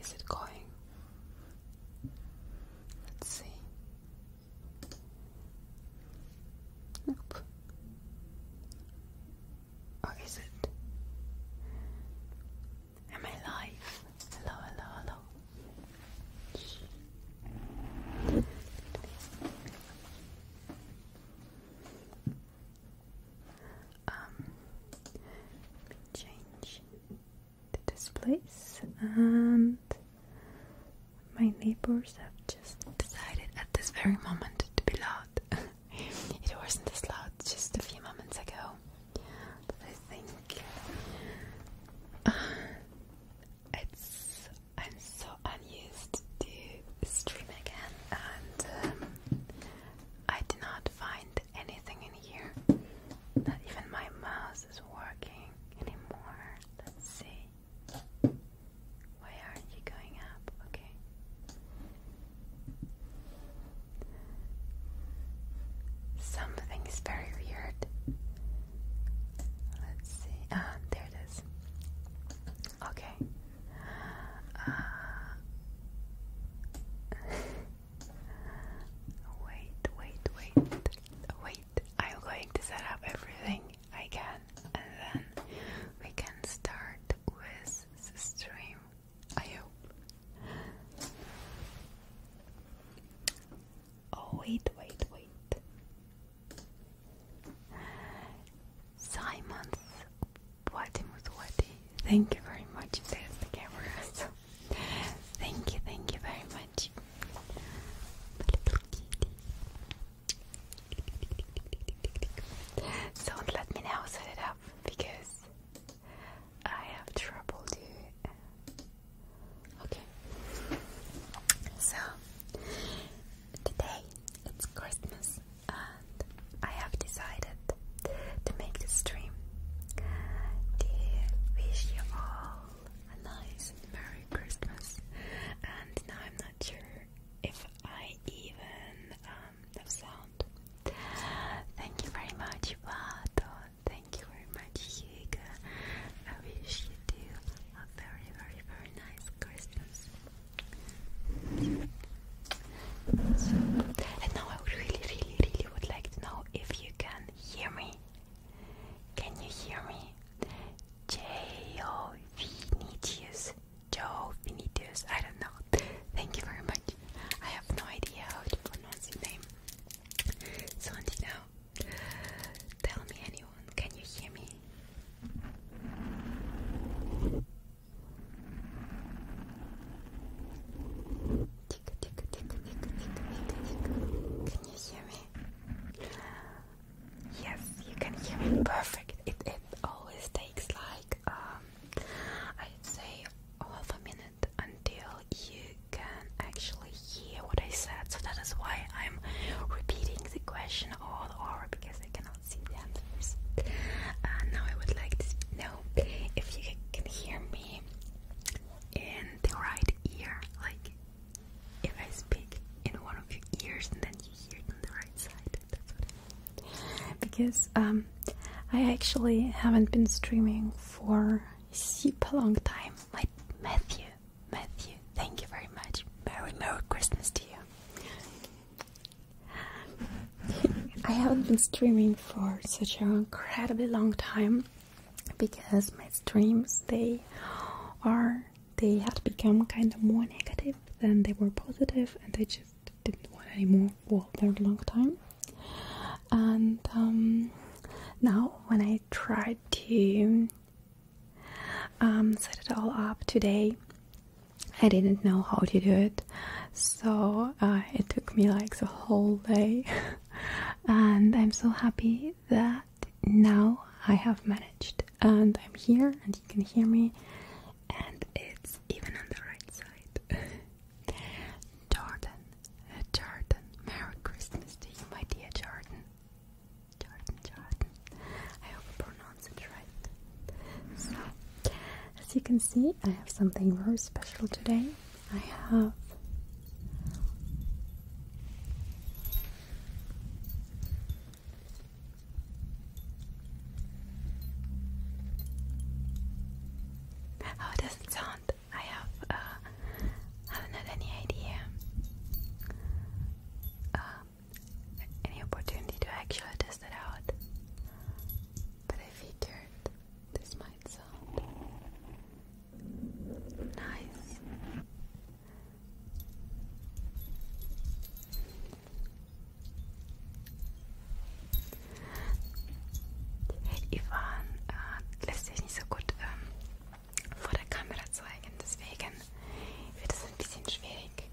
Is it going? Let's see. Nope. Or is it? Am I live? Hello, hello, hello. Um, change the displays, and my neighbors have just decided at this very moment to be loud. it wasn't as loud just a few moments ago, I think. Uh, it's I'm so unused to stream again, and um, I did not find anything in here. Not even my mouse is working anymore. Let's see. Why aren't you going up? Okay. Something is very weird. Let's see. Ah, there it Okay. Uh, wait, wait, wait, wait. I'm going to set up everything I can and then we can start with the stream. I hope. Oh, wait, wait, wait. Simon's Wadi Mutwadi. Thank you very much. thank you, very much. So let me now set it up because I have trouble doing Okay. So today it's Christmas and I have decided to make this stream to wish you all a nice Merry Christmas and now I'm not sure if I even um, have sound. Thank you very much Vato, thank you very much Higa, I wish you do a very, very, very nice Christmas. and now I really, really, really would like to know if you can hear me. Can you hear me? Joe Vinicius. I don't know. Thank you very much. I have no idea how to pronounce your name. So until now, Tell me, anyone, can you hear me? Tick, tick, tick, tick, tick, tick, tick. Can you hear me? Yes, you can hear me. Perfect. It it always takes like um, I'd say half a minute until you can actually hear what I said. So that is why I'm repeating the question all are because I cannot see the answers. Uh, now I would like to know if you can hear me in the right ear, like if I speak in one of your ears and then you hear it on the right side. Because um, I actually haven't been streaming for super long time. Like Matthew Matthew, thank you very much. Merry, Merry Christmas to you. I haven't been streaming for such an incredibly long time because my streams they are they had become kind of more negative than they were positive and I just didn't want any more for a very long time and um, now when I tried to um, set it all up today. I didn't know how to do it, so uh, it took me like the whole day, and I'm so happy that now I have managed, and I'm here, and you can hear me, and it's even on the right side. Jordan, uh, Jordan, Merry Christmas to you, my dear Jordan. Jordan, Jordan. I hope I pronounce it right. So, as you can see, I have something very special today. I have How oh, does it sound? I have uh, I haven't had any idea. Uh, any opportunity to actually test it out. But I figured this might sound nice. Hey, Ivan äh, lässt sich nicht so gut ähm, vor der Kamera zeigen, deswegen wird es ein bisschen schwierig.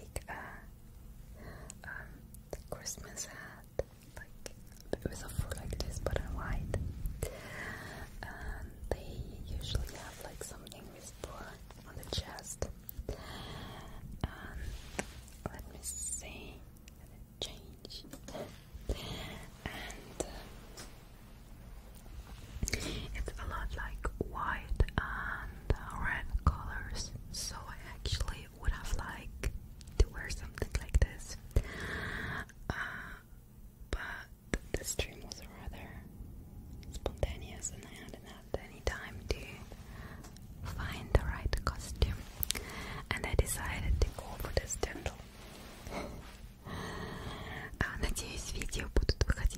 like a uh, um, Christmas hat. Like it a fur like this, but in white. And um, they usually have like something with fur on the chest. Um, let me see. Change uh, it's a lot like white and red colors, so I actually would have liked to wear something like this. Uh, but this dream was rather spontaneous, and I hadn't had any time to find the right costume, and I decided to go for this dental. Uh, надеюсь, видео будут выходить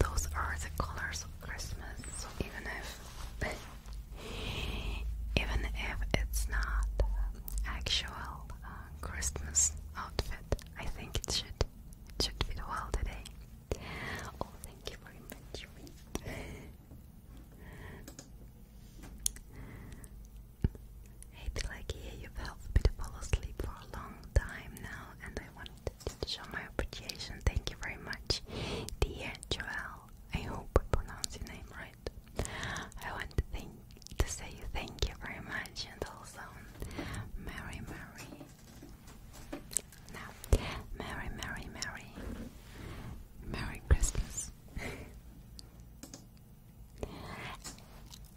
Those are the colors of Christmas, even if even if it's not actual uh, Christmas outfit, I think it should should fit well today. Oh, thank you for inviting me. Hey, Pelagia, you've helped me to fall asleep for a long time now, and I wanted to show my appreciation. Thank you very much, dear Joel. I hope I pronounce your name right. I want to thank say thank you very much, and also Mary, Mary. No, Merry, Merry, Merry, Merry Christmas.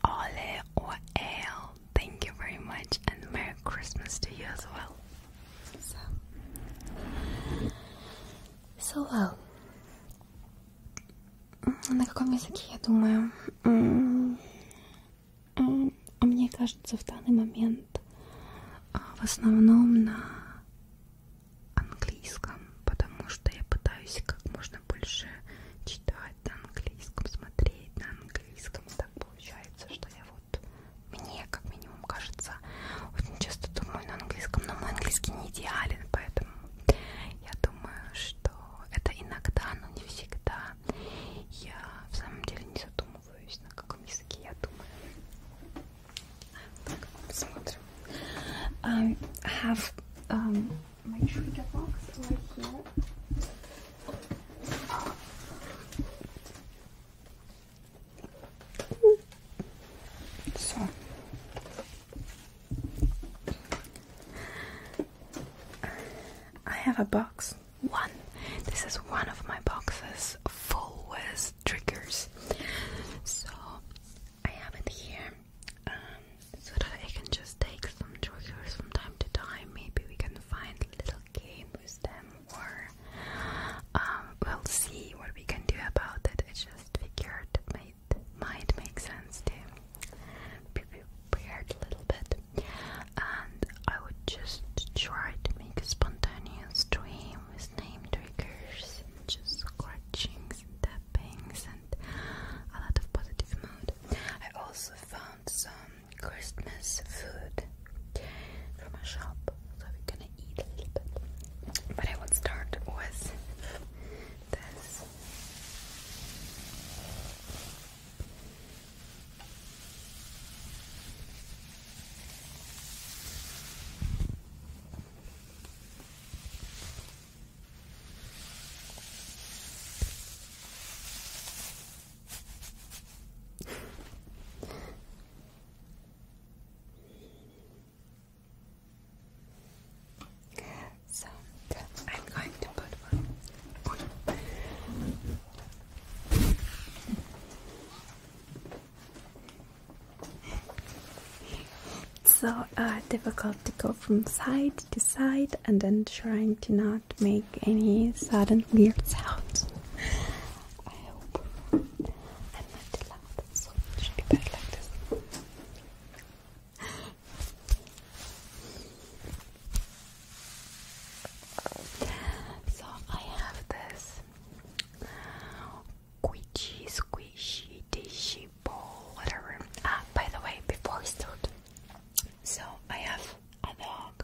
Ole or Ale, thank you very much, and Merry Christmas to you as well. So, so well. На каком языке, я думаю? Мне кажется, в данный момент а, в основном на английском, потому что я пытаюсь как можно больше читать на английском, смотреть на английском. И так получается, что я в вот мне как минимум кажется. Очень часто думаю на английском, но мой английский не идеален, поэтому я думаю, что это иногда, но не всегда. Я в самом деле не задумываюсь, на каком языке я думаю. Так, посмотрим. Um, have um, my trigger box right here. So I have a box. One. This is one of my boxes full with triggers. So I have it here um, so that I can just take some triggers from time to time. Maybe we can find a little game with them or um, we'll see what we can do about it. I just figured might, might make sense to be a little bit. And I would just try to make a spontaneous stream with name triggers just scratchings and and a lot of positive mood. I also found some Christmas food from a shop, so we're gonna eat a little bit. But I would start with this. So I'm going to put So uh, difficult to go from side to side and then trying to not make any sudden weird sounds. I hope I'm not too loud, should be better like this. so I have this squishy, squishy, dishy ball, whatever. Ah, by the way, before we start, so I have other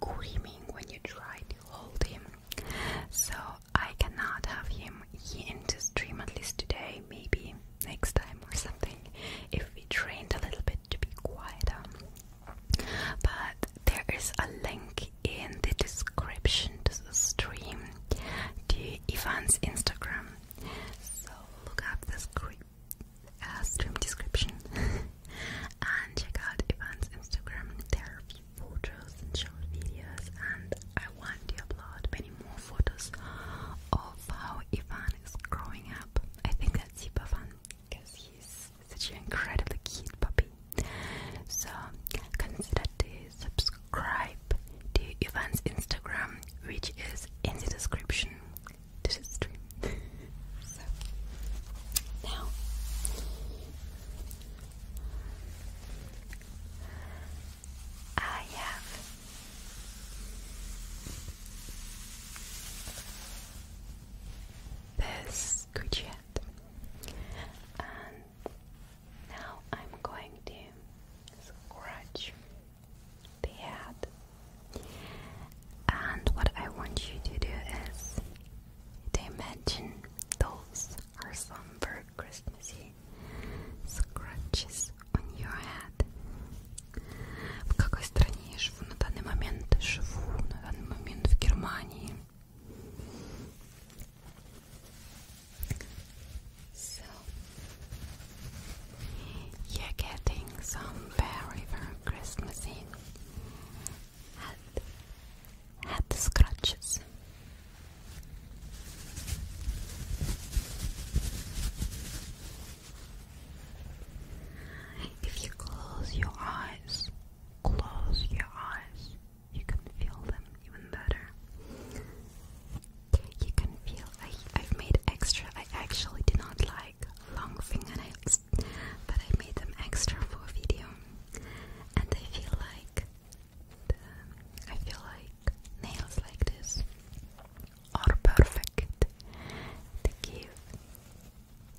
screaming when you try to hold him. So I cannot have him here in the stream at least today, maybe next time or something, if we trained a little bit to be quieter. But there is a link in the description to the stream to Ivan's Instagram. So look up this creep uh, stream description and check out Ivan's Instagram. There are photos and short videos, and I want to upload many more photos of how Ivan is growing up. I think that's super fun because he's such an incredibly cute puppy. So consider to subscribe to Ivan's Instagram, which is in the description did its dream. so now I have this Gucci hat, and now I'm going to scratch the hat and what I want you to do is to imagine those are some very Christmassy scratches on your head. В какой стране я живу на данный момент? Живу на данный момент в Германии. So, you're getting some very, very Christmassy head, head scratches. If you close your eyes, close your eyes, you can feel them even better. You can feel I, I've made extra. I actually did not lie long fingernails, but I made them extra for video, and I feel like I feel like nails like this are perfect to give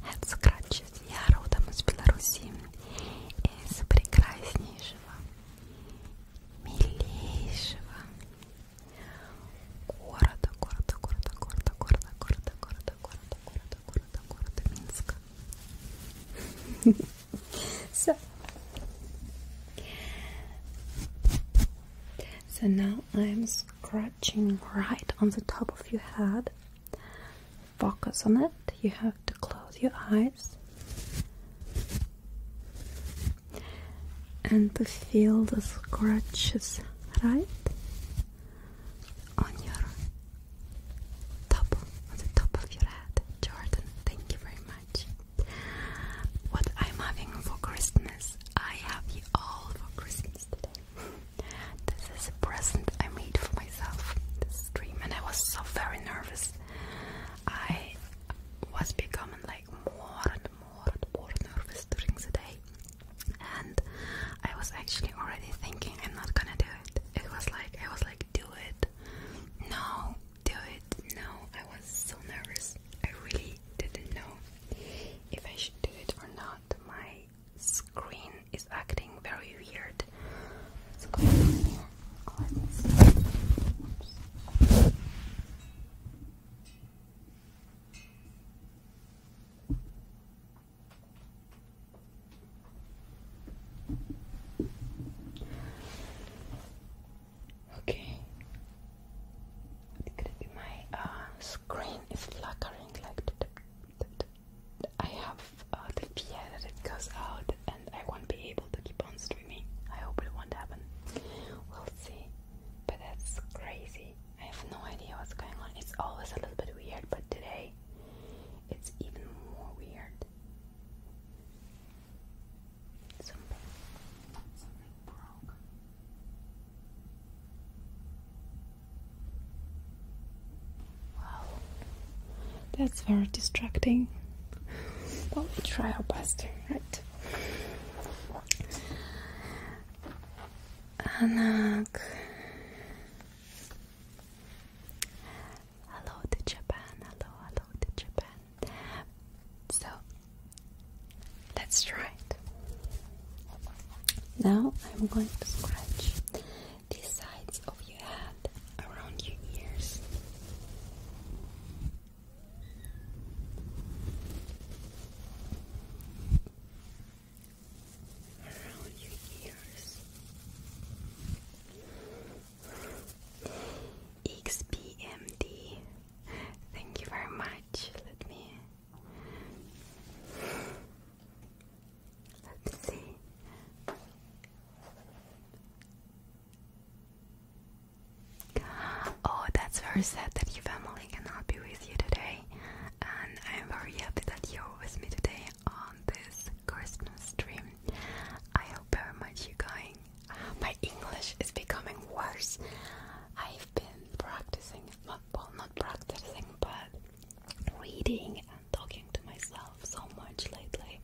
head scratches. Я родом из Беларуси, из прекраснейшего, милейшего города, города, города, города, города, города, города, города, города, so, so now I'm scratching right on the top of your head. Focus on it. You have to close your eyes and to feel the scratches right on your top on the top of your head. Jordan, thank you very much. What I'm having for Christmas, I have you all for Christmas today. this is a present I made for myself. This dream, and I was so very nervous. I was becoming like more and more and more nervous during the day and I was actually already thinking I'm not gonna do it. It was like I was like do it. No, do it. No, I was so nervous. I really didn't know if I should do it or not. My screen is acting very weird. Okay. It be my uh, screen is flickering like I have uh, the fear that goes out and I won't be able to keep on streaming. I hope it won't happen. We'll see. But that's crazy. I have no idea what's going on. It's always a little bit weird, but today it's even more weird. Something, something broke. Wow, that's very distracting. But we try our best, right? Anak Hello to Japan. Hello, hello to Japan. So let's try it. Now I'm going to scratch the sides of your head around your ears. XPMD, thank you very much. Let me let's see. Oh, that's very sad that your family cannot be with you today, and I'm very happy that you're with me today on this Christmas stream. I hope very much you're going. Uh, my English is becoming worse. I've been practicing, well, not practicing, but reading and talking to myself so much lately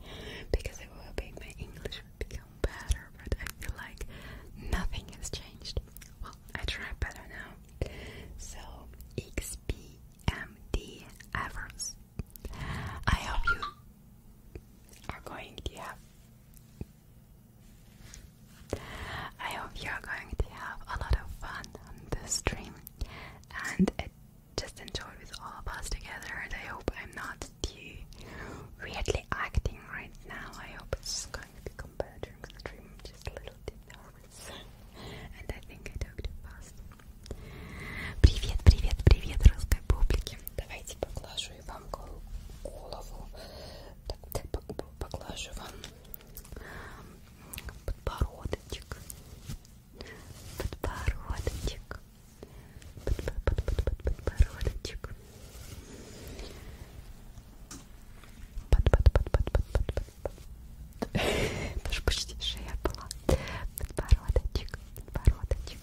because I was hoping my English would become better, but I feel like nothing has changed. Well, I try better now. So, XP MD Evers. I hope you are going to have I hope you are going to have a lot of fun on this stream and I just enjoy with all of us together I hope I'm not weirdly acting right now. I hope it's going to become better during the stream just a little bit. волосы. And I think I talked fast. Привет, привет, привет, русской публике. Давайте поглажу и вам голову. Так, так, поглажу вам подбородочек. Подбородочек. Под, под, под, под, подбородочек. Под, под, под, под, под, под, под, Даже почти шея была. Подбородочек, подбородочек.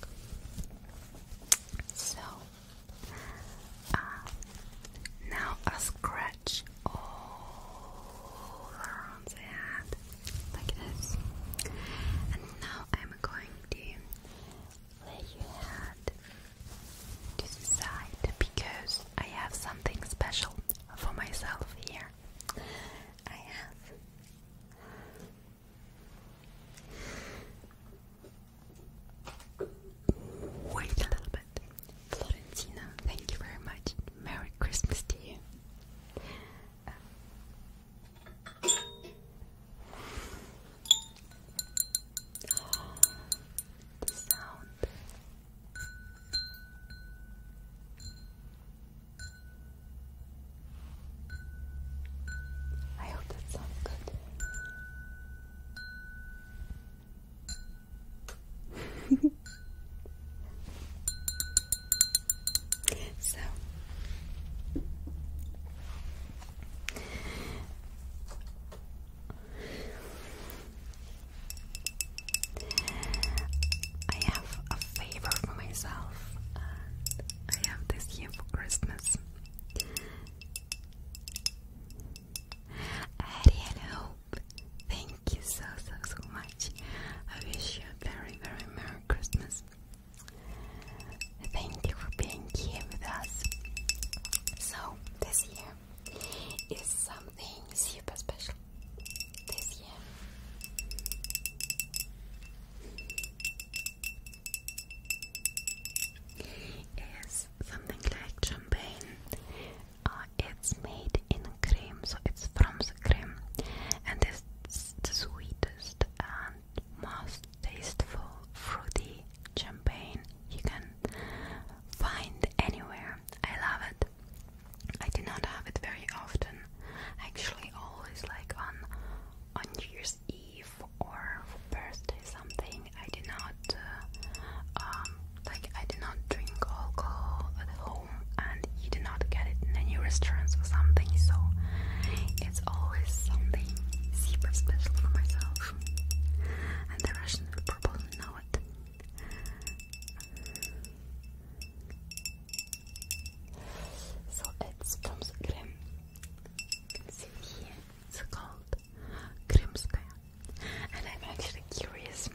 So, uh, now a scratch all around the head, like this. And now I'm going to lay your head to the side because I have something special for myself here. Wait a little bit. Florentina, thank you very much. Merry Christmas to you. the sound. I hope that sounds good. so I have a favor for myself, I have this year for Christmas. I really hope. Thank you so so so much. I wish you a very very merry Christmas. Thank you for being here with us. So this year is something super special this year. It's something like champagne. Uh, it's made in cream, so it's from the and it's sweetest and most tasteful fruity champagne you can find anywhere. I love it. I do not have it very often. Actually, always like on on New Year's Eve or birthday something. I do not uh, um, like I do not drink alcohol at home, and you do not get it in any restaurants or something. So it's always something super special for myself, and the Russians probably know it. So it's from the Grim. You can see here, it's called Krimskaya. And I'm actually curious,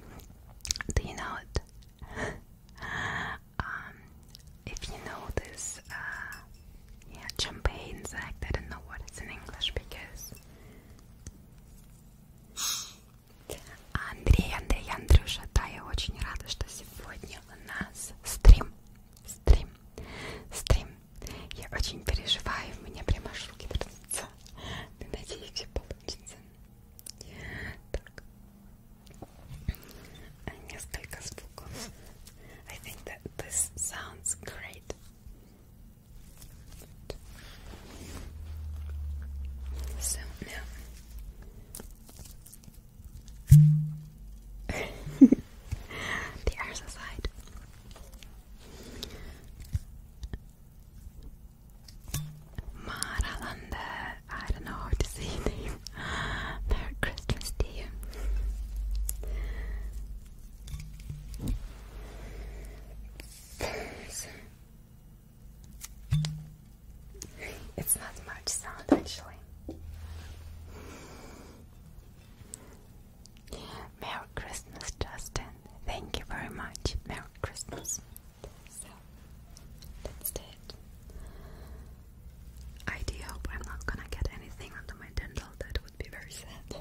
do you know it? um, if you know this, uh, yeah, champagne Zact, I don't know what it's in English because Андрей, Андрей, Андрюша, да, я очень рада, что сегодня у нас стрим, стрим, стрим. Я очень переживаю, у меня прямо аж руки трясутся. Но надеюсь, все получится. Так. А, несколько звуков. I think that this sounds great. So now the arms aside. Maralande, I don't know how to say your name. Merry Christmas dear. It's not much sound actually. Merry Christmas, Justin. Thank you very much. Merry Christmas. that's it. I do hope I'm not gonna get anything onto my dental, that would be very sad.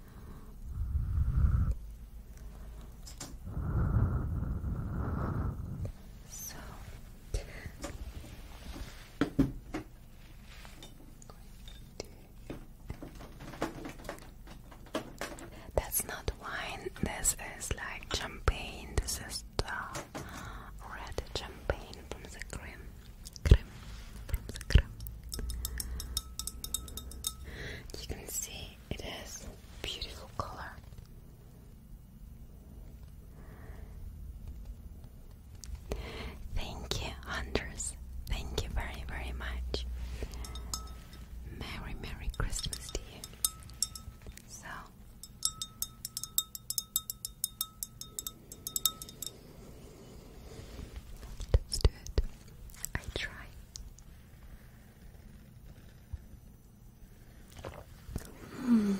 So that's not wine, this is like champagne, this is the red champagne from the cream. You can see it is beautiful color. Thank you, hunters. Thank you very, very much. Merry, Merry Christmas to you. So. Let's do it. I try. Hmm.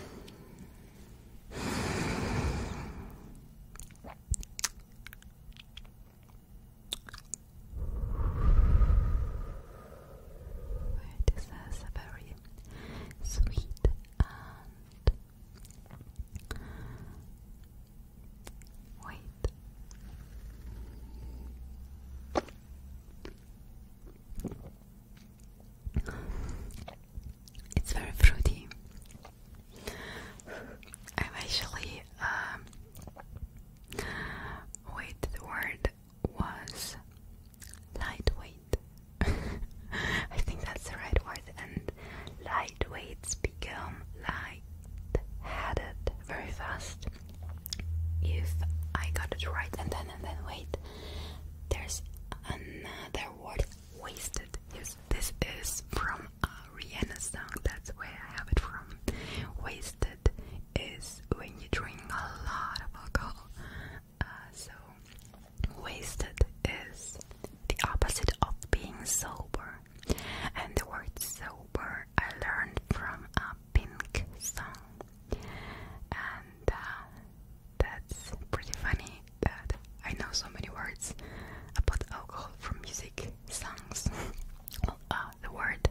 This is a very sweet and Wait. It's very fruity. I'm actually um, wait the word was lightweight. I think that's the right word and lightweights become light headed very fast if I got it right and then and then wait there's another word wasted yes this is from uh, Rihanna's song that's where I have it from wasted is when you drink a lot of alcohol uh, so wasted is the opposite of being sober and the word sober I learned from a pink song, and uh, that's pretty funny that I know so many words about alcohol from music songs. Uh, the word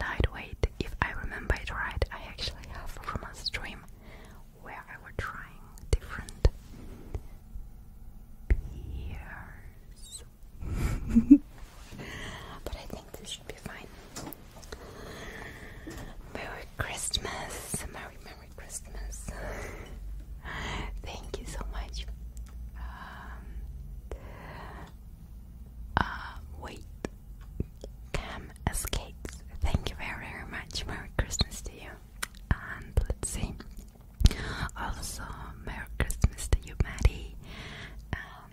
lightweight, if I remember it right, I actually have from a stream where I were trying different beers. Merry Christmas! Merry, Merry Christmas! Thank you so much. Um, uh, wait. Cam escapes. Thank you very, very much. Merry Christmas to you. And let's see. Also, Merry Christmas to you, Maddie. Um,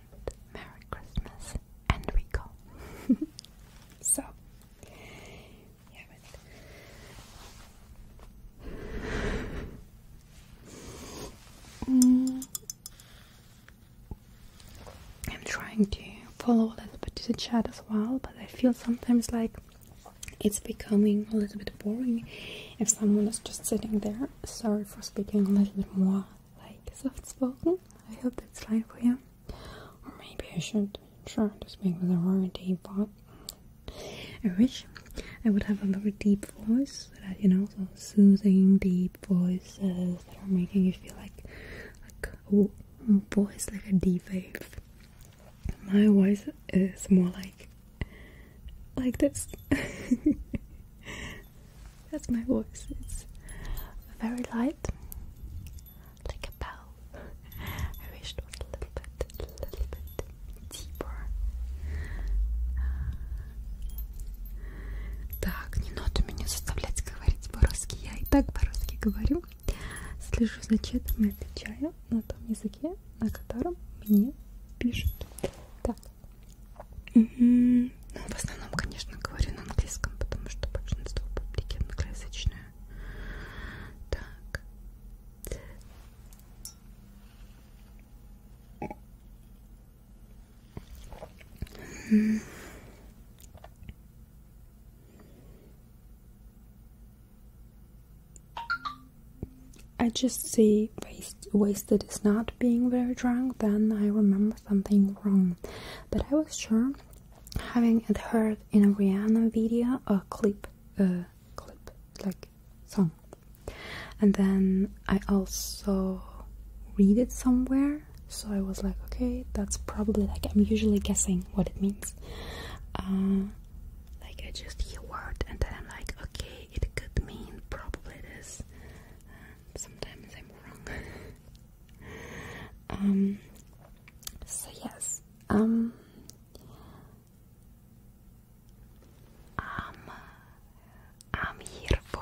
Merry Christmas, and recall. so, mm. I'm trying to follow a little bit to the chat as well, but I feel sometimes like it's becoming a little bit boring if someone is just sitting there. Sorry for speaking a little bit more like soft spoken. I hope that's fine for you. Or maybe I should try to speak with a very deep voice. I wish I would have a very deep voice, that, you know, soothing, deep voices that are making you feel like like oh, voice like a deep wave. My voice is more like like this. That's my voice. It's very light, like a bell. I wish it was a little bit, a little bit deeper. Так, не надо меня заставлять говорить по-русски. Я и так по-русски говорю. Слежу за чатом и отвечаю на том языке, на котором мне пишут. Так, ну, в основном, конечно, говорю на английском, потому что большинство публики англоязычное. Так. I just say wasted is not being very drunk, then I remember something wrong. But I was sure, having it heard in a Rihanna video, a clip, a clip, like song. And then I also read it somewhere, so I was like, okay, that's probably like I'm usually guessing what it means. Uh, like I just hear a word and then I'm like, okay, it could mean probably this sometimes I'm wrong. Um, so yes, um, um, I'm here for,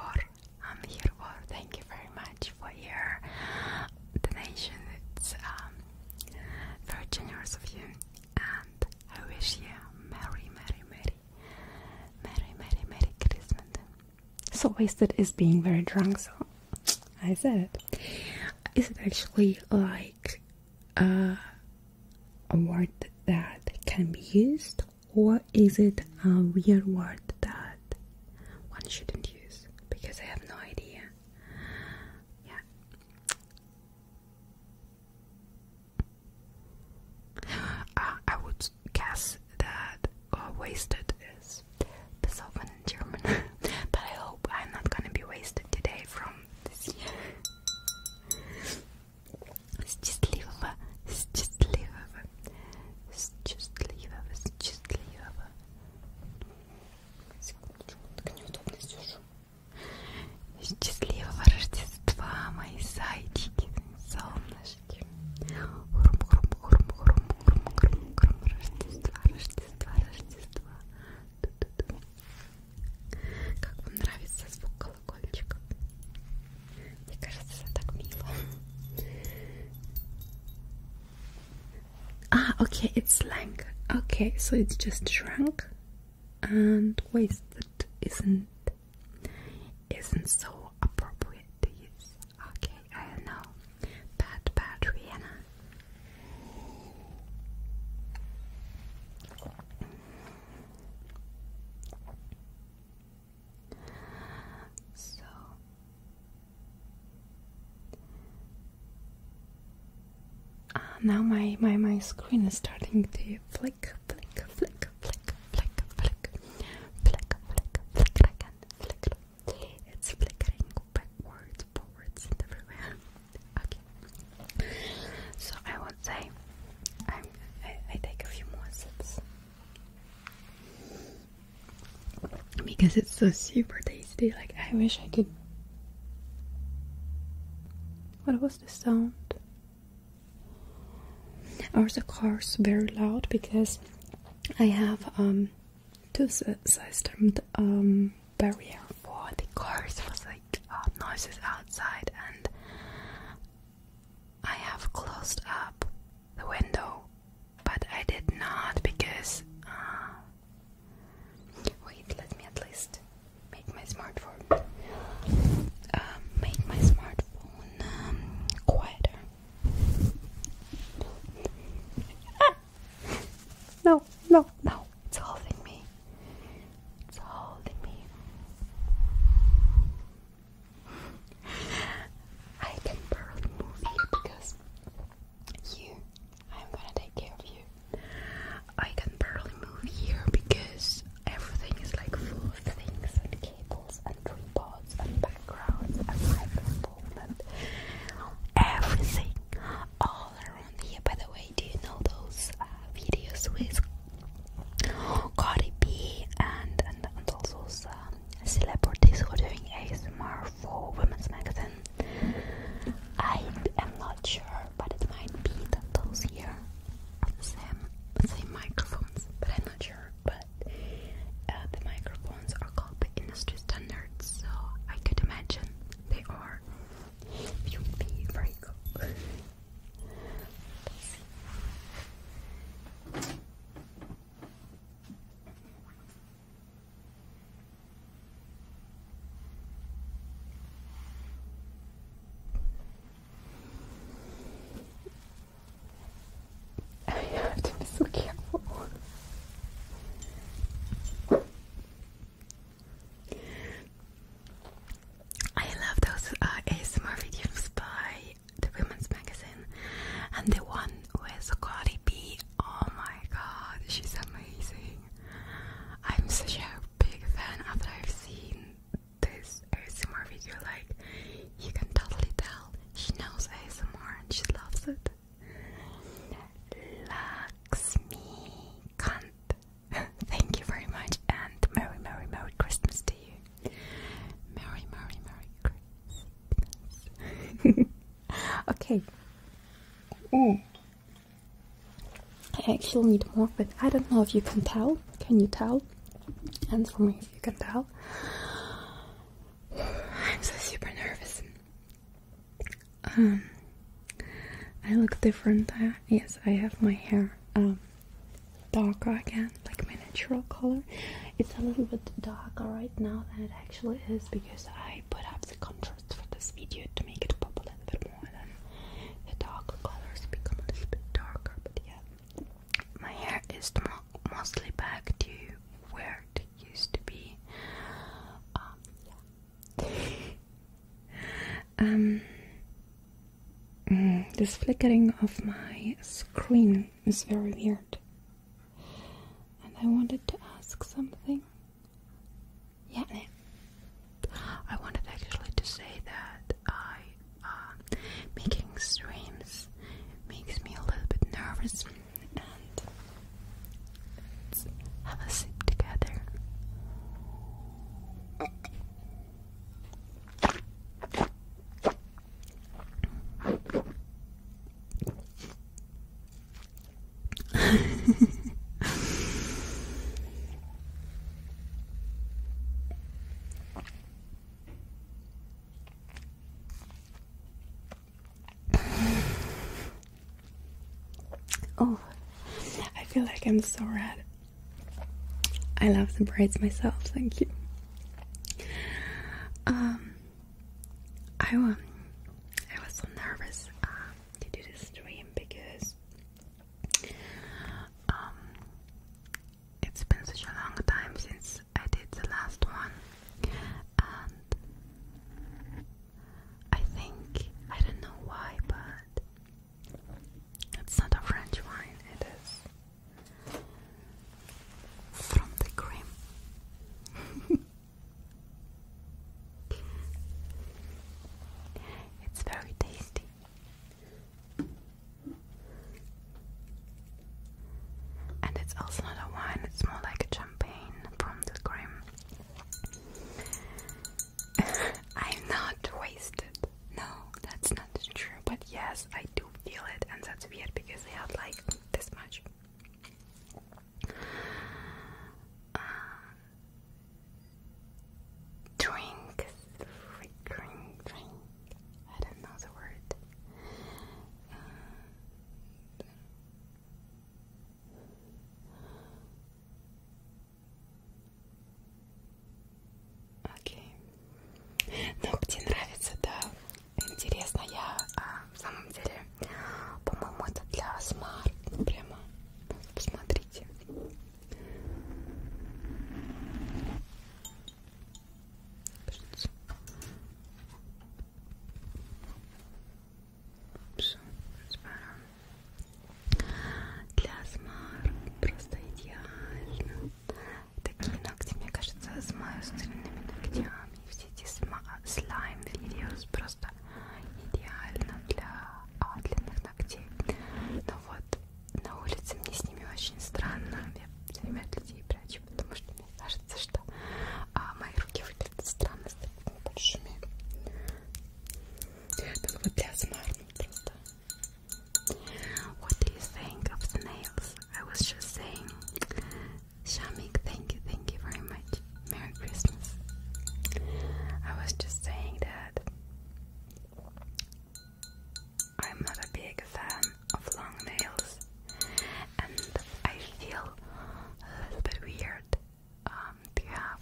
I'm here for. Thank you very much for your donation. It's um, very generous of you, and I wish you merry, merry, merry, merry, merry, merry Christmas. So wasted is being very drunk, so I said "Is it actually like uh, a word that can be used, or is it a weird word that one shouldn't use? Because I have no idea. Yeah. Uh, I would gas, gas that uh, wasted is besoffen in German. but I hope I'm not gonna be wasted today from this year. Счастливого, счастливого, счастливого, счастливого. Секундочку, так неудобно сижу. Счастливого Рождества, мои зайчики, солнышки. Урм, урм, урм, урм, урм, урм, урм, Рождество, Рождество, Рождество. Ту -ту -ту. Как вам нравится звук колокольчиков? Мне кажется, это так мило. Ah, okay, it's slang. Okay, so it's just shrunk and wasted, isn't isn't so appropriate to use. Okay, I know. Bad, bad Rihanna. So ah, now my, my my screen is starting to flick, flick, flick, flick, flick, flick, flick, flick, flick, flick again, flick It's flickering backwards, forwards, and everywhere. Okay. So I would say I, I take a few more sips because it's so super tasty. Like I wish I could. What was the sound? Are the cars very loud? Because I have um, two system um, barrier for the cars for the uh, noises outside, and I have closed up the window, but I did not because. Uh, wait, let me at least make my smartphone. Uh, make my smartphone um, quieter. Ah! No, no, no. It's holding me. It's holding me. I can barely move you because you, I'm gonna take care of you. I can barely move here because everything is like full of things and cables and reports and backgrounds and my performance. Everything all around here. By the way, do you know those uh, videos with Cardi B and, and, and all um, celebrities who are doing ASMR for Women's Magazine? I am not sure, but it might be that those here are the same, same microphones, but I'm not sure. But but uh, the microphones are called industry standards, so I could imagine they are. you very good you have to be so careful. I love those uh, ASMR videos by the Women's Magazine and the one with Cardi B. Oh my god, she's amazing. I'm such a big fan after I've seen this ASMR video. Like, you can totally tell she knows ASMR and she loves it. Lakshmi Kant. Thank you very much and Merry Merry Merry Christmas to you. Merry Merry Merry Christmas. okay. Oh, I actually need more, but I don't know if you can tell. Can you tell? for me if you can tell. I'm so super nervous. Um, I look different. yes, I have my hair um, darker again, like my natural color. It's a little bit darker right now than it actually is because I put up the contrast for this video to make it pop a little bit more. Then the dark colors become a little bit darker, but yeah, my hair is mostly back to where it used to be. Um, um mm, this flickering of my screen is very weird. And I wanted to ask something. Yeah, I wanted actually to say that I uh, making streams makes me a little bit nervous and have a sip together. Oh, I feel like I'm so rad. I love the braids myself, thank you. Um, I, was um, I was so nervous uh, to do this stream because um, it's been such a long time since I did the last one and I think I don't know why but it's not a French wine, it is from the cream. it's very tasty. And it's also not a wine, it's more like a champagne from the cream. I'm not wasted. No, that's not true. But yes, I do feel it, and that's weird because I had like this much. Uh, drink, drink, I don't know the word. Uh, Окей. Ну, где нравится, да. Интересно, я а, в самом деле, по-моему, это для смарт. Прямо посмотрите кажется. Упс, Для смарт просто идеально. Такие ногти, мне кажется, с стильными ногтями. Все эти слайм видеос просто идеально для а, длинных ногтей. Но вот на улице мне с ними очень странно. Я все время от людей прячу, потому что Мне кажется, что а, мои руки выглядят странно с такими большими. Как What do you think of the nails? I was just saying, Shamik, thank you, thank you very much. Merry Christmas. I was just saying that I'm not a big fan of long nails, and I feel a little bit weird um, to have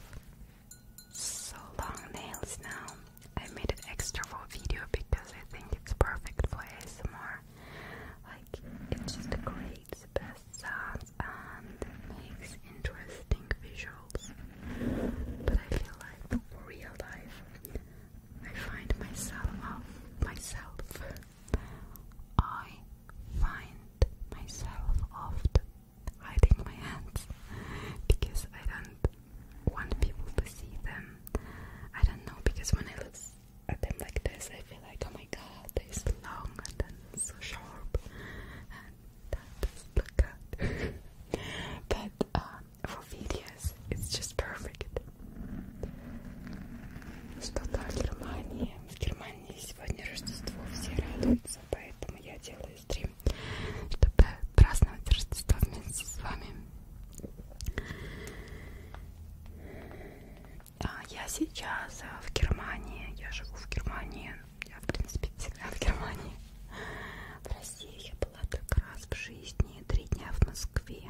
so long nails now. I made it extra for video because I think it's perfect for ASMR. Like, it just creates best sounds and makes interesting visuals. But I feel like real life, I find myself, myself, I find myself often hiding my hands because I don't want people to see them. I don't know because when I look at them like this, I feel like, oh my god, they're so long and then so sharp, and that doesn't look good. but um, for videos, it's just perfect. Что так Германия в Германии сегодня Рождество, все радуются, поэтому я делаю стрим, чтобы праздновать Рождество вместе с вами. А я сейчас э, в Германии, я живу в Германии, я в принципе всегда в Германии. В России я была так раз в жизни, три дня в Москве.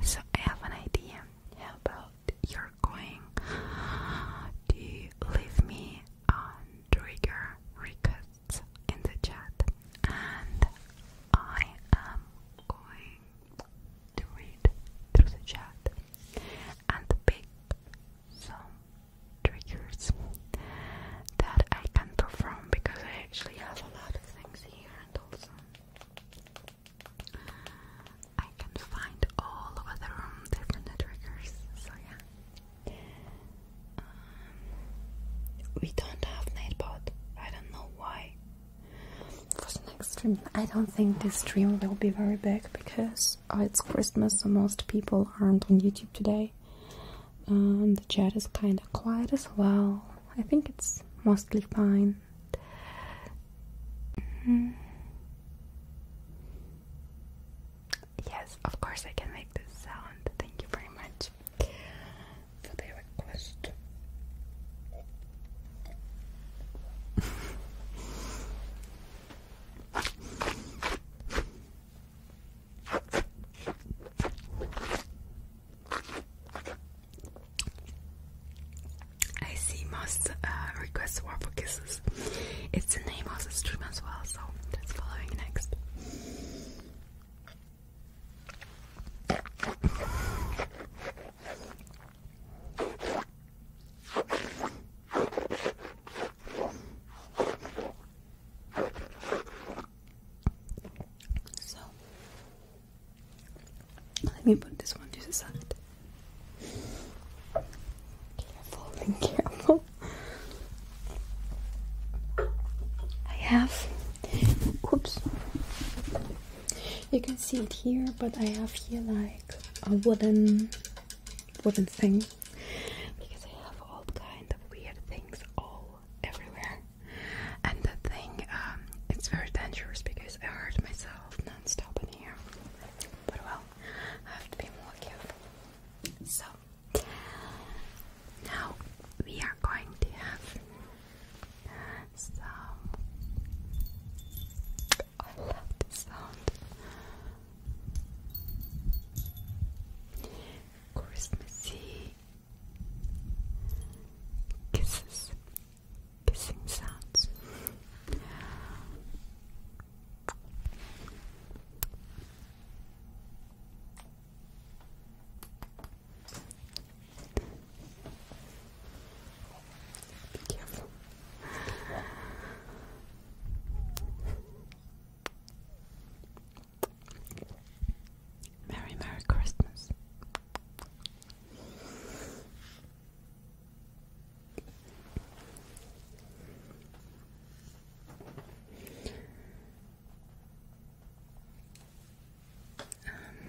So I have an idea. How about you're going to leave me on trigger requests in the chat, and I am going to read through the chat and pick some triggers that I can draw from because I actually have a lot of things here and also I can find all over the room um, different triggers. So yeah. Um, we don't have Nightbot. I don't know why. For the next stream, I don't think this dream will be very big because course, uh, it's Christmas, so most people aren't on YouTube today. Um, the chat is kind of quiet as well. I think it's mostly fine. Mm-hmm. Yes, of course, I can make this sound. Thank you very much for the request. I see most uh, requests were for kisses. It's the name of the stream as well, so that's following next. So let me put this one to the side. Careful and careful. I have oops. You can see it here, but I have here like a wooden wooden thing because I have all kind of weird things all everywhere. And the thing, um, it's very dangerous because I hurt myself non-stop in here. But well, I have to be more careful. So now we are going to have some I love this sound. Christmassy kisses, kissing sounds. Be careful. Merry, Merry Christmas. Um,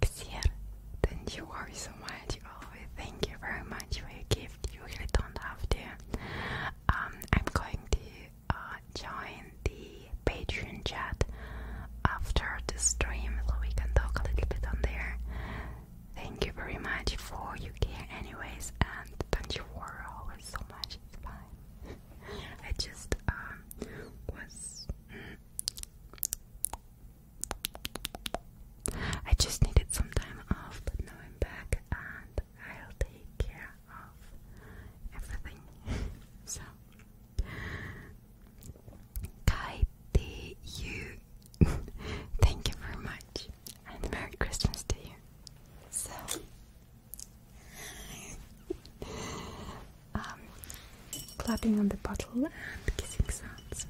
Xer, thank you all so much. Always thank you very much for your gift. You really don't have to. Um, I'm going to uh, join the Patreon chat after the stream so we can talk a little bit on there. Thank you very much for your care, anyways, and don't you worry so much. It's fine. I just um, was mm, I just needed some time off, but now I'm back and I'll take care of everything. so, Kaiti, thank you very much, and Merry Christmas to you. So, um, clapping on the bottle and kissing sounds.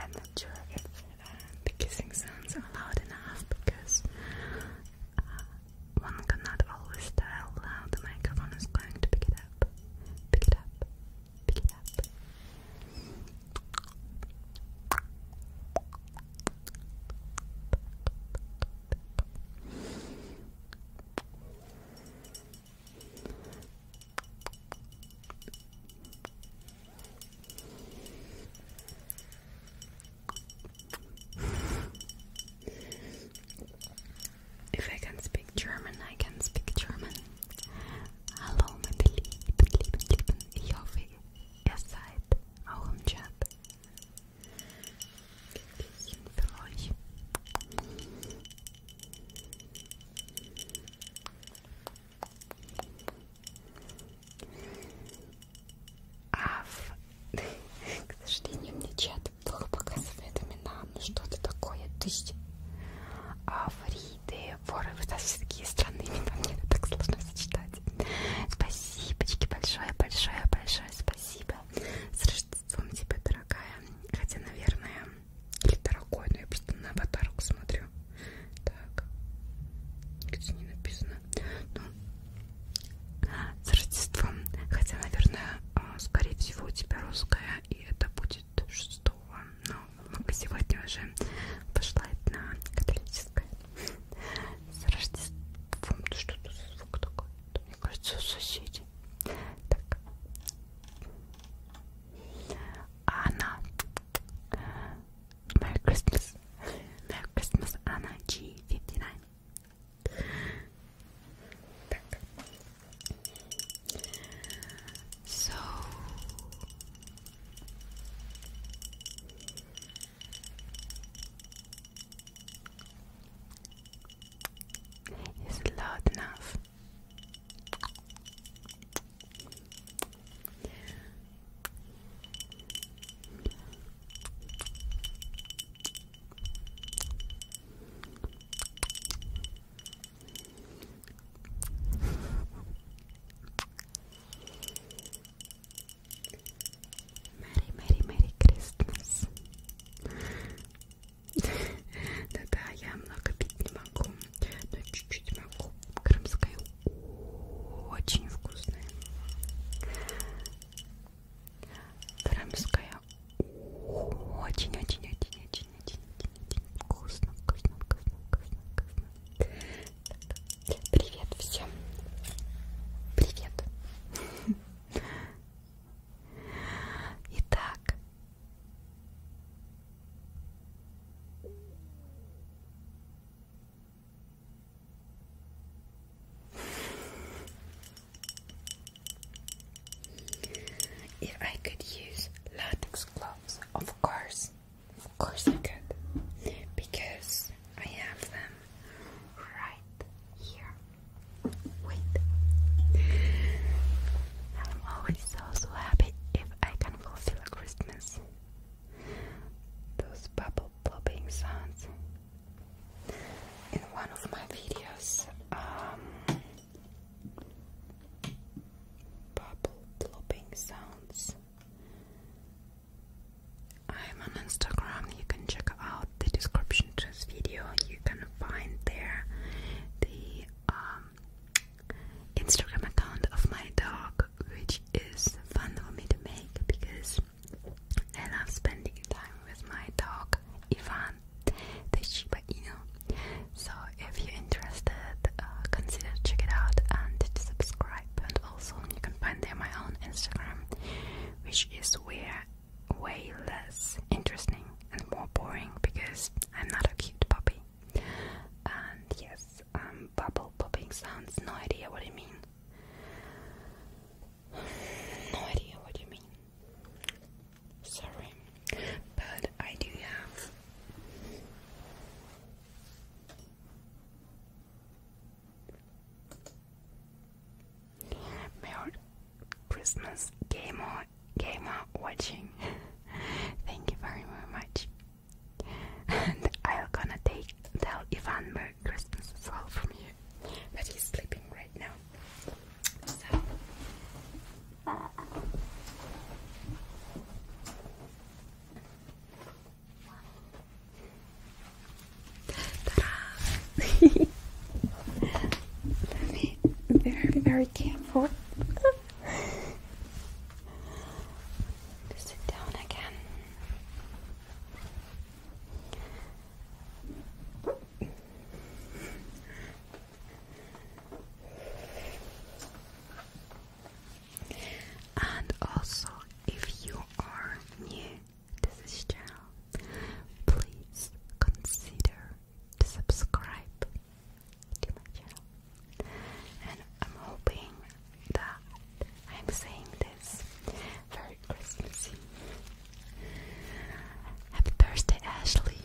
I'm not sure if uh, the kissing sounds are loud enough because uh, one cannot always tell how the microphone is going to pick it up, pick it up, pick it up. If I can speak German, I can speak German. Hallo meine lieben, lieben, lieben. Ich hoffe, ihr Chat. А в... К сожалению, мне чат плохо показывает имена, ну что-то такое, то есть Африды, воры, вы все такие странные имена, мне это так сложно сочетать. Спасибочки, большое-большое-большое спасибо. С Рождеством тебя, дорогая. Хотя, наверное, или дорогой, но я просто на аватарку смотрю. Так, нигде не написано. Ну, с Рождеством. Хотя, наверное, а, скорее всего, у тебя русская, и это будет 6 но много сегодня уже пошла одна католическая. С Рождеством. Что-то звук такой. Мне кажется, соседи. Так. Анна. Merry Christmas. Merry Christmas, Anna G59. Так. So is loud enough. Мэри, Мэри, Мэри Кристмас. Да-да, я много пить не могу, но чуть-чуть могу. Крымская очень вкусная. Крымская очень-очень-очень-очень-очень-очень вкусно, вкусно, вкусно, вкусно, вкусно. Привет всем! Привет! Итак. If I could use latex gloves, of course, of course I could, because I have them right here. Wait, I'm always so so happy if I can fulfill Christmas. Those bubble popping sounds in one of my videos. Um, bubble plopping sounds. I'm on Instagram. You can check out the description to this video. You can find there the um, Instagram account of my dog, which is fun for me to make because and I am spending time with my dog Ivan, the Shiba Inu. So if you're interested, uh, consider check it out and subscribe. And also you can find there my Instagram, which is where way less interesting and more boring because I'm not a cute puppy. And yes, um, bubble popping sounds. No idea what I mean. No idea what you mean. Sorry, but I do have Merry Christmas gamer gamer watching. Thank you very very much. And I'll gonna take tell Ivan Merry Christmas as well from you. But he's sleeping right now. So. Let very, very careful. sit down again out. And also, if you are new to this channel, please consider to to my channel. And I'm hoping that I'm saying this very very Christmassy. Happy birthday, Ashley.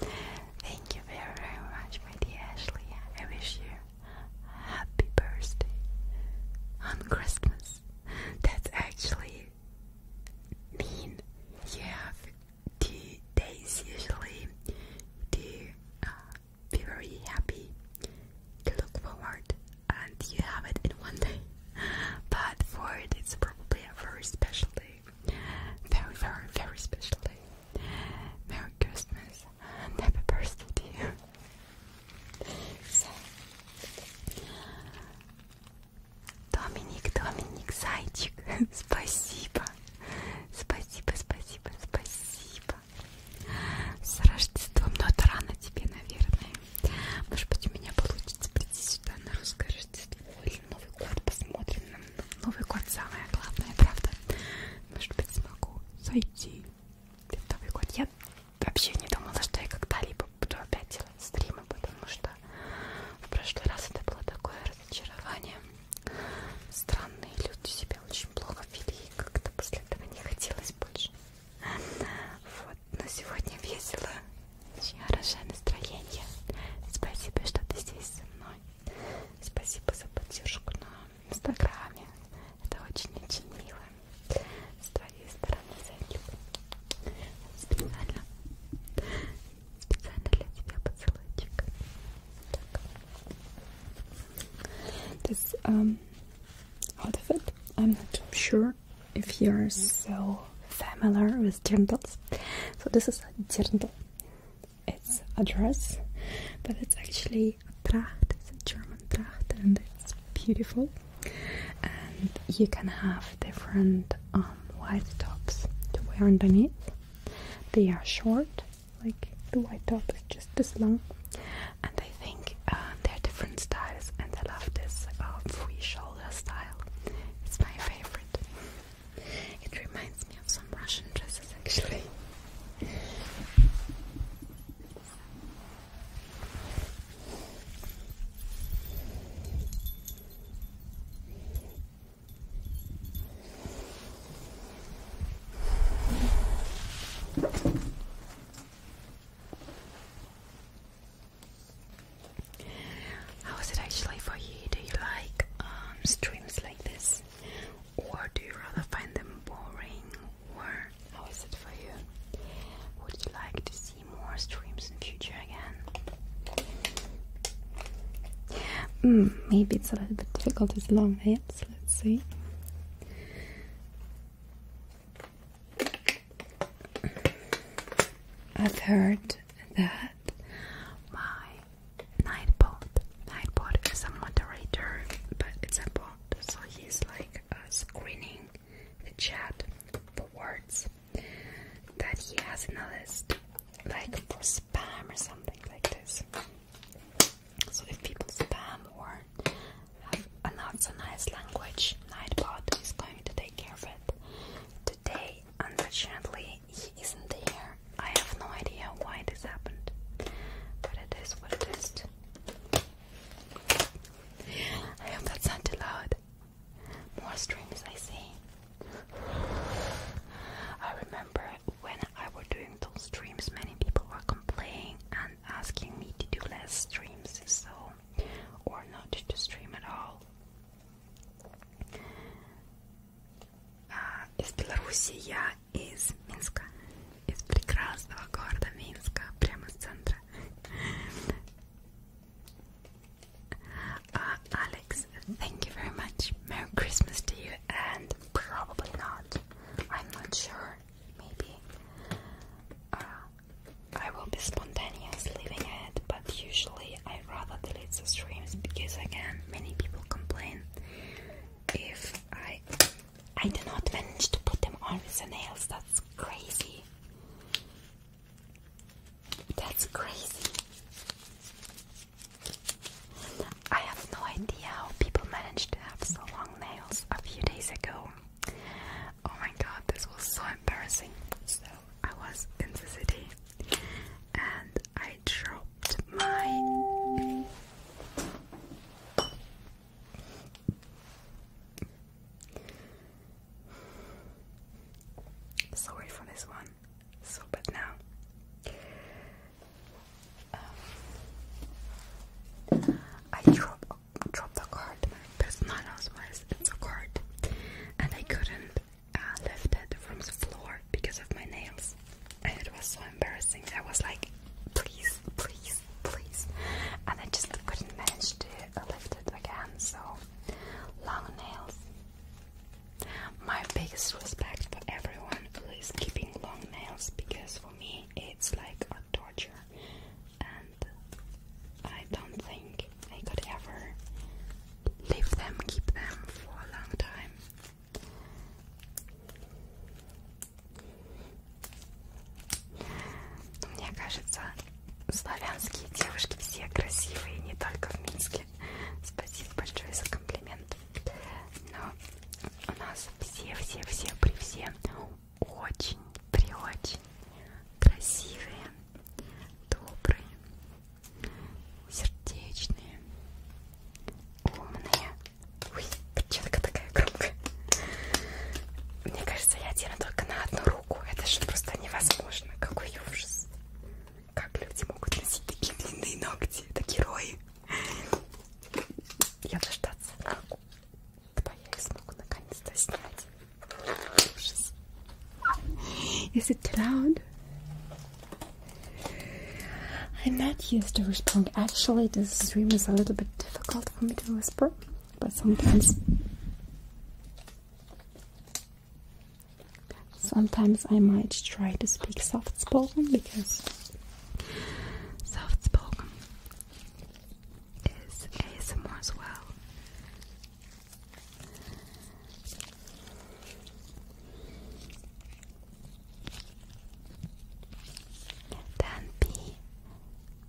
Thank you very, very much, my dear Ashley. I wish you a happy birthday on Christmas. That's actually mean. You have two days usually to uh, be very happy, to look forward, and you have it in one day but for it, it's probably a very special day. Very, very, very special day. Merry Christmas and happy birthday to you. So, Доминик, Доминик, зайчик, спасибо. Спасибо, спасибо, спасибо. С Рождеством, но это рано тебе, наверное. Может быть, у меня получится прийти сюда на русское Рождество или Новый год. Посмотрим. Новый год самое главное, правда? Может быть, смогу зайти в Новый год. Я вообще не думала, что я когда-либо буду опять делать стримы, потому что в прошлый раз это было такое разочарование. Странные люди себя очень плохо вели, как-то после этого не хотелось больше. Вот, но сегодня весело. Очень хорошее настроение. Спасибо, что ты здесь со мной. Спасибо за поддержку на Инстаграме. Это очень-очень мило. С твоей стороны зайду. Специально. Специально для тебя поцелуйчик. Так. This um, outfit, I'm not sure if you're so familiar with dirndls. So this is a dirndl. It's a dress, but it's actually a tracht. It's a German tracht, and it's beautiful. And you can have different um, white tops to wear underneath. They are short, like the white top is just this long. And I think uh, they're different styles, and I love this uh, free shawl it's my favorite. It reminds me of some Russian dresses actually. How is it actually for you? Do you like um, streams like this? Or do you rather find them boring? Or how is it for you? Would you like to see more streams in the future again? Mm, maybe it's a little bit difficult as long as so let's see. I've heard that my Nightbot, Nightbot is a moderator, but it's a bot, so he's like uh, screening the chat for words that he has in a list, like for spam or something like this. So if people spam or have a uh, nice language, Nightbot is going to take care of it. Today, unfortunately, he isn't there. I have no idea why this happened, but it is what it is. I hope that's not too loud. More streams I see. I remember when I was doing those streams, many people were complaining and asking me to do less streams, so or not to stream at all. Из Беларуси я из Минска, из прекрасного города Минска, прямо с центра. Uh, Alex, thank you very much. Merry Christmas to you, and probably not. I'm not sure. Maybe uh, I will be spontaneous leaving it, but usually I rather delete the streams because again many people complain if I I do not manage to put them on with the nails. That's crazy. That's crazy. I have no idea how people managed to have so long nails a few days ago. Oh my god, this was so embarrassing. So I was in the city and I dropped my sorry for this one so but now um, I dropped dropped a card my personal was it's a card and I couldn't I uh, lifted from the floor because of my nails. And it was so embarrassing. I was like, please, please, please. And I just couldn't manage to uh, lift it again. So, long nails. My biggest respect for everyone who is keeping long nails because for me it's like a torture and I don't think I could ever leave them, keep them for a long time. Мне кажется, славянские девушки все красивые, не только в Минске. Спасибо большое за комплимент. Но у нас все-все-все при все очень-при очень красивые, добрые, сердечные, умные. Ой, перчатка такая громкая. Мне кажется, я одену только на одну руку. Это же просто невозможно. Какой ужас. Как люди могут носить такие длинные ногти? Это герои. Я дождаться. Когда я их смогу наконец-то снять. Ужас. Is it loud? I'm not used to respond. Actually, this stream is a little bit difficult for me to whisper, but sometimes. Sometimes I might try to speak soft spoken because soft spoken is ASMR as well. Then be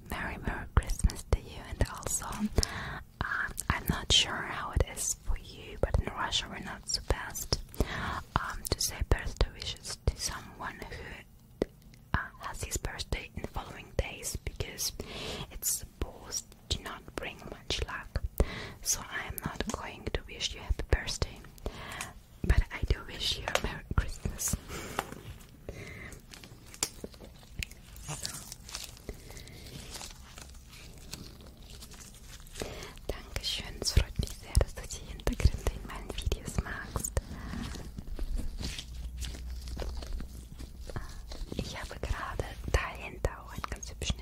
Merry Merry Christmas to you and also um, I'm not sure how it is for you but in Russia we're not supposed um, to say birthday wishes to someone who uh, has his birthday in the following days because it's supposed do not bring much luck, so I am not going to wish you a happy birthday, but I do wish you a Merry Christmas. so. Dankeschön, es freut mich sehr, dass du die in meinen Videos magst. Ich habe gerade dahinter auch einen ganz hübschen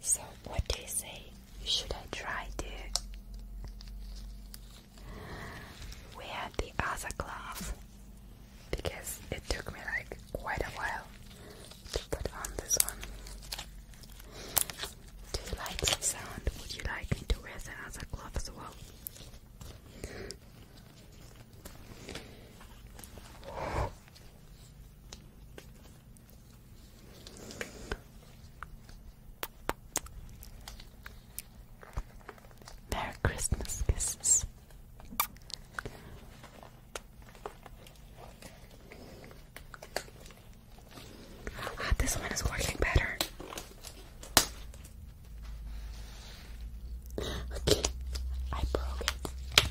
So, what do you say? Should I try to wear the other glove? Because it took me like quite a while to put on this one. Do you like the sound? Would you like me to wear the other glove as well? Merry Christmas kisses. Ah, this one is working better. Okay, I broke it.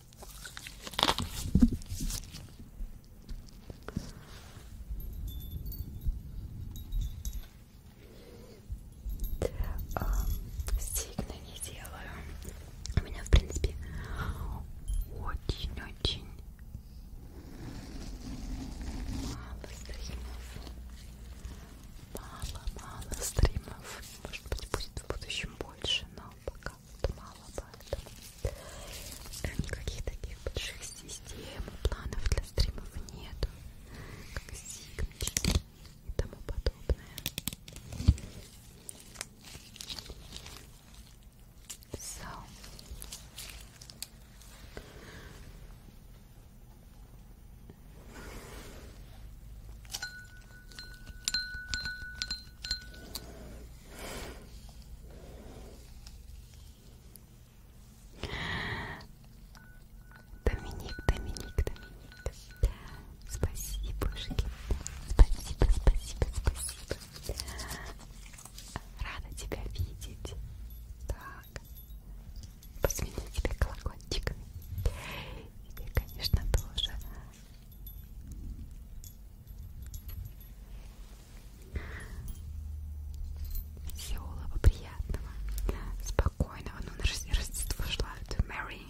Сильно не делаю. У меня, в принципе, очень-очень мало стримов. Мало-мало стримов. Может быть, будет в будущем больше, но пока как-то мало, поэтому эм, никаких таких больших систем, планов для стримов нету, как сигнички и тому подобное. So. Доминик, Доминик, Доминик. Спасибо, Жигит. Спасибо, спасибо, спасибо. Рада тебя видеть. Так. Посмотрю тебя колокольчиками. И, конечно, тоже Веселого, приятного, спокойного. Ну, на Рождество желают. Мэри.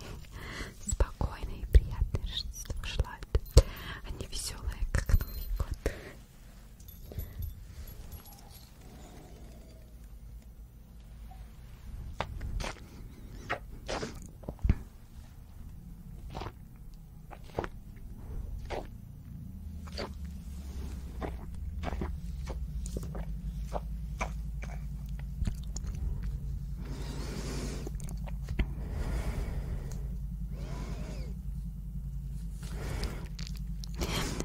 Спокойное и приятное Рождество желают. Они веселые, как Новый год.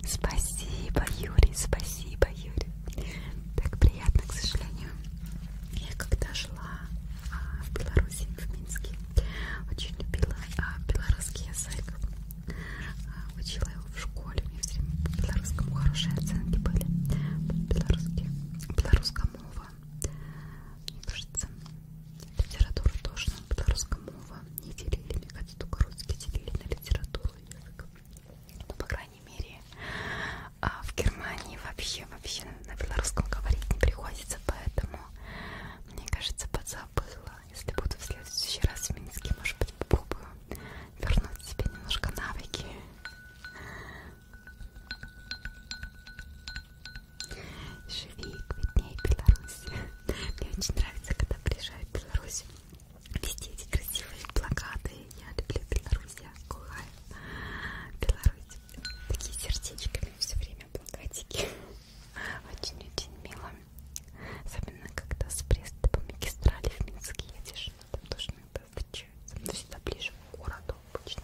Спасибо, Юрий, спасибо, Юрий. Так приятно, к сожалению. Я когда жила а, в Беларуси, тусили в Минске. Очень любила а, белорусский язык. А, учила его в школе. У меня все время по белорусскому хорошие оценки были. Белорусский, белорусская мова. Мне кажется, литература тоже на белорусском мова не делили. Мне кажется, только русские делили на литературу язык. Ну, по крайней мере, а в Германии вообще вообще на белорусском говорить не приходится, поэтому поэтому мне кажется подзабыла. Если буду в следующий раз в Минске, может быть, попробую вернуть себе немножко навыки. Живи, виднее Беларусь. Мне очень нравится, когда приезжают в Беларусь. Везде эти красивые плакаты. Я люблю Беларусь, я кухаю. Беларусь, такие сердечками все время плакатики. Очень-очень мило. Особенно, когда с Бреста по магистрали в Минск едешь. А там тоже иногда встречаются. Но ну, всегда ближе к городу обычно.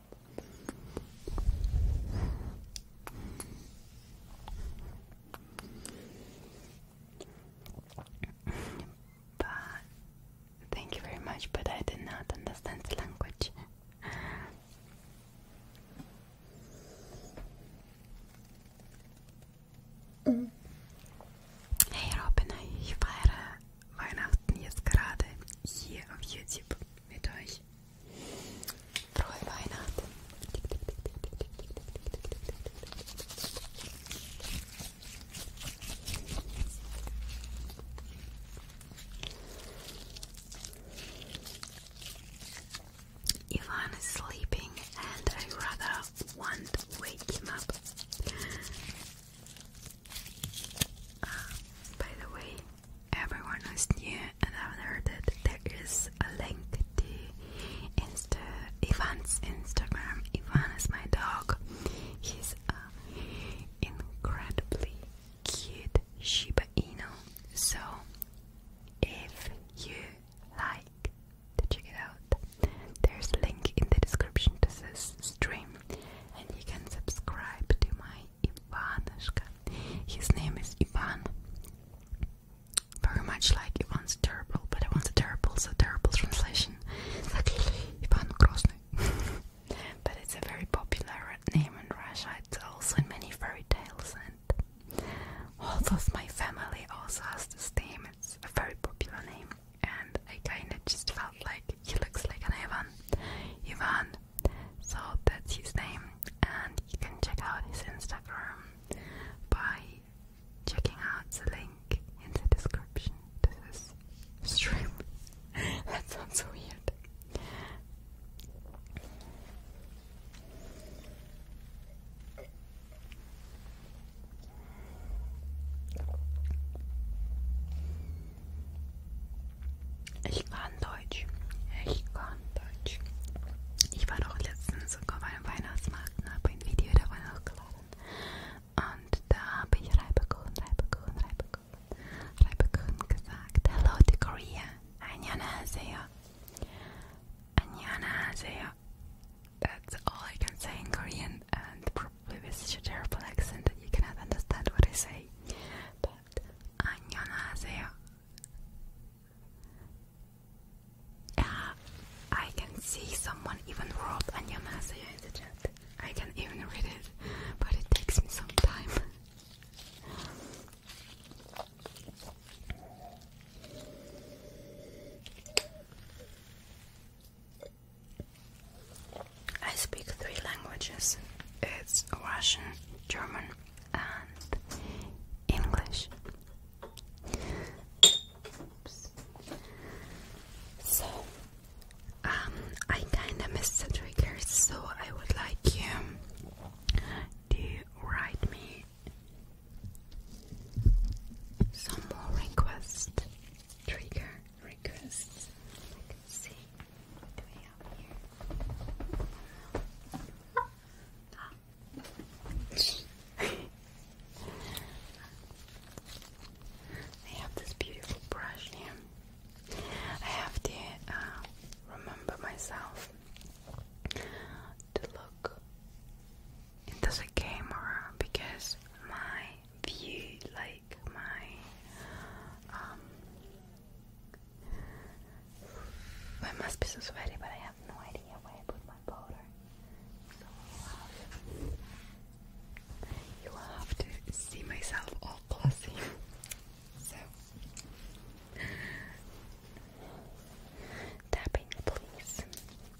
But thank you very much, but I did not understand the language. Hey Robin, ich feiere Weihnachten jetzt gerade hier auf YouTube mit euch. is sleeping, and I rather want to wake him up. Uh, by the way, everyone who's new and haven't heard it, there is a link to Insta Ivan's Instagram. Ivan is my dog. He's an um, incredibly cute Shiba Inu. So if you like to check it out, there's a link in the description to this stream and you can subscribe to my Ivanushka. His name is Ivan. Very much like Ivan's terrible, but Ivan's terrible, so terrible translation. It's Ivan Krosny. but it's a very popular name in Russia. It's also in many fairy tales, and also my family also has this name. It's a very popular name, and I kind of just felt like he looks like an Ivan. Ivan so that's his name, and you can check out his Instagram by checking out the link in the description to this stream. that sounds so weird. Ich kann Deutsch. Ich kann Deutsch. Ich war auch letztens sogar beim Weihnachtsmarkt und habe ein Video davon hochgeladen. Und da habe ich Reibekuchen, Reibekuchen, Reibekuchen, Reibekuchen gesagt. Hello to Korea. Annyeonghaseyo. Annyeonghaseyo. That's all I can say in Korean and probably with such a terrible accent that you cannot understand what I say. But 안녕하세요. Yeah, I can see someone even wrote 안녕하세요 in the chat. I can even read it, but it takes me some time. I speak three languages it's Russian, German, and English. So, um, I kinda missed the triggers, so I would like you to write me some more requests. Trigger requests can see the way out here. I have this beautiful brush here. I have to uh, remember myself to look into the camera because my view, like like my um must be so sweaty, but I have no idea where I put my powder. you will have to see myself all glossy. so tapping, please.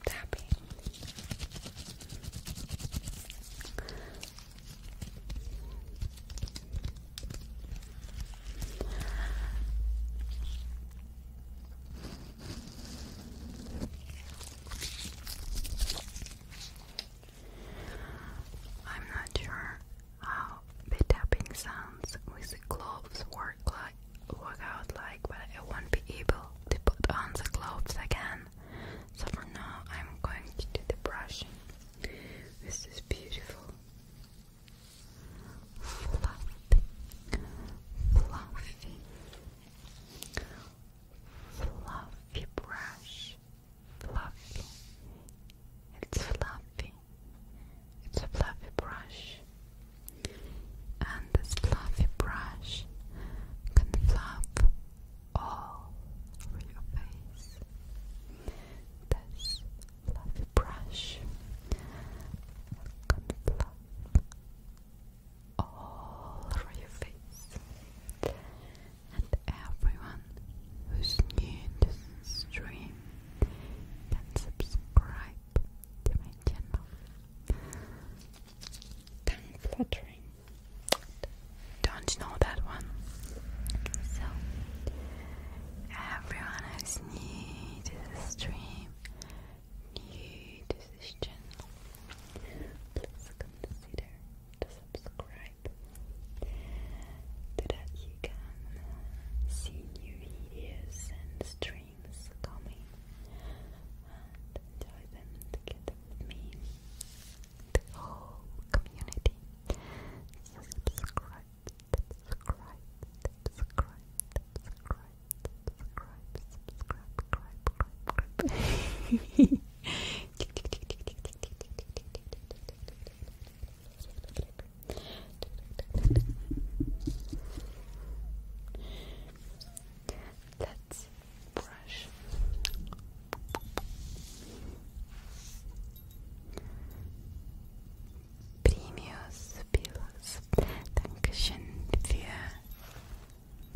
Tapping. I'm not sure how the tapping sounds with the gloves work like work out like, but I won't be able to put on the gloves again. So for now, I'm going to do the brushing. This is beautiful. Fluffy, fluffy, fluffy brush, fluffy. It's fluffy. It's a fluffy brush, and this fluffy brush can fluff all over your face. This fluffy brush can fluff all over your face. And everyone who's new to this stream can subscribe to my channel. Tongue fluttering don't know that one. So, everyone who's new stream, new to please consider to subscribe so that you can see new videos and streams coming and enjoy them together with the whole community so subscribe subscribe, subscribe, subscribe, subscribe, subscribe, subscribe, subscribe. Let's brush. Premius Pilus. Dankeschön für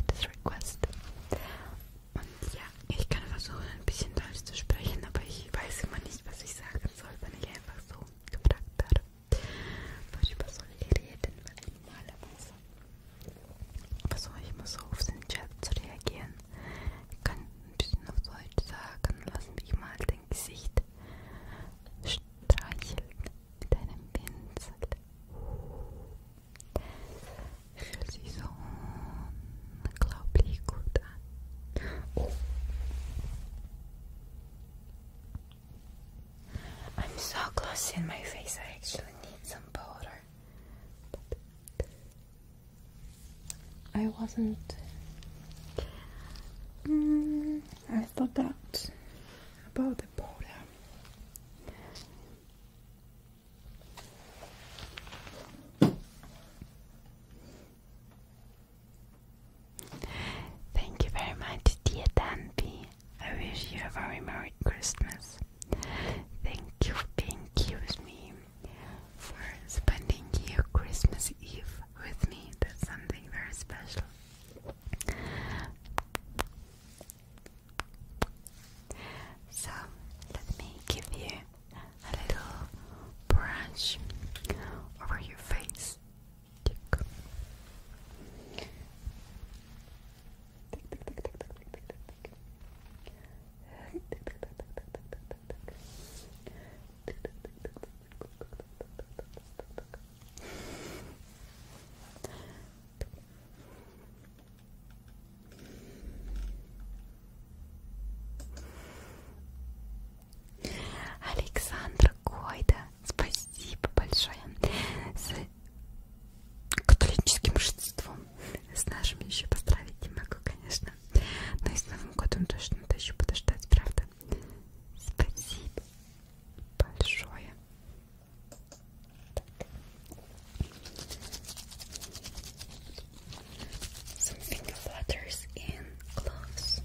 das Request. Und ja, ich kann versuchen, ein bisschen Deutsch zu sprechen, aber ich weiß immer nicht, was ich sagen soll, wenn ich einfach so gefragt werde. Worüber soll ich reden? Weil normalerweise versuche ich immer so auf den Chat zu reagieren. Ich kann ein bisschen auf Deutsch sagen. Lass mich mal dein Gesicht streicheln mit einem Pinsel. Fühlt sich so unglaublich gut an. Oh. I'm so glossy in my face, I actually need some powder. But I wasn't. Mm, I thought that about the border. Thank you very much, dear Danby. I wish you a very Merry Christmas. Thank you for being here with me for spending your Christmas Eve with me. That's something very special. So, let me give you a little brush over your face. Александр Койда, спасибо большое с католическим шестством. С нашими еще поздравить не могу, конечно точно. Но ну и с Новым годом тоже надо еще подождать, правда? Спасибо большое. Some finger flutters in gloves.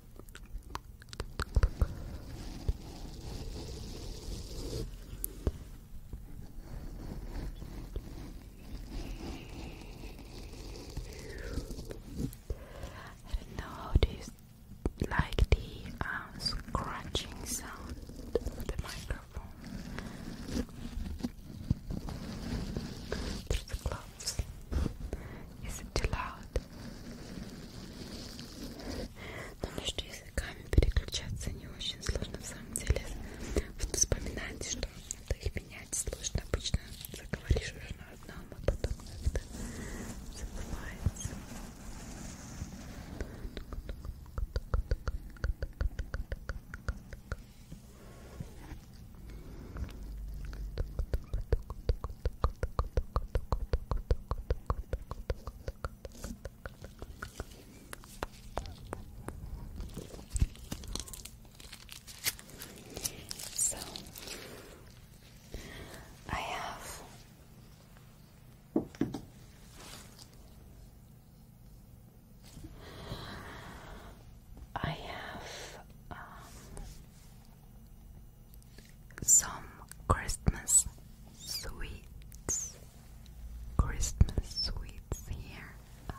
don't know how to like the um, scratching sound of the microphone through the gloves. Is it too loud? Но между языками переключаться не очень сложно, в самом деле. Вот вспоминайте, что надо их менять сложно. Обычно заговоришь уже на одном, а потом как-то забывается. So I have I um, have some Christmas sweets. Christmas sweets here, and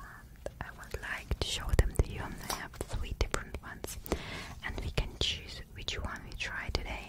I would like to show them to you. I have three different ones, and we can choose which one we try today.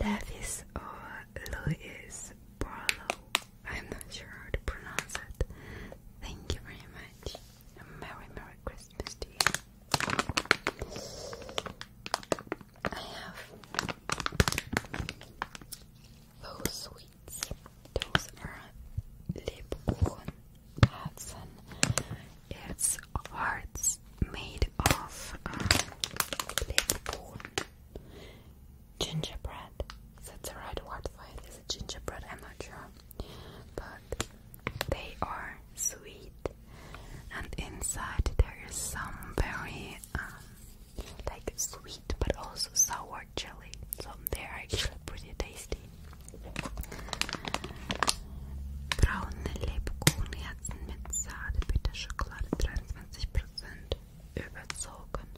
Levis or Louis Barlow. I'm not sure how to pronounce it. Thank you very much. A Merry Merry Christmas to you. I have those sweets. Those are Lebkuchen Herzen. It's hearts made of um, uh, Lebkuchen. Gingerbread. That's the right word for it gingerbread? I'm not sure. But they are sweet. And inside there is some very um, like sweet but also sour or chili. So they're actually pretty tasty. Braune Lebkuchenherzen mit Sahne, bitter Schokolade 23% überzogen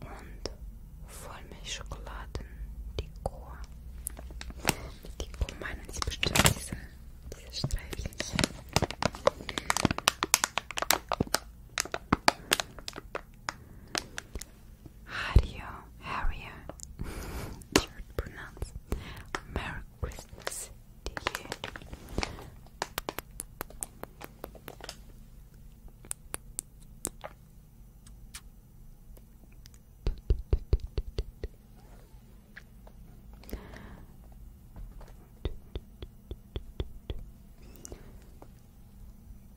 und Vollmilchschokoladen Dekor. Mit Dekor meinen Sie bestimmt diese, diese Streifchen. How do you, how are you? pronounce. Merry Christmas you.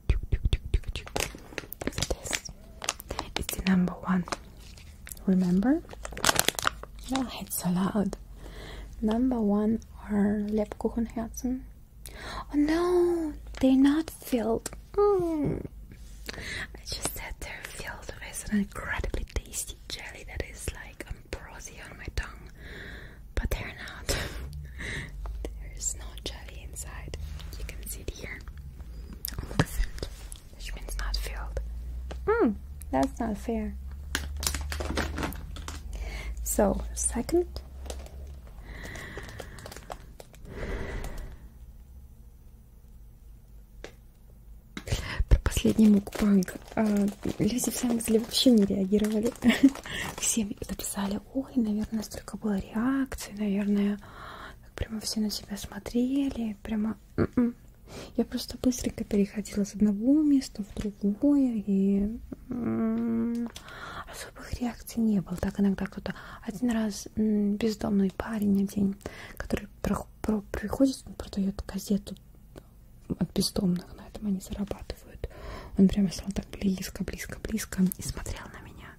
Look at This It's the number one. Remember? Oh, it's so loud. Number one are Lebkuchenherzen. Oh no, they're not filled. Mm. I just said they're filled with an incredibly tasty jelly that is like ambrosia on my tongue, but they're not. There's no jelly inside. You can see it here. Movement, which means not filled. Mm, that's not fair. So, second. Про последний мукбанг. А, люди в самом деле вообще не реагировали. Все написали, ой, наверное, столько было реакций, наверное, прямо все на тебя смотрели, прямо... М-м. Я просто быстренько переходила с одного места в другое, и м-м, особых реакций не было. Так иногда кто-то... Один раз бездомный парень один, который про про приходит, он продает газету от бездомных, на этом они зарабатывают. Он прямо стал так близко, близко, близко и смотрел на меня.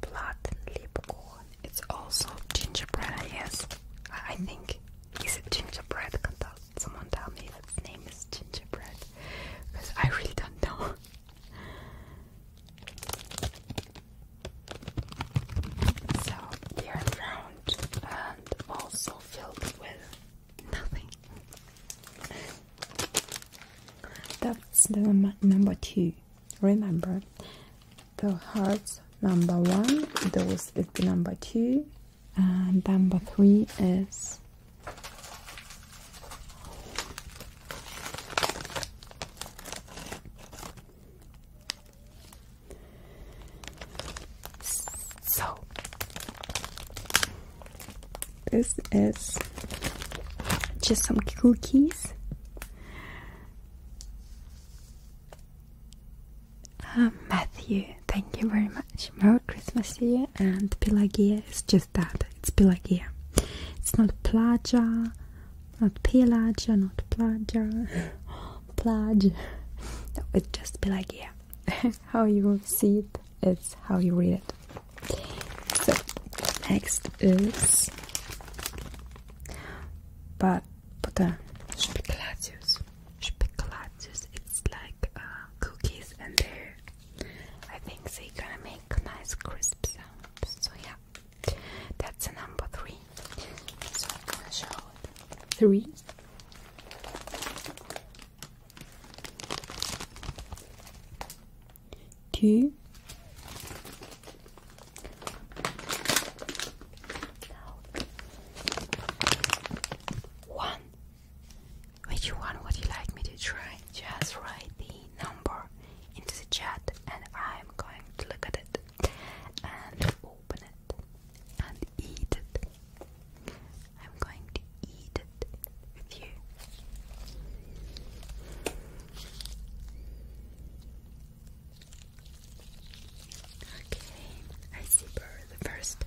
Platten Lipcorn. It's also gingerbread, yes. I think. Is it gingerbread? Can tell someone tell me if its name is gingerbread? Because I really don't know. So they are round and also filled with nothing. That's number two. Remember, the hearts number one, those is the number two, and number three is so this is just some cookies. Um, Matthew, thank you very much. Merry Christmas to you. And Pelagia is just that. It's Pelagia. It's not Plaja, not Pelagia, not Plaja, Plaja. It it's just Pelagia. how you see it is how you read it. So next is but butter speculatius. Speculatius it's like uh, cookies and they're I think they're gonna make nice crisp sounds. So yeah. That's a number three. So I'm gonna show Three two. One. Which one would you like me to try? Just write the number into the chat, and I'm going to look at it and open it and eat it. I'm going to eat it with you. Okay, I see Burr the first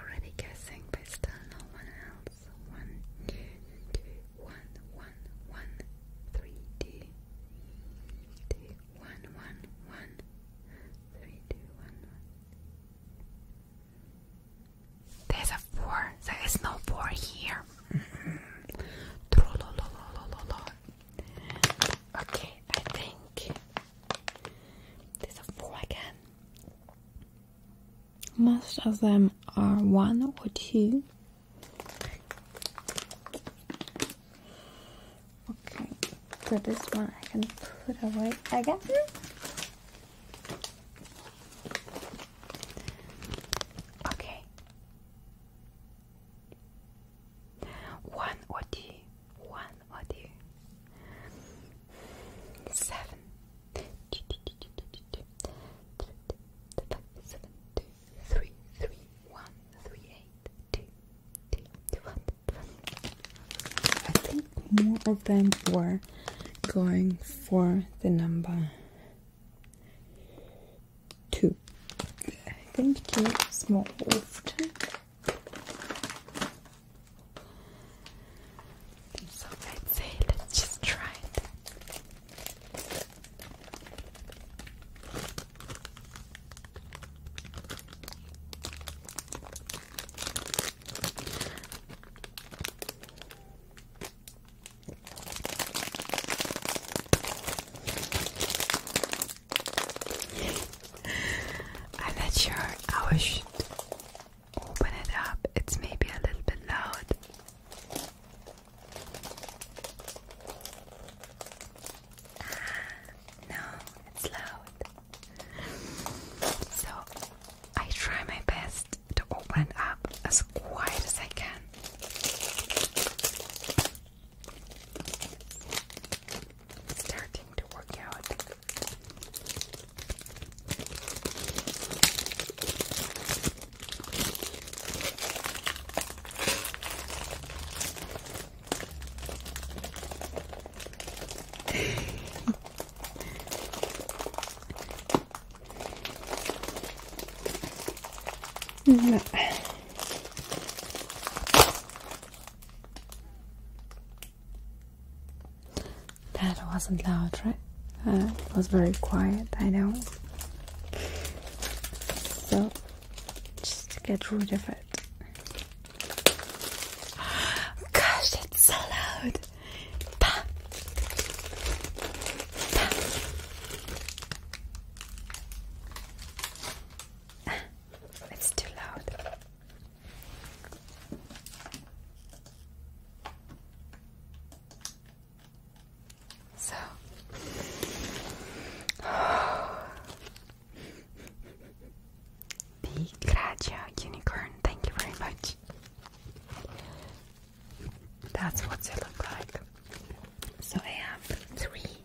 already guessing, but still no one else. One, two, two, one, one, one, three, two, two, one, one, one, three, two, one, one. There's a four. There is no four here. Mm-hmm. okay, I think there's a four again. Most of them are one or two. Okay, so this one I can put away again. Okay. One or one or two, seven, two, two, two, two, two, two, two, seven, two, three, three, one, three, eight, two, two, two, one, one. I think more of them were going for the number two. I think two is more often. So I'd say let's just try it. I'm not sure how I should open it up. It's maybe a little bit loud. Ah, no, it's loud. So I try my best to open it up as quiet as I can. starting to work out. That wasn't loud, right? Uh, it was very quiet, I know. So, just get rid of it. Gosh, it's so loud! it's too loud. So oh. Gracia Unicorn, thank you very much. That's what they look like. So I have three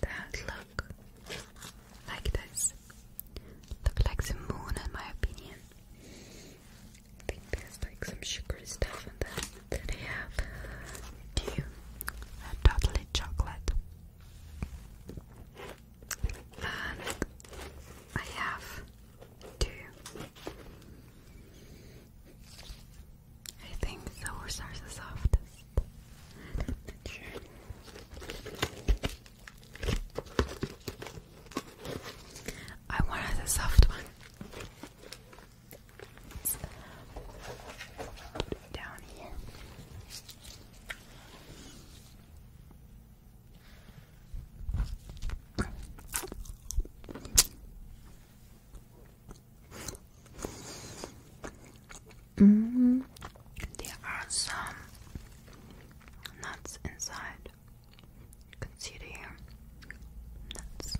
that look like this. Look like the moon in my opinion. I think there's like some sugary stuff in them. Then I have two totally chocolate. And I have two. I think those are the softest. I'm the soft one. It's down here. Mm, there are some nuts inside. You can see it here. Nuts.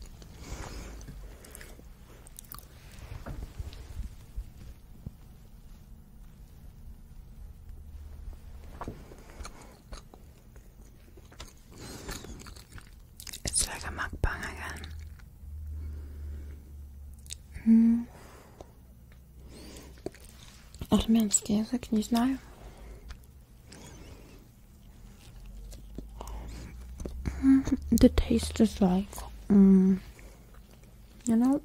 It's like a mukbang again. Mm. I język, nie знаю. The taste is like, mm, you know,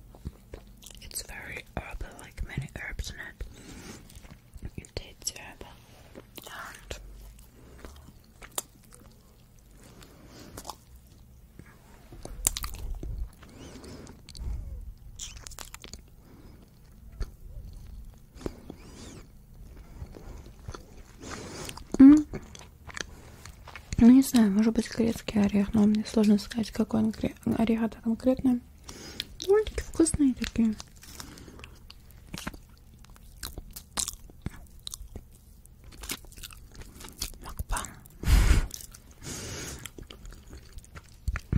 it's very herbal, like many herbs in it. you did terrible. And Mm. Ну, не знаю, может быть грецкий орех, но мне сложно сказать, какой он гре... орех это конкретно. Мультики вкусные такие. Mukbang.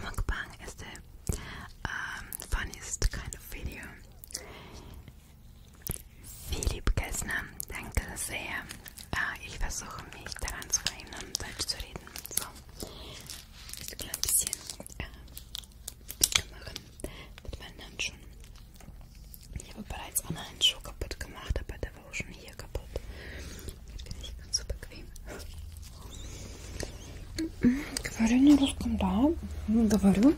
Mukbang is the äh, um, ähm, funniest kind of video. Philipp Kessner, danke sehr. Ah, ich versuche mich daran zu erinnern, Deutsch zu reden. So, ist ein bisschen äh, machen mit meinen Handschuhen. Ich habe bereits einen Handschuh kaputt gemacht, aber der war auch schon hier kaputt. Jetzt bin ich ganz so bequem. Говорю не русском, да? Говорю.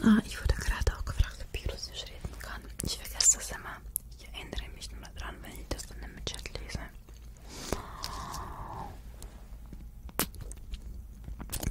Ah, ich wurde gerade auch gefragt, ob ich Russisch reden kann. Ich vergesse das immer. Ich erinnere mich nur dran, wenn ich das dann im Chat lese.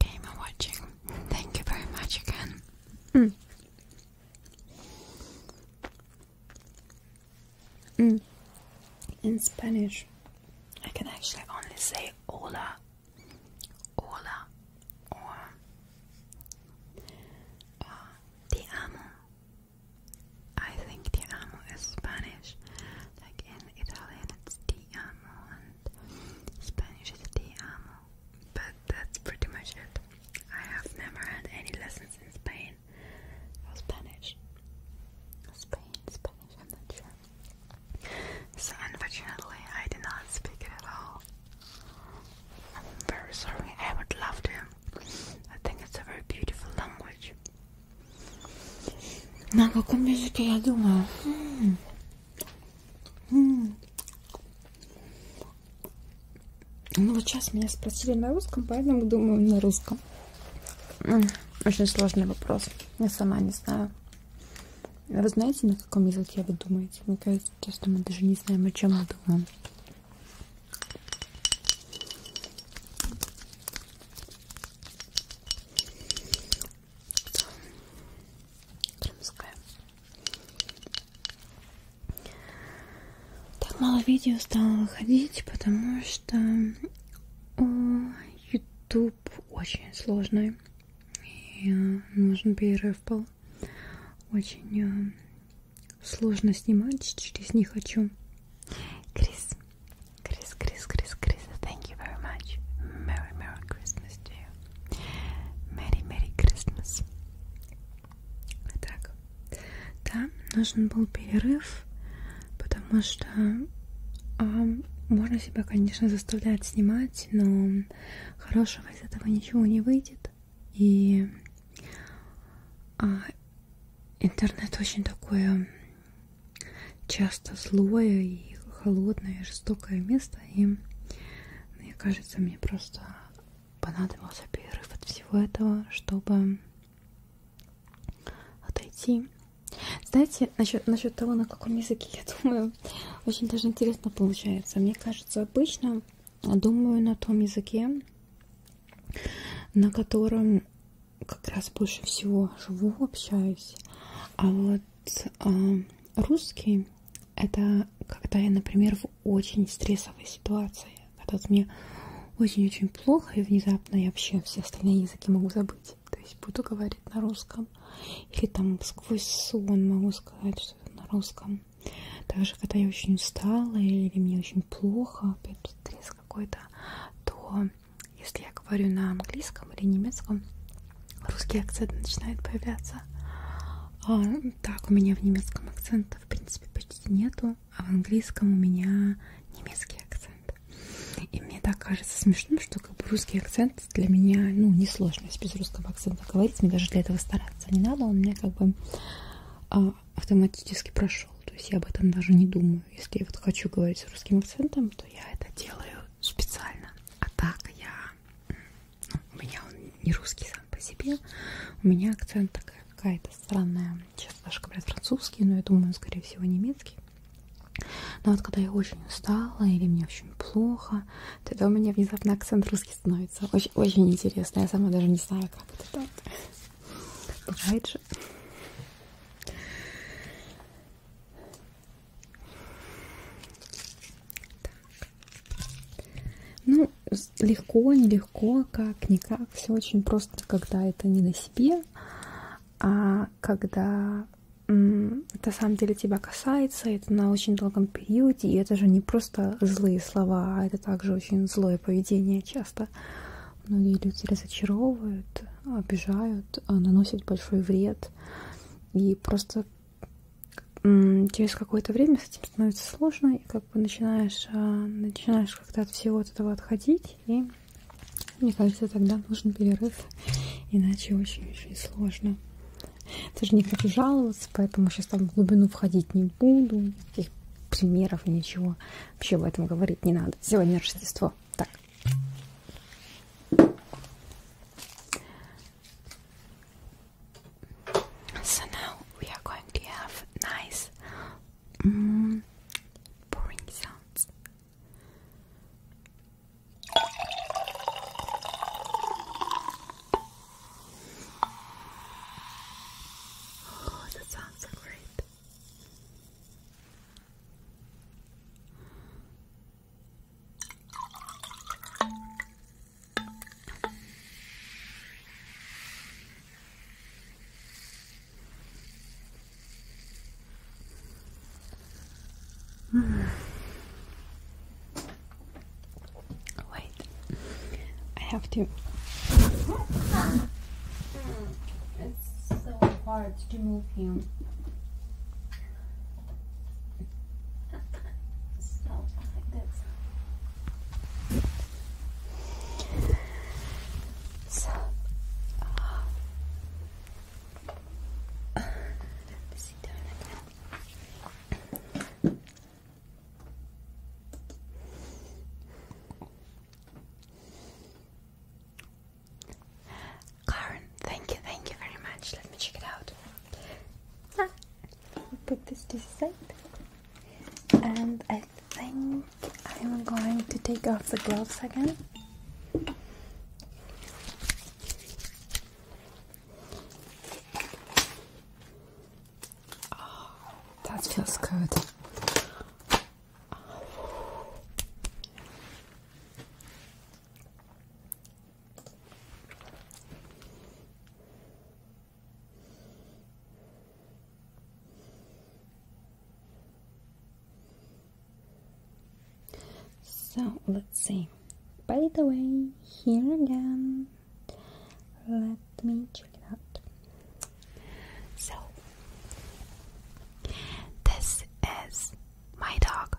Game and watching. Thank you very much again. Mm. Mm. In Spanish, I can actually only say hola, hola, or uh, I think the amo is Spanish. Like in Italian, it's ti amo, and Spanish is ti amo. But that's pretty much it. I have never had any lessons in Spain or Spanish. Spain, Spanish, I'm not sure. So unfortunately, I did not speak it at all. I'm very sorry. I would love to. I think it's a very beautiful language. На каком языке я думаю? М -м -м. Ну вот сейчас меня спросили на русском, поэтому думаю на русском. Очень сложный вопрос. Я сама не знаю. Вы знаете, на каком языке вы думаете? Мне кажется, честно, мы даже не знаем, о чем мы думаем. Крымская. Так мало видео стало выходить, потому что YouTube очень сложный. И э, нужен перерыв был. Очень э, сложно снимать, через не хочу. Крис, Chris, Chris, Chris, Chris, thank you very much. Merry, Merry Christmas to you. Merry, Merry Christmas. Итак, да, нужен был перерыв, потому что э, можно себя, конечно, заставлять снимать, но хорошего из этого ничего не выйдет. И э, интернет очень такое часто злое и холодное, жестокое место, и мне кажется, мне просто понадобился перерыв от всего этого, чтобы отойти. Знаете, насчет, насчет того, на каком языке, я думаю, очень даже интересно получается. Мне кажется, обычно думаю на том языке, на котором как раз больше всего живу, общаюсь. А вот э, русский это когда я, например, в очень стрессовой ситуации, когда мне очень-очень плохо, и внезапно я вообще все остальные языки могу забыть. То есть буду говорить на русском. Или там сквозь сон могу сказать что-то на русском. Также, когда я очень устала или мне очень плохо, опять стресс какой-то, то если я говорю на английском или немецком, русский акцент начинает появляться. А, так, у меня в немецком акцента, в принципе, почти нету, а в английском у меня немецкий акцент. И мне так кажется смешным, что как бы русский акцент для меня, ну, несложно без русского акцента говорить, мне даже для этого стараться не надо, он мне как бы а, автоматически прошел. То есть я об этом даже не думаю. Если я вот хочу говорить с русским акцентом, то я это делаю специально. А так я... Ну, у меня он не русский сам по себе. У меня акцент такая какая-то странная. Сейчас даже говорят французский, но я думаю, он, скорее всего, немецкий. Но вот когда я очень устала или мне очень плохо, тогда у меня внезапно акцент русский становится. Очень, очень интересно. Я сама даже не знаю, как это так. Бывает же. Ну, легко, нелегко, как, никак. Все очень просто, когда это не на себе, а когда это, на самом деле, тебя касается, это на очень долгом периоде, и это же не просто злые слова, а это также очень злое поведение часто многие люди разочаровывают, обижают, а, наносят большой вред. И просто через какое-то время с этим становится сложно, и как бы начинаешь, а, начинаешь как-то от всего от этого отходить, и мне кажется, тогда нужен перерыв, иначе очень-очень сложно. Тоже не хочу жаловаться, поэтому сейчас там в глубину входить не буду, никаких примеров, ничего. Вообще об этом говорить не надо. Сегодня Рождество. tak. So now we are going to have nice mm, sounds. Oh, that sounds so great. Wait, I have to it's so hard to move him. so like this. So uh, sit down again. Karen, thank you, thank you very much. Let me check it out. Ah, put this to side, and I think I'm going to take off the gloves again. Oh, that feels good so let's see. By the way, here again. Let me check it out. So, this is my dog.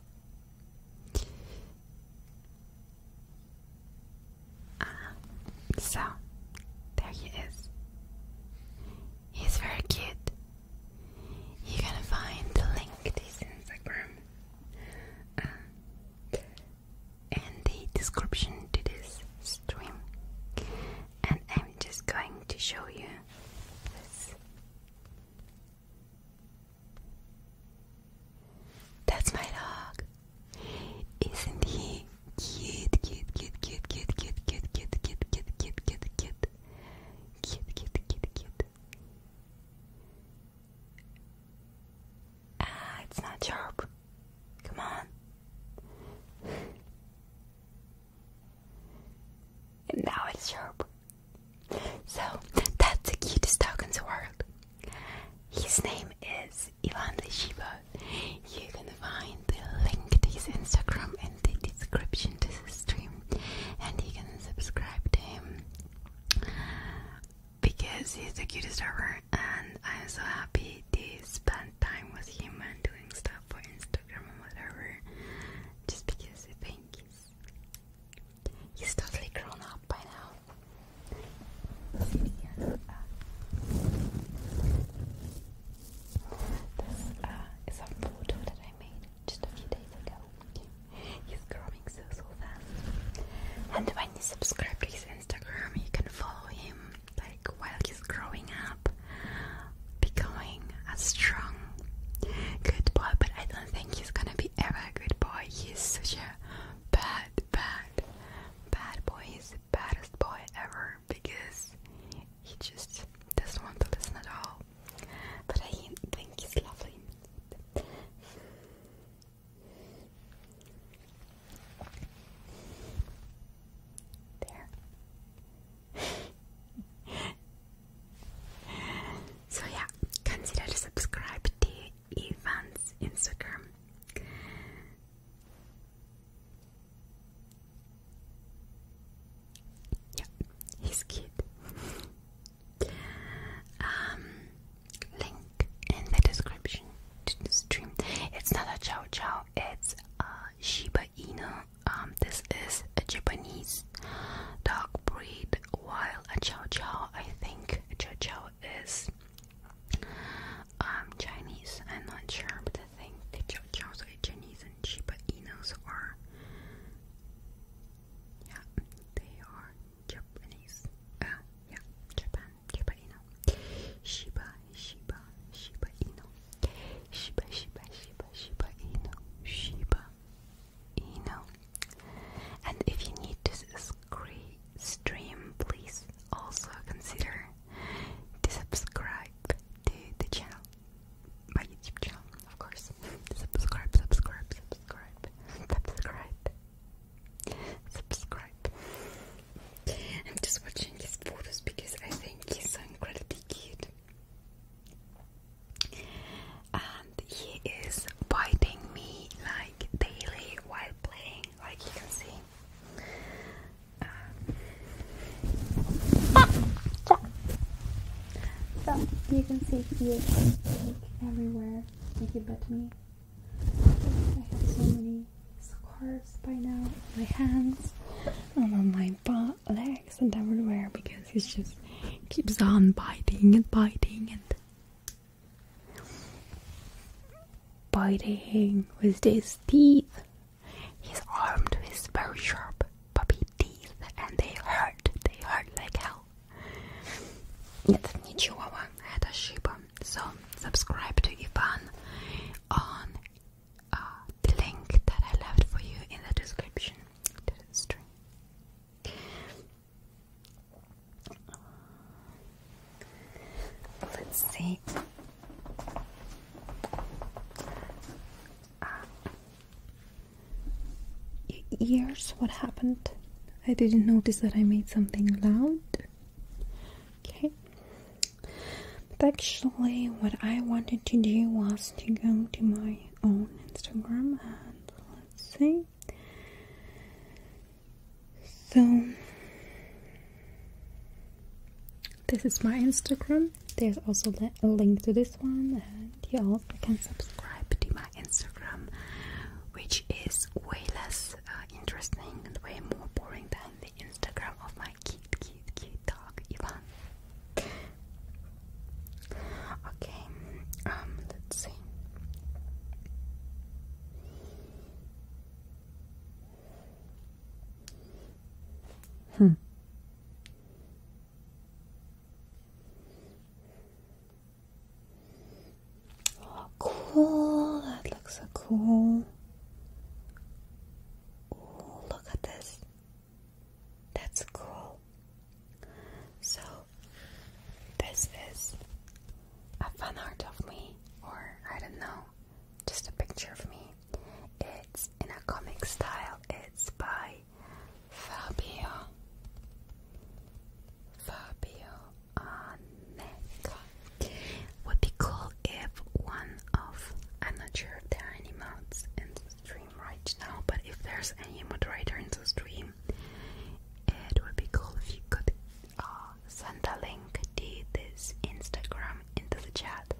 Uh, so, there he is. He's very cute. You're find the link to his Instagram uh, in the description to this stream. And I'm just going to show you this that's my dog. Isn't he cute, cute, cute, cute, cute, cute, cute, cute, cute, cute, cute, cute, cute, cute, cute, cute, Ah, it's not sharp. Come on. And now it's sharp. So, that's the cutest dog in the world. His name is Ivan the Shiba. You can find the link to his Instagram in the description to the stream, and you can subscribe to him because he's the cutest ever. And I'm so happy to spend time with him and doing stuff for Instagram or whatever, just because I think he's He's totally grown up by now. this uh, is a photo that I made just a few days ago. He's growing so so fast. And when you subscribe his Instagram, you can follow him like while he's growing up becoming a strong good boy, but I don't think he's gonna be ever a good boy. He's such a bad, bad, bad boy. He's the baddest boy ever because he just doesn't want to listen at all. But I think he's lovely. There. so yeah, consider to subscribe to Ivan's Instagram. Yeah, he's cute. Um, link in the description to the stream. It's not a chow chow. It's a Shiba Inu um, this is a Japanese dog breed, while a Chow Chow, I think Chow Chow is um, Chinese. I'm not sure, but I think the Chow Chows are Chinese and Shiba Inus are. Yeah, they are Japanese. Uh, yeah, Japan, Shiba Inu. Shiba, Shiba, Shiba Inu. Shiba, Shiba, Shiba, Shiba Inu. Shiba, you know. And if you need to stream, please also consider subscribe to the channel, my YouTube channel, of course. subscribe, subscribe, subscribe, subscribe, subscribe. I'm just watching his photos because I think he's so incredibly cute and he is biting me like daily while playing, like you can see. So you can see here, like everywhere. Like he bit me. I have so many scars by now on my hands and on my butt legs and everywhere because he just keeps on biting and biting and biting with his teeth. He's armed with very sharp puppy teeth and they hurt. They hurt like hell. Нет, не So subscribe to Ivan on uh, the link that I left for you in the description Let's see. Ah. what happened? I didn't notice that I made something loud. Okay. But actually, what I wanted to do was to go to my own Instagram and see. So, this is my Instagram. There's also a link to this one, and you also can subscribe to my Instagram, which is way less uh, interesting and way more boring than the Instagram of my cute, cute, cute dog, Ivan. Okay, um, let's see. Hmm. Oh, cool. That looks so cool. look at this. That's cool. So, this is a fan of me, or I don't know, just a picture of me. It's in a comic style, it's by Fabio. Fabio Aneka. Would be cool if one of I'm not sure if there are any mods in the stream right now, but if there's any moderator in the stream it would be cool if you could uh, send a link to this Instagram into the chat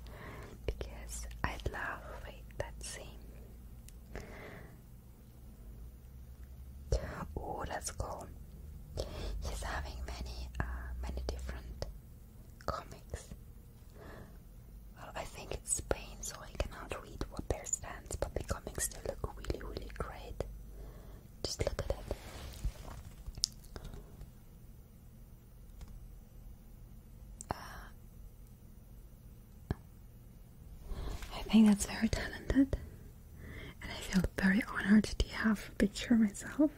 because I'd love. Wait, let's see. He's having many, uh, many different comics. Well, I think Spain, so I cannot read what their stands, but the comics still look really, really great. Just look at it. Uh, I think that's very talented, and I feel very honored to have a picture myself.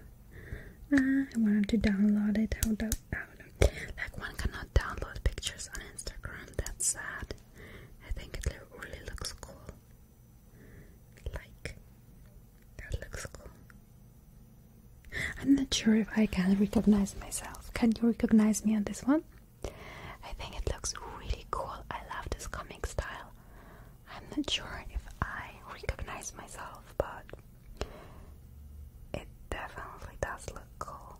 Uh, I wanted to download it. How do, how do, like one cannot download pictures on Instagram. That's sad. I think it really looks cool. Like, that looks cool. I'm not sure if I can recognize myself. Can you recognize me on this one? I think it looks really cool. I love this comic style. I'm not sure if I recognize myself, but it definitely does look cool.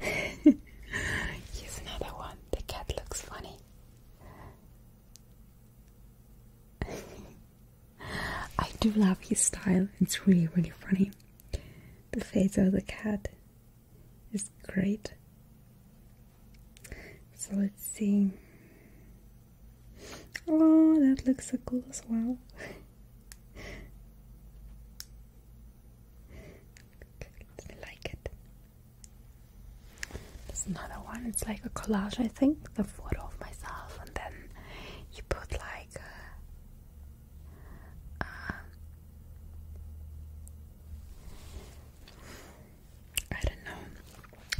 Here's another one. The cat looks funny. I do love his style, it's really, really funny. The face of the cat is great. So let's see. Oh, that looks so cool as well. I like it. There's another one. It's like a collage, I think. The photo of myself, and then you put like uh, um, I don't know.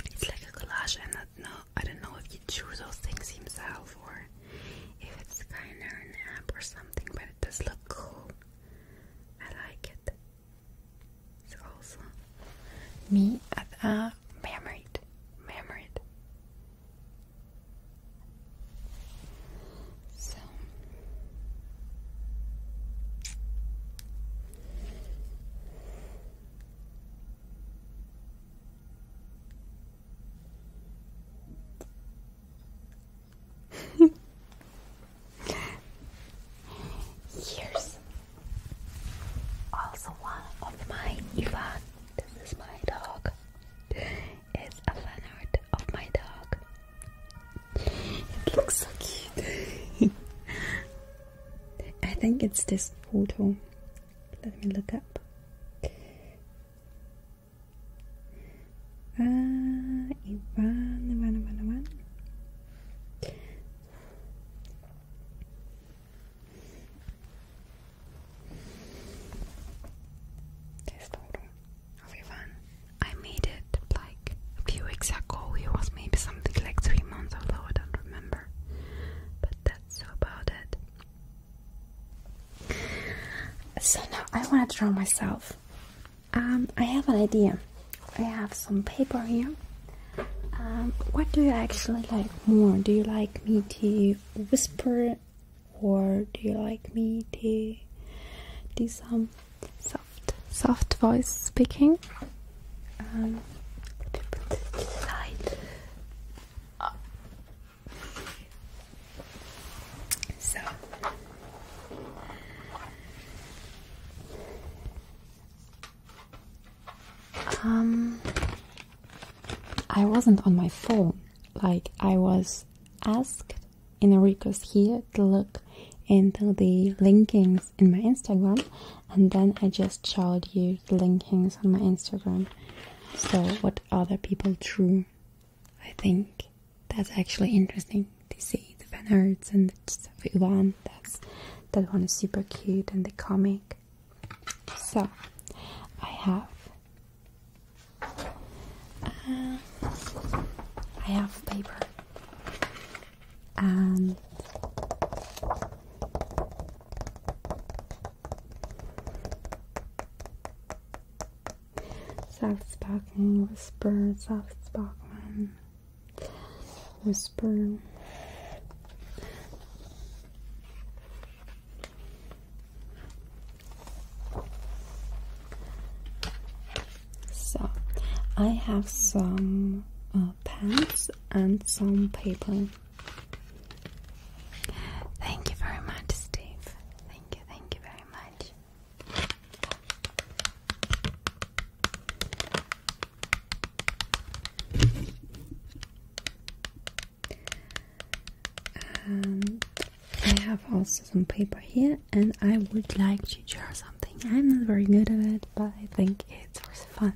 It's like a collage. I don't know. I don't know if you choose those things himself or if it's kind of an app or something. But it does look cool. I like it. It's also me at a married, married. So. Here's also one of my Ivan. This is my dog. It's a fan of my dog. It looks so cute. I think it's this photo. Let me look up. Ah, Ivan, Ivan, Ivan, Ivan. This photo of Ivan. I made it like a few weeks ago. It was maybe something like three months, although I don't remember. But that's about it. So now I want to draw myself. Um, I have an idea. I have some paper here. Um, what do you actually like more? Do you like me to whisper or do you like me to do some soft soft voice speaking? Um, to put it aside. Oh. So. Um, I wasn't on my phone. Like I was asked in a request here to look into the linkings in my Instagram, and then I just showed you the linkings on my Instagram. So, what other people drew, I think that's actually interesting to see the fan arts and the one. That's that one is super cute and the comic. So, I have. Uh, I have paper and Soft spoken, whisper, soft spoken, whisper. So, I have some uh, pens and some paper. Thank you very much, Steve. Thank you, thank you very much. Um, I have also some paper here, and I would like to draw something. I'm not very good at it, but I think it's fun.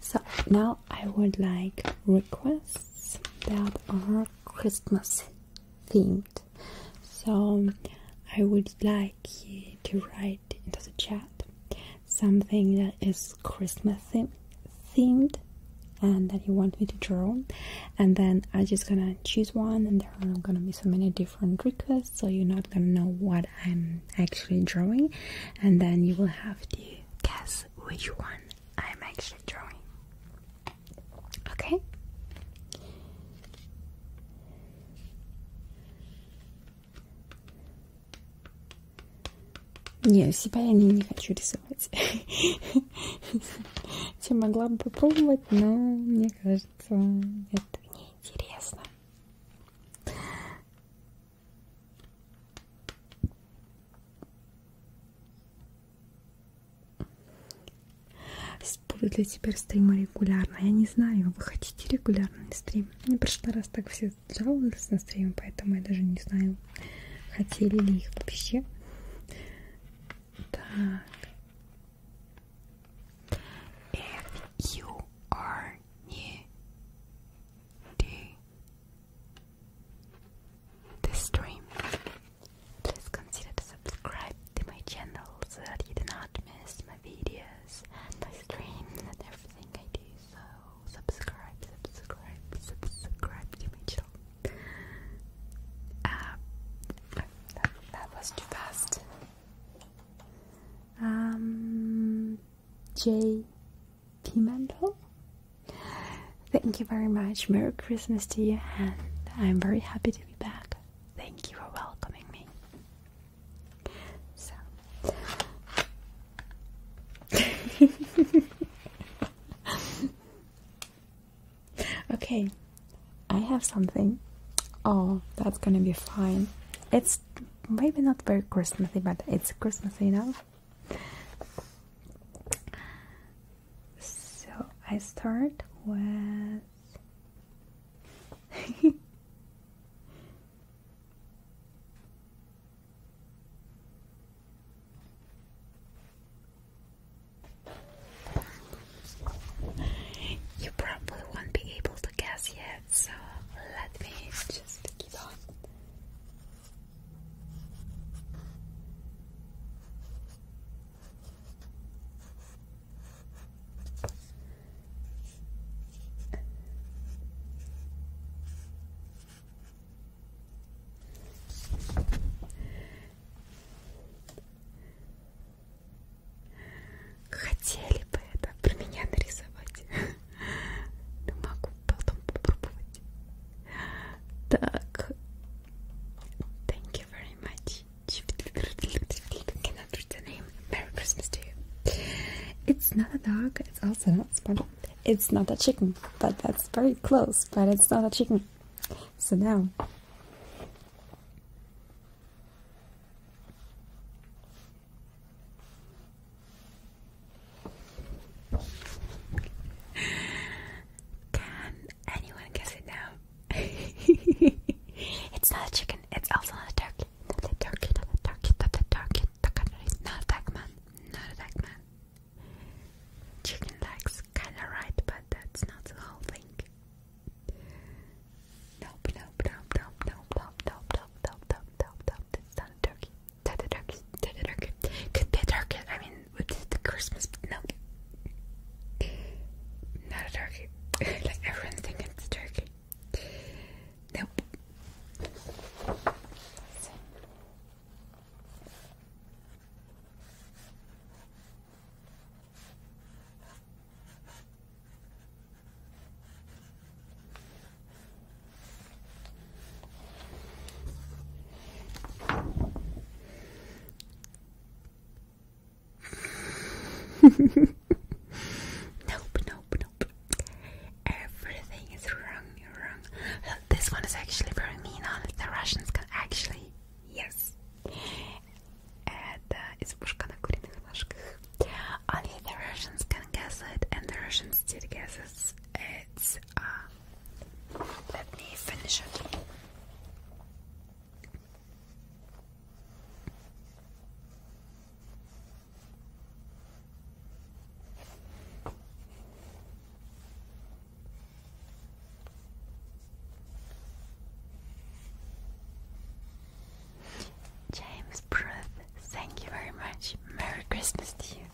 So now I would like requests that are Christmas themed. So I would like you to write into the chat something that is Christmas themed and that you want me to draw and then I'm just gonna choose one and there are gonna be so many different requests so you're not gonna know what I'm actually drawing and then you will have the. guess which one I'm actually drawing. Okay? Не, себя я не, не хочу рисовать. Я могла бы попробовать, но мне кажется, это неинтересно. Будут ли теперь стримы регулярно? Я не знаю, вы хотите регулярный стрим? В прошлый раз так все жаловались на стримы, поэтому я даже не знаю, хотели ли их вообще. Так. If you are needing this stream. Please consider to subscribe to my channel so that you do not miss my videos and my streams and everything I do. So subscribe, subscribe, subscribe to my channel. Uh, that, was too fast. Um, Jay. Kimando. Thank you very much. Merry Christmas to you, and I'm very happy to be back. Thank you for welcoming me. So, okay, I have something. Oh, that's gonna be fine. It's maybe not very Christmassy, but it's Christmassy enough so I start with you probably won't be able to guess yet, so let me just keep on Хотели бы это про меня нарисовать. Не могу потом попробовать. Так. Thank you very name. Merry Christmas to you. It's not a dog. It's also not a smart. It's not a chicken, but that's very close. But it's not a chicken. So now. Can anyone guess it now? it's not a chicken, it's also not a turkey. Not a turkey, not a turkey, not a turkey, not a duck man, not a duck man. Chicken legs, kinda right, but that's not the whole thing. Nope, nope, nope, nope, nope, nope, nope, nope, nope, nope, nope, nope, that's not a turkey. Tadadark. I mean, with the Christmas, no. Not a turkey. like everyone's thinking it's turkey. Nope nope, nope, nope. Everything is wrong, wrong. this one is actually very mean on The Russians can actually, yes. And uh, It's на куриных ножках. Only the Russians can guess it, and the Russians did guess it. It's uh, let me finish it. James Pruth, thank you very much. Merry Christmas to you.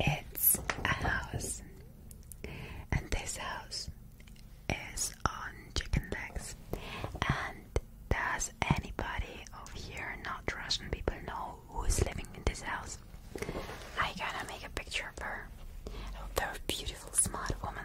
It's a house, and this house is on chicken legs. And does anybody over here, not Russian people, know who is living in this house. I gotta make a picture of her. A very beautiful, smart woman.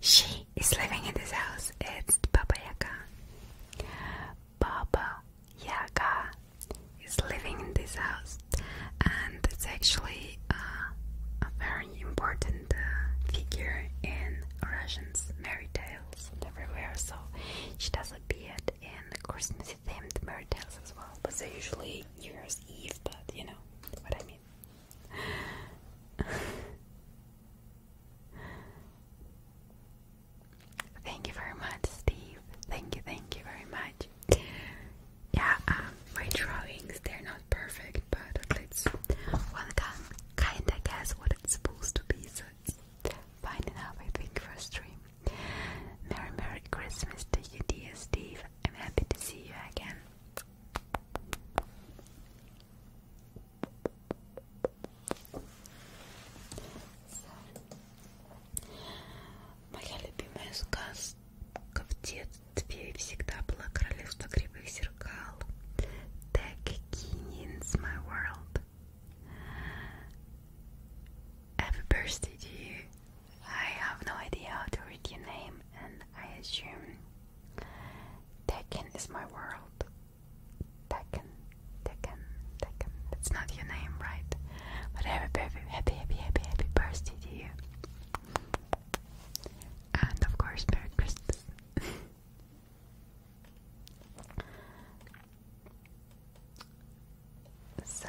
She is living in this house. It's Baba Yaga. Baba Yaga is living in this house, and it's actually uh, a very important uh, figure in Russians' fairy tales everywhere. So she does appear and Christmas theme, the tales as well. But they're usually New Year's Eve, but you know what I mean. thank you very much, Steve. Thank you, thank you very much. Yeah, um, my drawings, they're not perfect, but at least one can kinda guess what it's supposed to be, so Fine enough, I think, for stream. Merry Merry Christmas to dear Steve. I'm happy to see you again. Моя любимая сказка My World. Happy birthday to you. I have no idea how to read your name, and I assume Tekken is my world. Tekken, Tekken, Tekken. That's not your name, right? But happy, happy, happy, happy, happy birthday to you. And of course, Merry Christmas. So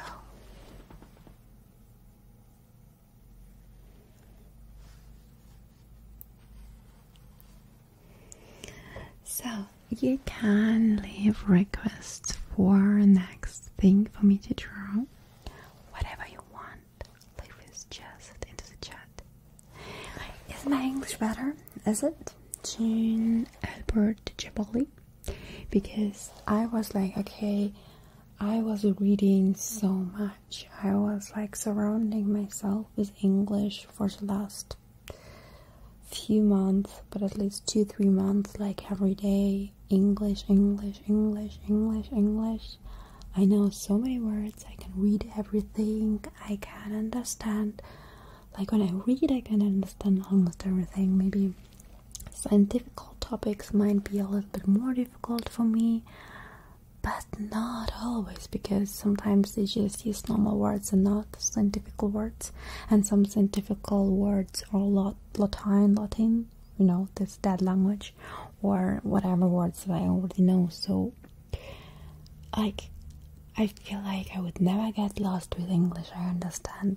so you can leave requests for next thing for me to draw. Whatever you want, leave it just into the chat. Is my English better? Is it Jean Albert Jabali, because I was like, okay, I was reading so much. I was like surrounding myself with English for the last few months, but at least two, three months, like every day. English, English, English, English, English. I know so many words. I can read everything. I can understand like when I read, I can understand almost everything. Maybe scientific topics might be a little bit more difficult for me, but not always because sometimes they just use normal words and not scientific words, and some scientific words are lot Latin, Latin, you know, this dead language, or whatever words that I already know. So, like I feel like I would never get lost with English. I understand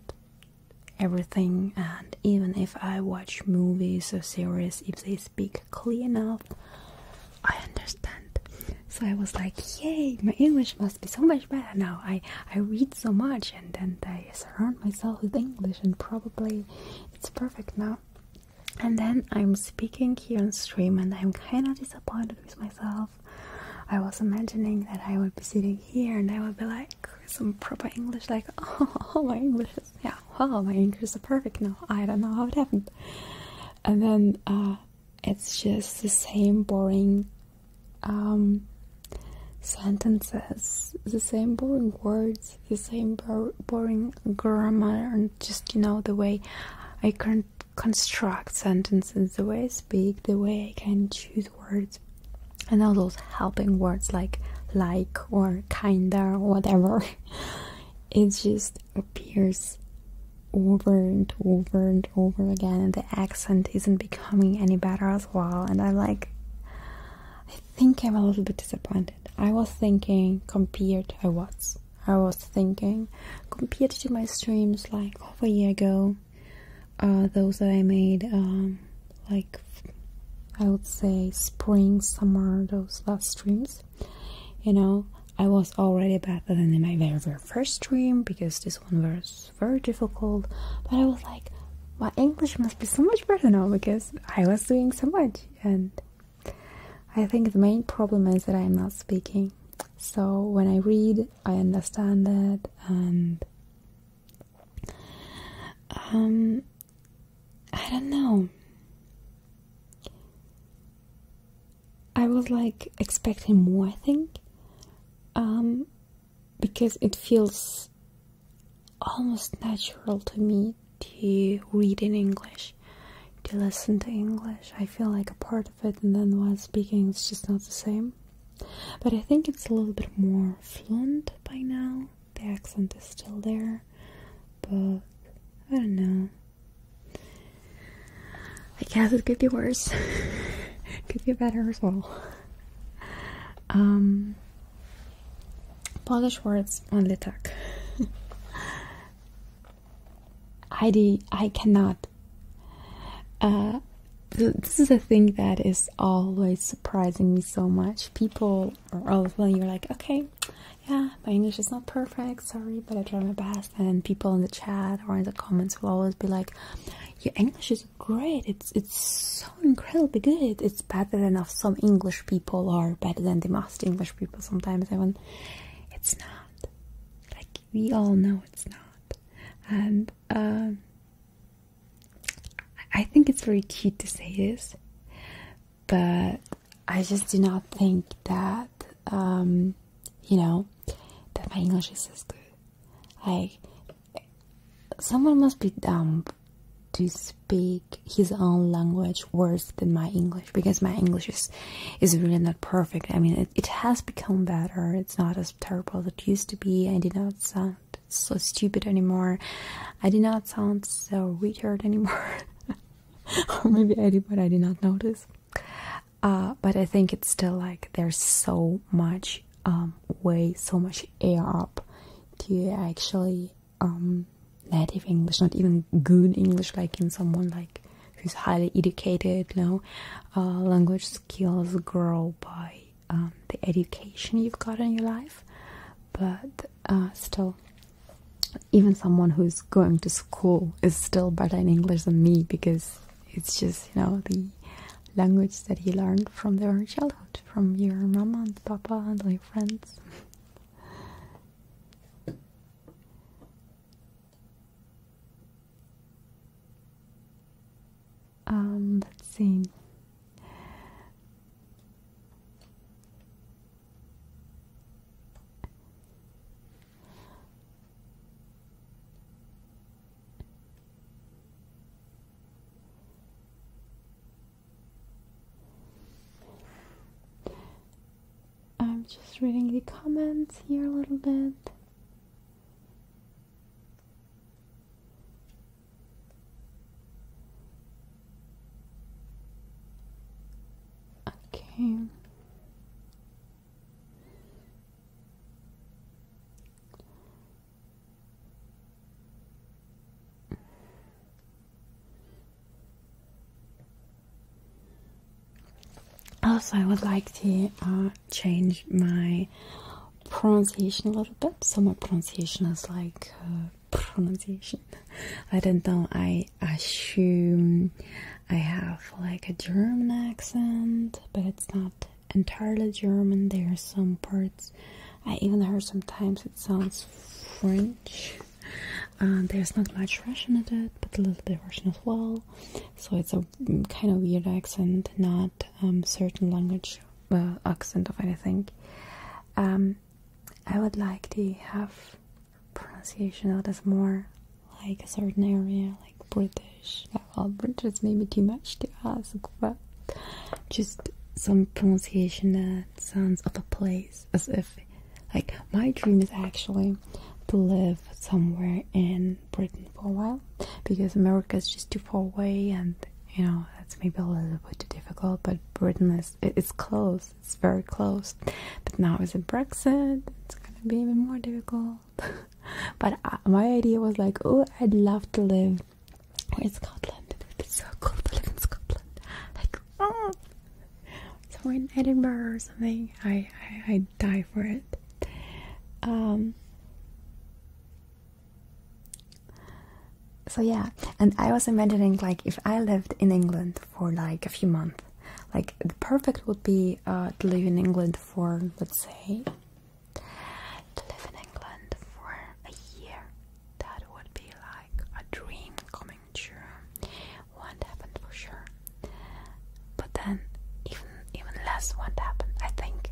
everything, and even if I watch movies or series, if they speak clear enough, I understand. So I was like, yay, my English must be so much better now. I, I read so much and then I surround myself with English, and probably it's perfect now. And then I'm speaking here on stream, and I'm kind of disappointed with myself I was imagining that I would be sitting here and I would be like some proper English, like, oh, my English is, yeah, oh my English is perfect now. I don't know how it happened. And then uh, it's just the same boring um, sentences, the same boring words, the same boring grammar, and just, you know, the way I can construct sentences, the way I speak, the way I can choose words and all those helping words like like or kinda or whatever it just appears over and over and over again and the accent isn't becoming any better as well and i'm like i think i'm a little bit disappointed i was thinking compared i was i was thinking compared to my streams like over a year ago uh, those that I made um, like I would say spring, summer, those last streams. You know, I was already better than in my very, very first stream because this one was very difficult. But I was like, my English must be so much better now because I was doing so much. And I think the main problem is that I am not speaking. So when I read, I understand it and um, I don't know. I was like expecting more, I think, um, because it feels almost natural to me to read in English, to listen to English. I feel like a part of it, and then while speaking, it's just not the same but I think it's a little bit more fluent by now. The accent is still there, but I don't know. I guess it could be worse. could be better as well. Um, Polish words only tak. I, I cannot. Uh, this is a thing that is always surprising me so much. People are always you're like, okay, yeah, my English is not perfect, sorry, but I try my best. And people in the chat or in the comments will always be like, your English is great. It's it's so incredibly good. It's better than of some English people are. better than the most English people. Sometimes I want, it's not. Like we all know it's not. And. Um, I think it's very cute to say this, but I just do not think that, um, you know, that my English is as good. Like, someone must be dumb to speak his own language worse than my English because my English is, is really not perfect. I mean, it, it has become better. It's not as terrible that used to be. I did not sound so stupid anymore. I did not sound so weird anymore. maybe I did, but I did not notice. Uh, but I think it's still like there's so much um, way, so much air up to actually um, native English, not even good English, like in someone like who's highly educated, you know, uh, language skills grow by um, the education you've got in your life, but uh, still, even someone who's going to school is still better in English than me because it's just you know the language that you learned from their childhood, from your mama and papa and all friends um, let's see. I'm just reading the comments here a little bit. Okay. Also, I would like to uh, change my pronunciation a little bit. So my pronunciation is like uh, pronunciation. I don't know. I assume I have like a German accent, but it's not entirely German. There are some parts. I even heard sometimes it sounds French. Uh, there's not much Russian in it, but a little bit Russian as well. So it's a kind of weird accent, not um, certain language uh, accent of anything. Um, I would like to have pronunciation that is more like a certain area, like British. Well, British is maybe too much to ask, but just some pronunciation that sounds of a place, as if like my dream is actually to live somewhere in Britain for a while because America is just too far away and you know that's maybe a little bit too difficult but britain is it's close it's very close but now with it brexit it's gonna be even more difficult but my idea was like oh i'd love to live in scotland it would be so cool to live in scotland like oh somewhere in edinburgh or something i i I'd die for it um so yeah, and I was imagining like if I lived in England for like a few months, like the perfect would be uh, to live in England for let's say to live in England for a year. That would be like a dream coming true. Won't happen for sure. But then even even less won't happen. I think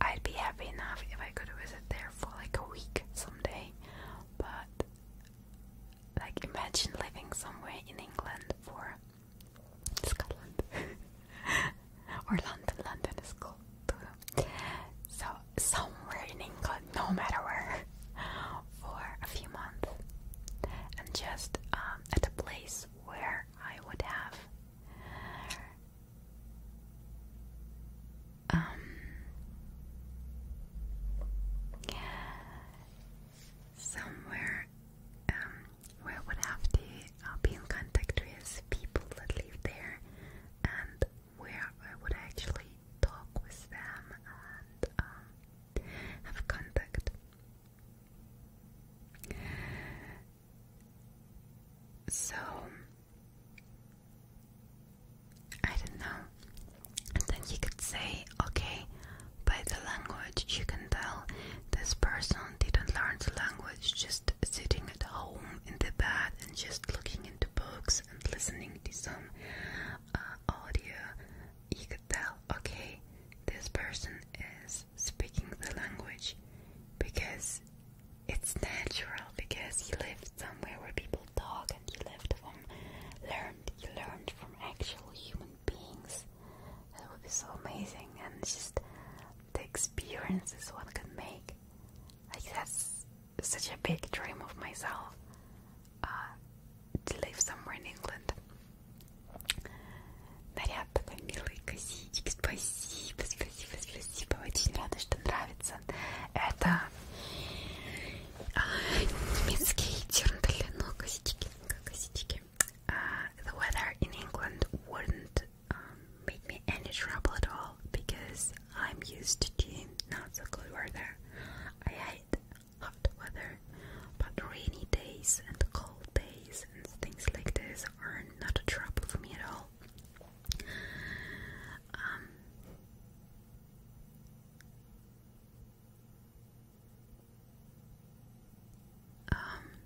I'd be happy enough if I could visit there for like a week someday, but like imagine living somewhere in England for Scotland or London. London is cool too. So somewhere in England, no matter where, for a few months, and just um, at a place where I would have um, somewhere um, we would have to uh, be in contact with people that live there, and where I would actually talk with them and um, have contact. So I don't know. And then you could say, okay, by the language you can tell this person didn't learn the language just sitting at home in the bed and just looking into books and listening to some uh, audio. You could tell, okay, this person is speaking the language because it's natural because he lived somewhere where people talk and he lived from learned He learned from actual human beings. That would be so amazing and just the experiences one can make. Like that's such a big dream of myself. Uh, to live somewhere in England. Наряд такой милый косички, спасибо, спасибо, очень рада, что нравится. Это немецкий черный но косички, косички. Uh, the weather in England wouldn't um, make me any trouble at all because I'm used to not so good weather. I hate hot weather, but rainy days and cold days and things like this are not a trouble for me at all. Um,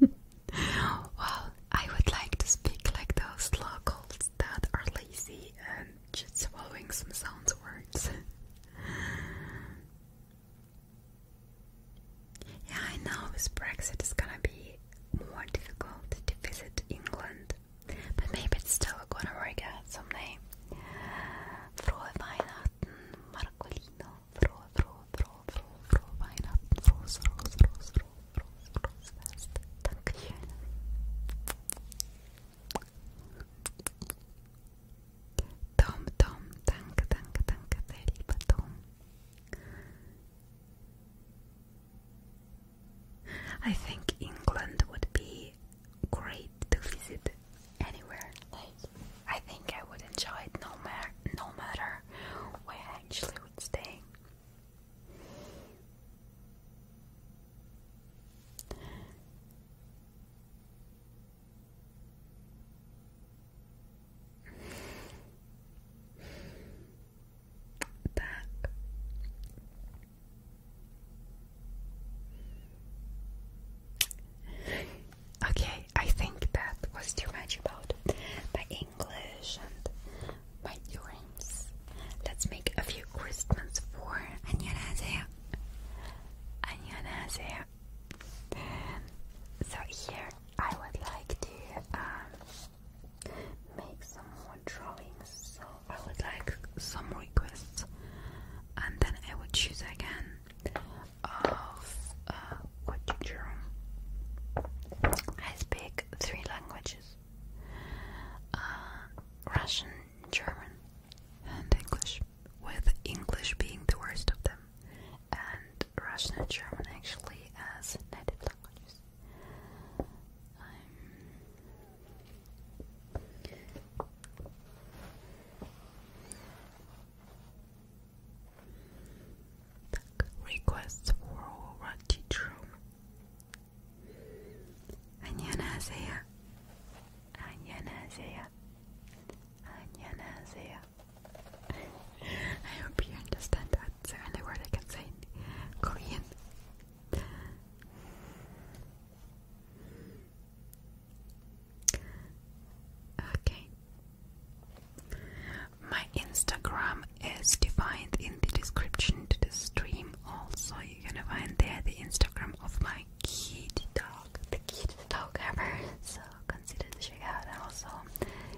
well, I would like to speak like those locals that are lazy and just swallowing some sound words. yeah, I know this Brexit is gonna be more difficult to visit England. But maybe it's still gonna work out someday. Frohe Weihnachten, Marcolino. Frohe, frohe, frohe, frohe, frohe Weihnachten. Frohes, frohes, frohes, frohes, frohes, frohes Fest. Dankeschön. Tom, Tom, danke, danke, danke, der I think England would be great to visit anywhere. I think I would enjoy it no matter no matter where I actually would stay back. okay, I think that was too much about my English and my dreams. Let's make a few Christmas for 안녕하세요. 안녕하세요. So here I would like to um, make some more drawings so I would like some requests and then I would choose again of uh, what you drew I speak three languages uh, Russian, German and English with English being the worst of them and Russian and German actually as native languages requests for our teacher. 안녕하세요. 안녕하세요. 안녕하세요. I hope you understand that. That's the only word I can say in Korean. Okay. My Instagram is defined in the description to the stream. Also, you're gonna find there the Instagram of my kitty dog, the kitty dog ever. So consider to check out and also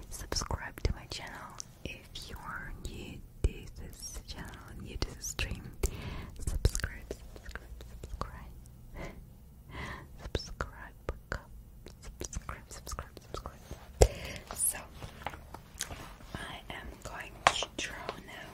subscribe to my channel if you are new to this channel and stream, subscribe, subscribe, subscribe, subscribe, subscribe, subscribe, subscribe. So I am going to draw now.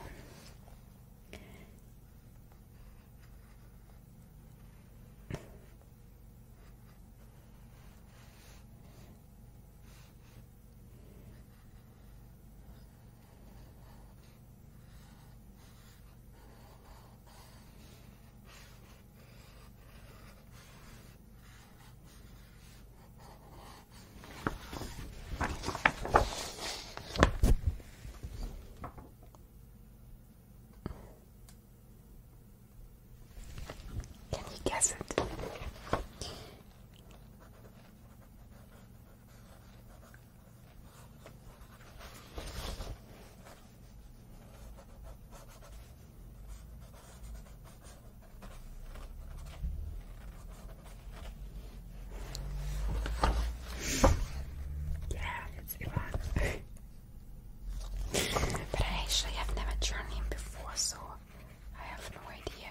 Can you guess it? Yeah, it's Ivan. but I actually have never drawn him before, so I have no idea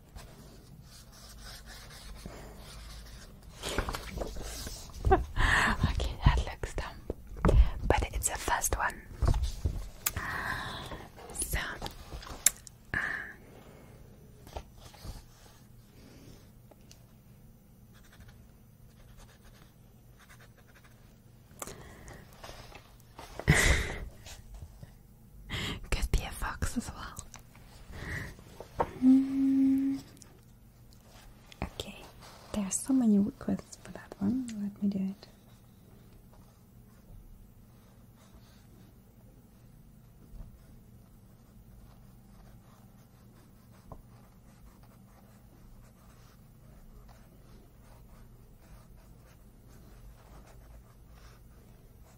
okay, that looks dumb, but it's the first one. So, uh, could be a fox as well. Hmm. Okay, there are so many requests for that one. Let me do it.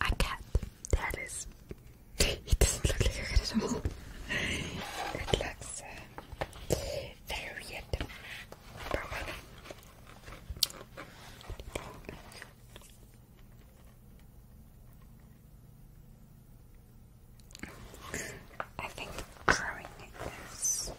A cat. There it is. It doesn't look like a cat at all. It looks uh, very weird. I think drawing is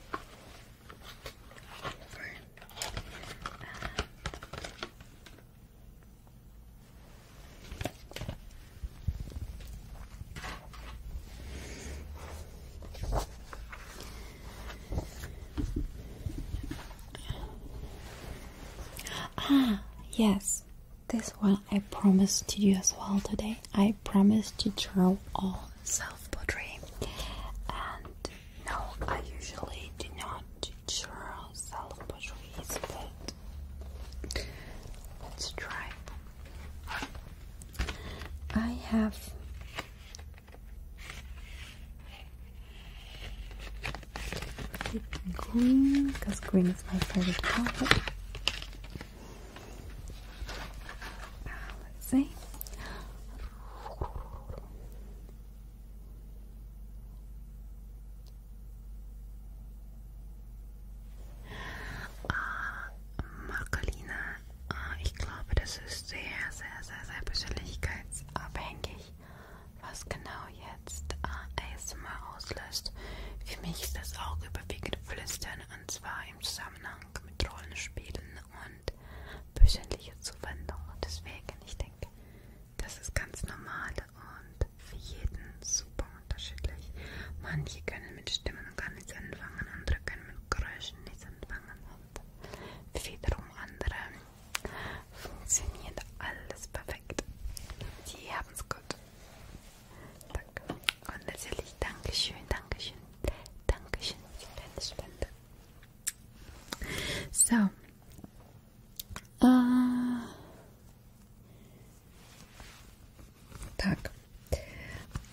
Ah, yes. This one I promised to do as well today. I promised to draw all self-portrait and no, I usually do not do churro salad boucheries, but let's try. I have green because green is my favorite color. Ah, let's see. Uh, ah, Marcolina, uh, ah, ich glaube, das ist sehr, sehr, sehr, sehr persönlichkeitsabhängig, was genau jetzt uh, ah, ASMR auslöst. Für mich ist das auch überwiegend Flüstern und zwar im Zusammenhang mit Rollenspielen und persönlicher Zuwendung. Und deswegen, ich denke, das ist ganz normal und für jeden super unterschiedlich. Manche können mit Stimmen gar nichts anfangen, andere können mit Geräuschen nichts anfangen und wiederum andere funktioniert alles perfekt. Die haben es gut. Danke. Und natürlich Dankeschön, Dankeschön, Dankeschön für deine Spende. So, A... Uh, так.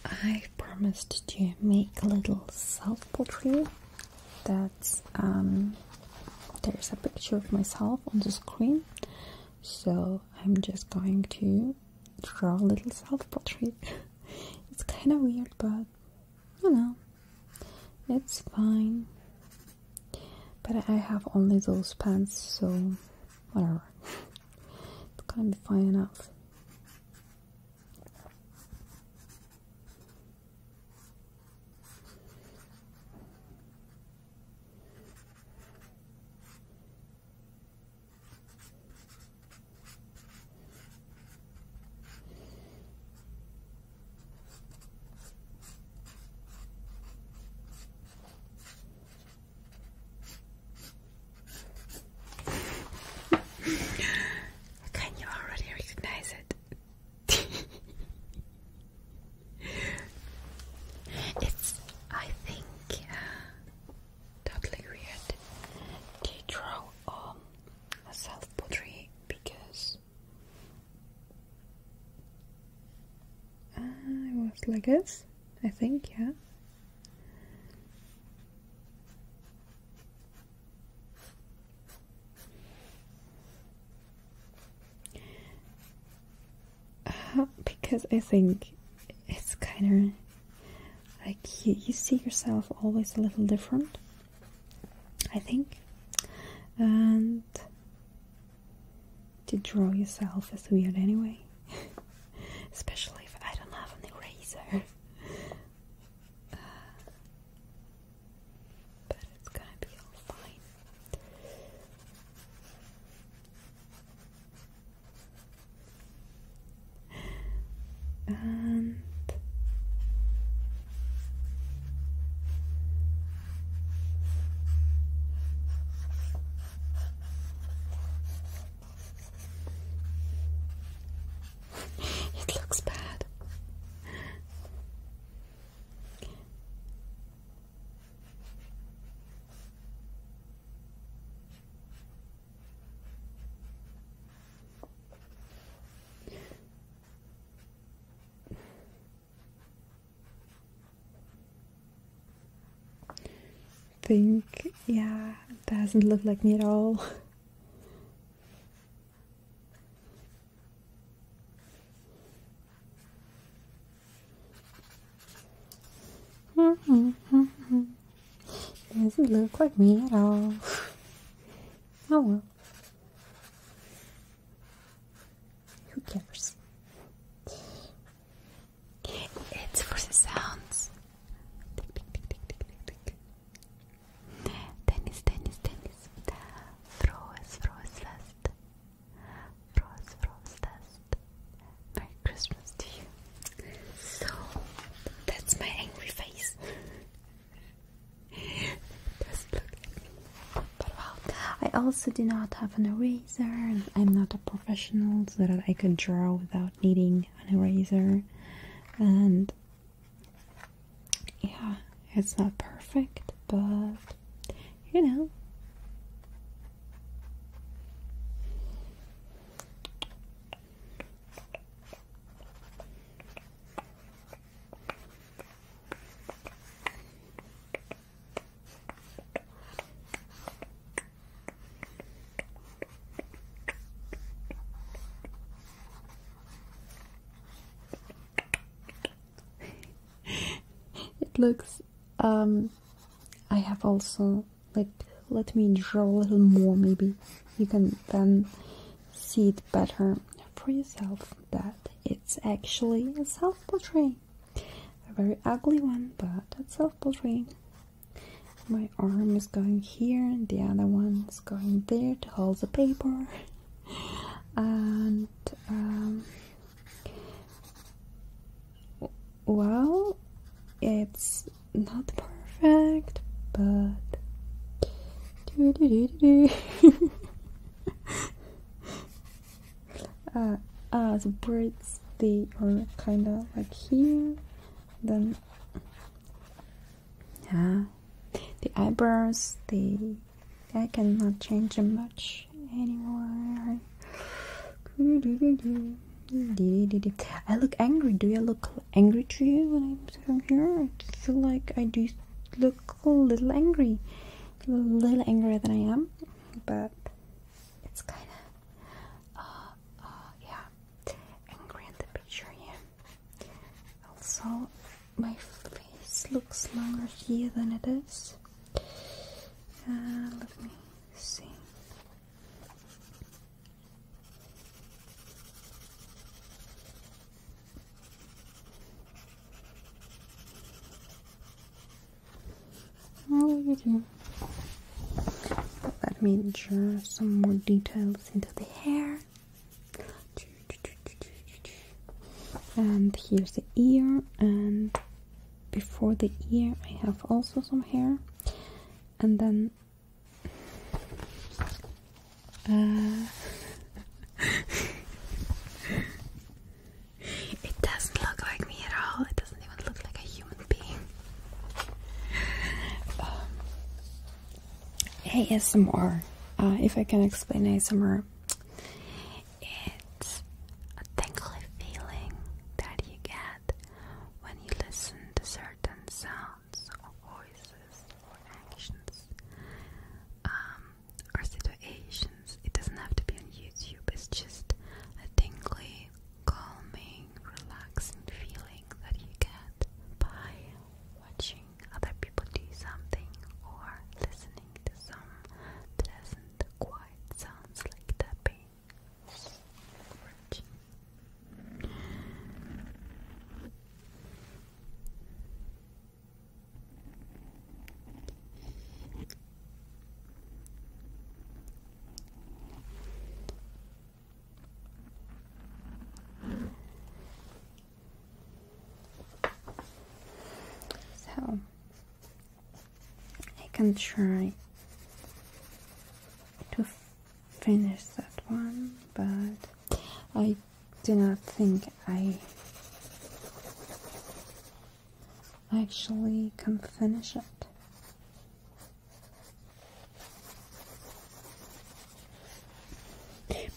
I promised to make a little self-portrait that's um there's a picture of myself on the screen so I'm just going to draw a little self-portrait. it's kind of weird but you know, it's fine. But I have only those pants, so whatever. it's gonna be fine enough. Can you already recognize it? it's, I think, uh, totally weird to draw um, a self portrait because uh, I was like this, I think, yeah. Uh, because I think it's kind of like you see yourself always a little different I think, and to draw yourself is weird anyway, especially if I don't have an eraser. but it's gonna be all fine. And it looks bad think, yeah, doesn't look like me at all. Hmm hmm doesn't look like me at all. Oh who cares? It's for the sounds. Tick, tick, tick, tick, tick, tick, tick. Tennis, tennis, Merry Christmas to you. So, that's my angry face. I also do not have an eraser, I'm not a professional, so that I could draw without needing an eraser. And yeah, it's not perfect, but you know. it looks um, I have also like let me draw a little more maybe you can then see it better for yourself that it's actually a self-portrait. A very ugly one, but a self-portrait. My arm is going here and the other one is going there to hold the paper. and um, well, it's not perfect, but uh, uh, the braids they are kind of like here then yeah the eyebrows they I cannot change them much anymore I look angry do I look angry to you when I'm sitting here I feel like I do look a little angry a little angrier than I am, but it's kind of, uh, uh, yeah, angry in the picture here. Also, my face looks longer here than it is. Uh, let me see. Oh, let me draw some more details into the hair. And here's the ear, and before the ear, I have also some hair, and then uh, It doesn't look like me at all. It doesn't even look like a human being. Um, ASMR. Uh, if I can explain ASMR, it's a tingly feeling that you get when you listen to certain sounds or voices or actions. Um, or situations. It doesn't have to be on YouTube, it's just a tingly, calming, relaxing feeling that you get by watching other people do something or listening to some pleasant, quiet sounds like tapping. So I can try to finish that one, but I do not think I actually come finish it.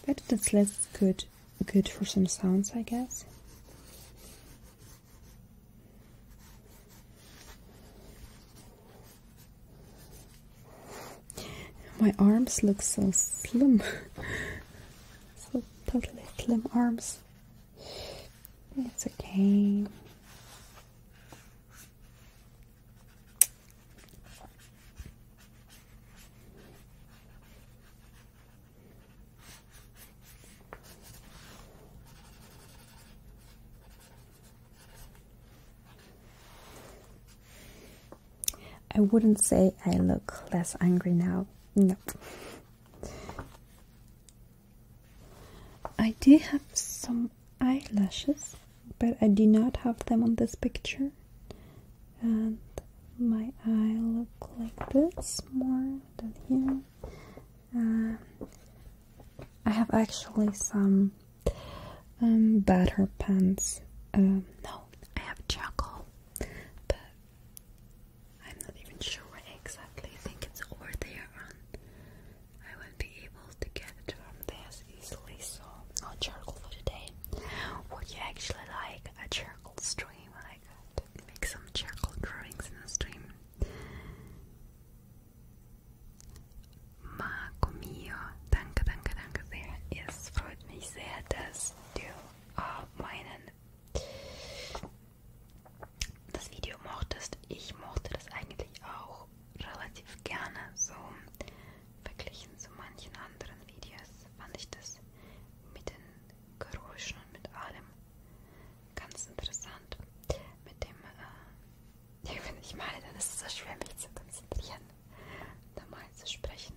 But that's less good good for some sounds I guess. My arms look so slim. so totally slim arms. It's okay. I wouldn't say I look less angry now. No, I do have some eyelashes, but I do not have them on this picture. And my eye look like this more than here. I have actually some um, better pants. Um, no, I have charcoal, I'm not even sure where exactly. I think it's over there on I won't be able to get it from there easily, so no charcoal for today. Would you actually like a charcoal stream? I could make some charcoal drawings in a stream. Marco mio, danke, danke, danke sehr. Es freut mich sehr, dass du uh, meinen das Video mochtest. Ich mochte das eigentlich auch relativ gerne. So verglichen zu manchen anderen Videos fand ich das mit den Geräuschen und mit allem ganz interessant. Mit dem, äh, wenn ich meine, dann ist es so schwer, mich zu konzentrieren, normal zu sprechen.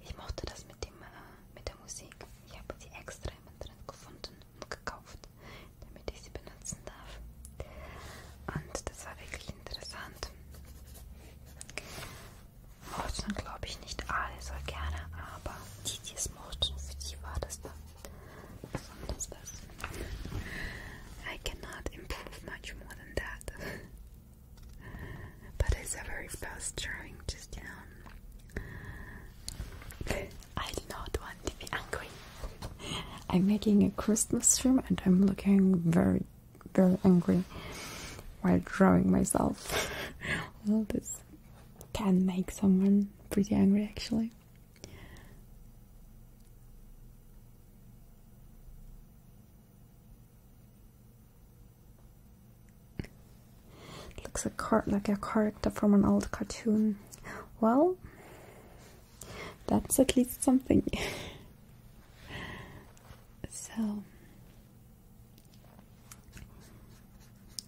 Ich mochte das mit, dem, äh, mit der Musik. Ich habe sie extra im Internet gefunden und gekauft, damit ich sie benutzen darf. Und das war wirklich interessant. Mochten glaube ich nicht alle so gerne, aber die, die es mochten, für die war das da besonders was. I cannot improve much more than that. But it's a very fast drawing just down. I do not want to be angry. I'm making a Christmas tree, and I'm looking very, very angry while drawing myself. well, this can make someone pretty angry actually. Looks like, a character from an old cartoon. Well, that's at least something. so,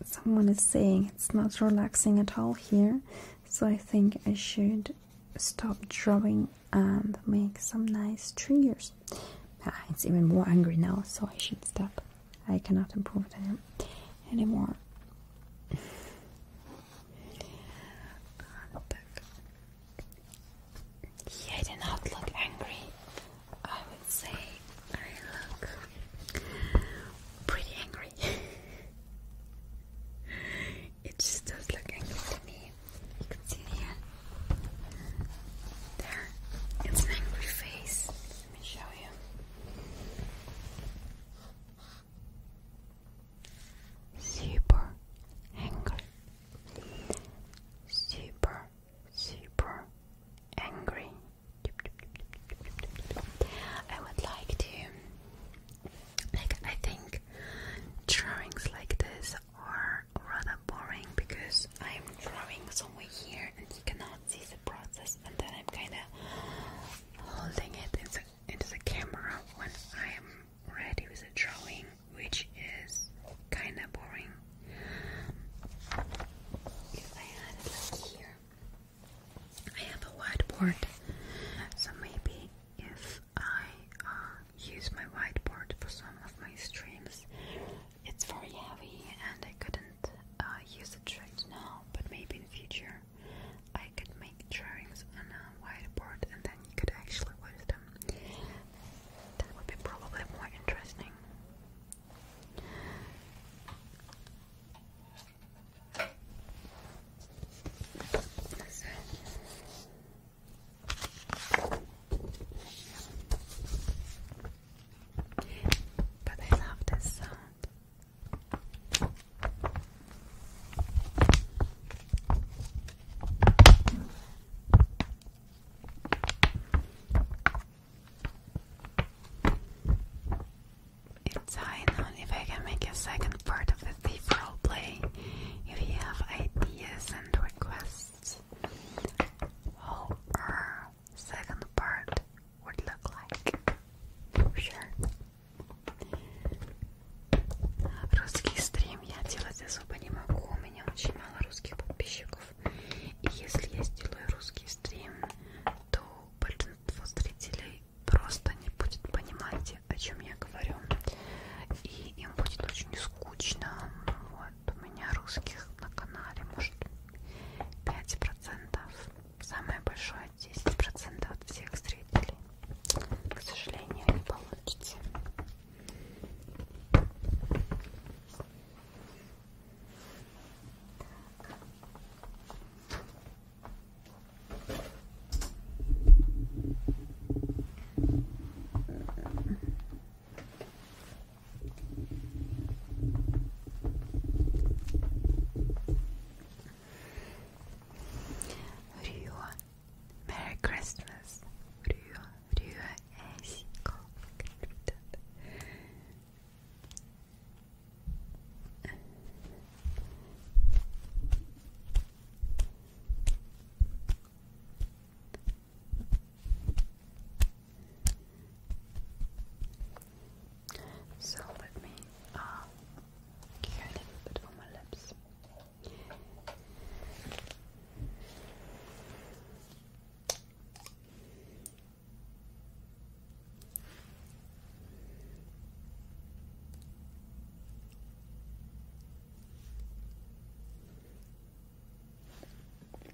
someone is saying it's not relaxing at all here, so I think I should stop drawing and make some nice triggers. Ah, it's even more angry now, so I should stop. I cannot improve them anymore. He did not look angry. I would say I look pretty angry. it just does look angry to me. You can see it uh, There. It's an angry face. Let me show you. Super angry. Super, super angry. I would like to, like, I think drawings like this are rather boring because I'm drawing somewhere here and you cannot see the process and then I'm kind of holding it into, the camera when I'm ready with the drawing which is kind of boring. If I had it like here, I have a whiteboard so maybe if I uh, use my whiteboard for some of my streams it's very heavy and I couldn't uh, use it right now, but maybe in the future I could make drawings on a whiteboard and then you could actually use them. That would be probably more interesting. But I love this sound. It's high If I can make a second part of the thief roleplay, if you have ideas and requests, or second part would look like. For sure. Русский стрим я делать особо не могу, у меня очень мало русских подписчиков. И если я сделаю русский стрим, то большинство зрителей просто не будет понимать, о чем я говорю. И им будет очень скучно. Вот у меня русских на канале, может, 5%. Самое большое 10% от всех зрителей. К сожалению, не получится. Rüya Merry Christmas Rüya Rüya eş so let me uh, get a little bit on my lips.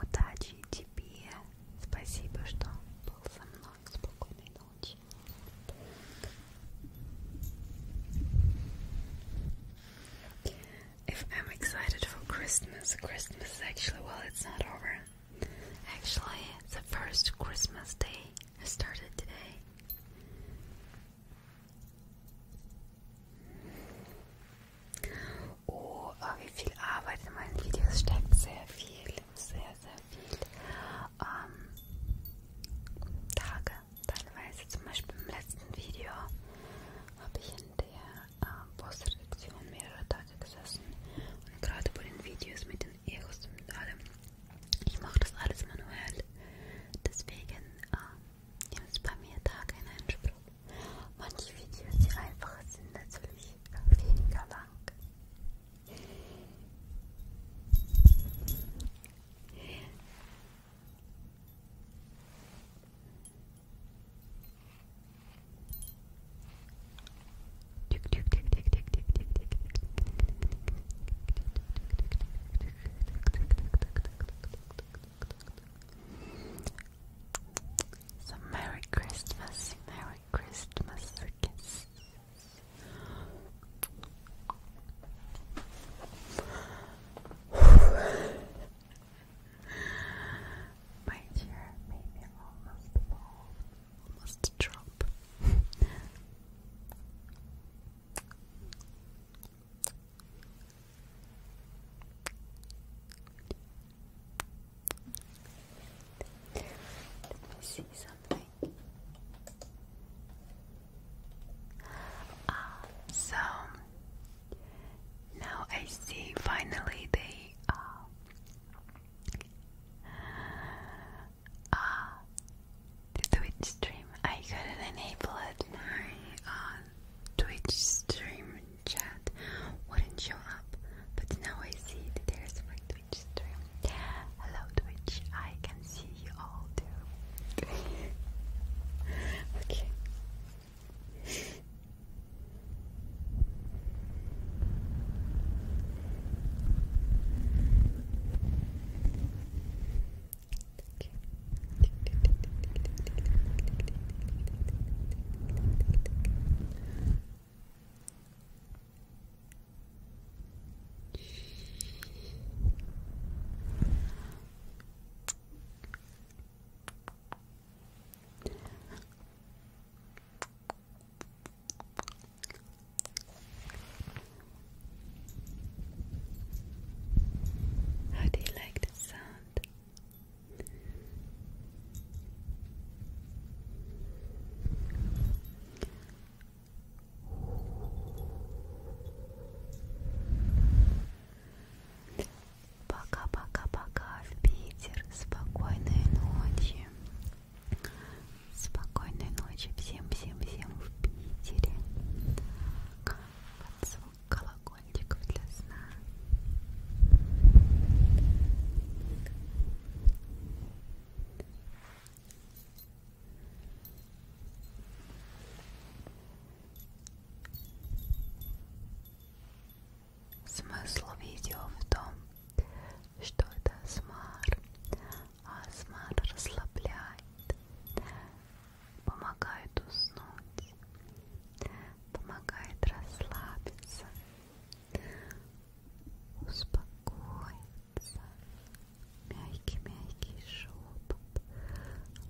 Удачи I'm excited for Christmas, Christmas actually, well, it's not over. Actually, the first Christmas day started today. Oh, wie viel Arbeit in meinen Videos steckt. Sehr viel, sehr, sehr viel. Ähm, Tage. Teilweise zum Beispiel im letzten Video habe ich in der äh, Postredaktion mehrere Tage gesessen. Und gerade bei den Videos mit den Egos und allem. Ich mache das alles manuell. Deswegen ähm, Ihr ist bei mir da kein Einspruch. Manche Videos, die einfacher sind, natürlich weniger lang. So Merry Christmas, Merry Christmas kiss. My chair made me almost almost drop. Let me see something. Uh, so now I see finally they are uh, uh the Twitch stream. I couldn't enable it my uh, Twitch stream chat wouldn't show up, but now I see that there's a Twitch stream. Hello, Twitch, I can see you all too. Okay. How do you like the sound? Пока-пока-пока в Питер. Спокойной ночи. Спокойной ночи всем-всем-всем в Питере. Под колокольчиков для сна. Смысл видео в том, что это асмар, асмар расслабляет, помогает уснуть, помогает расслабиться, успокоиться. Мягкий-мягкий шепот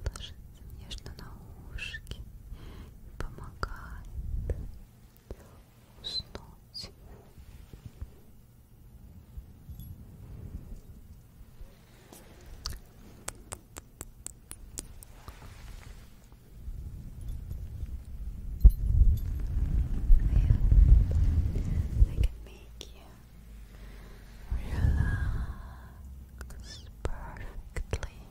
ложится нежно на ушки и помогает уснуть. I can make you relax perfectly. Relax.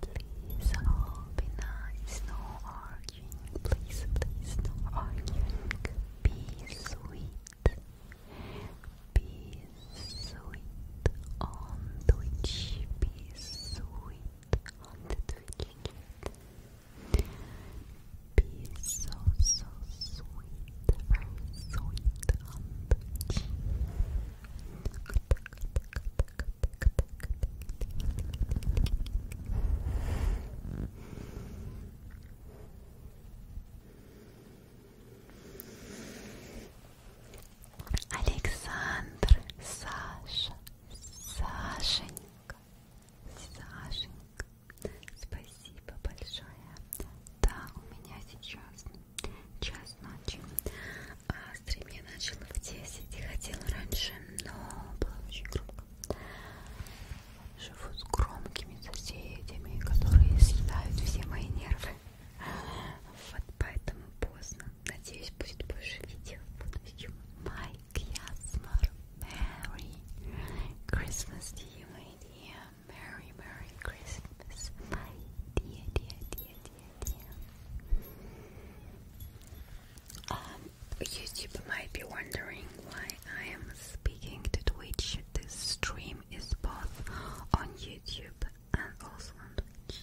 Please all be nice, no arguing. Please, please, no arguing. Be sweet. Be sweet on Twitch. Be sweet on Twitch. Be so, so sweet. Very sweet on Twitch. Александр, Саша, Сашенька, Сашенька, спасибо большое. Да, у меня сейчас час ночи. А стрим я начала в 10 и хотела раньше, но было очень громко. Живу с громкими соседями, которые съедают все мои нервы. Вот поэтому поздно. Надеюсь, будет больше видео в будущем. Майк Ясмар, Merry Christmas to you, my dear. Merry, Merry Christmas, my dear, dear, dear, dear, dear. YouTube might be wondering why I am speaking to Twitch. This stream is both on YouTube and also on Twitch.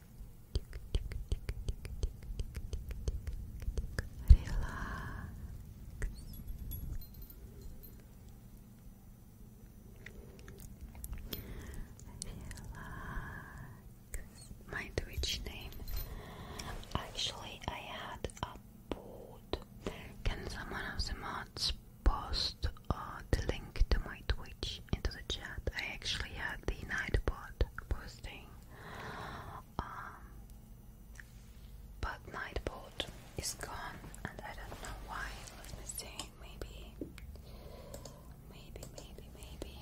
Relax. Relax. My Twitch name. Actually, I had a board. Can someone of the mods post uh, the link to my Twitch into the chat? I actually had the Nightbot posting um, but Nightbot is gone, and I don't know why. Let me see. Maybe, maybe, maybe, maybe.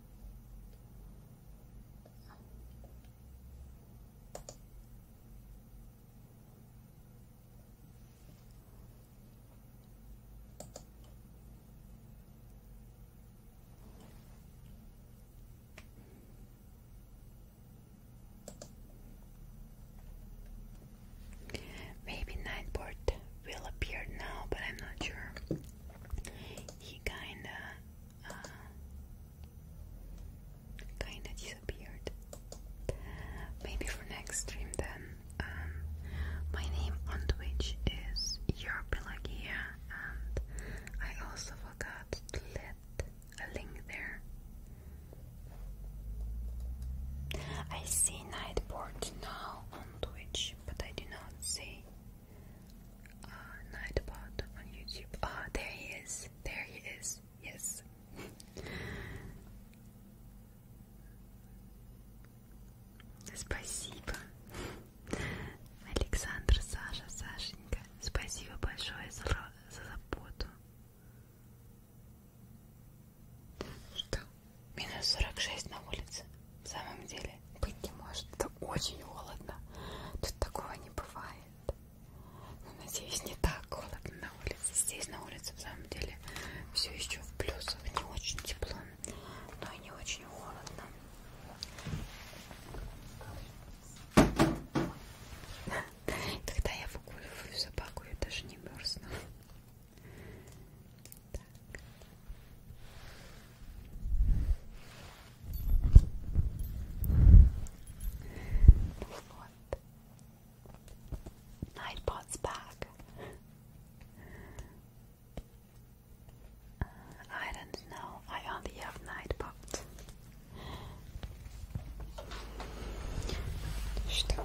Maybe Nightbird will appear now, but I'm not sure he kinda uh, kinda disappeared. Maybe for next stream then. Um, my name on Twitch is Your and I also forgot to let a link there. I see Nightport now on Twitch, but I do not see uh, Nightbot on YouTube. Ah, oh, there he is. There he is. Yes. Спасибо. Александр, Саша, Сашенька, спасибо большое за, за заботу. Что? Минус 46 на улице. В самом деле, быть не может. Это очень холодно. Тут такого не бывает. Но, ну, надеюсь, не так холодно на улице. Здесь на улице, в самом деле, все еще в плюсах. Не очень тепло, но и не очень холодно. Когда я выгуливаю собаку, я даже не мерзну. back. Nightbot's uh, back. I don't know. I only have Nightbot. Что?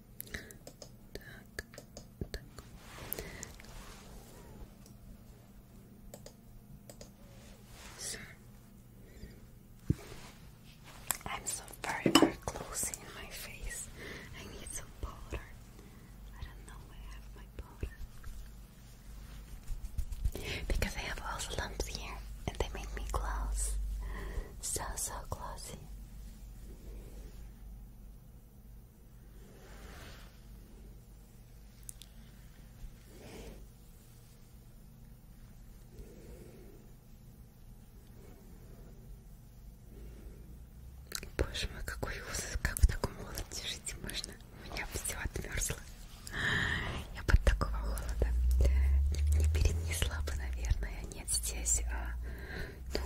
I'm so very, very close in my face. I need some powder. I don't know where I have my powder. Because I have also lumps here and they make me close. So, so glossy. Боже мой, какой ужас, как в таком холоде жить можно? У меня все отмерзло. Я под такого холода не перенесла бы, наверное. Нет, здесь, а, ну,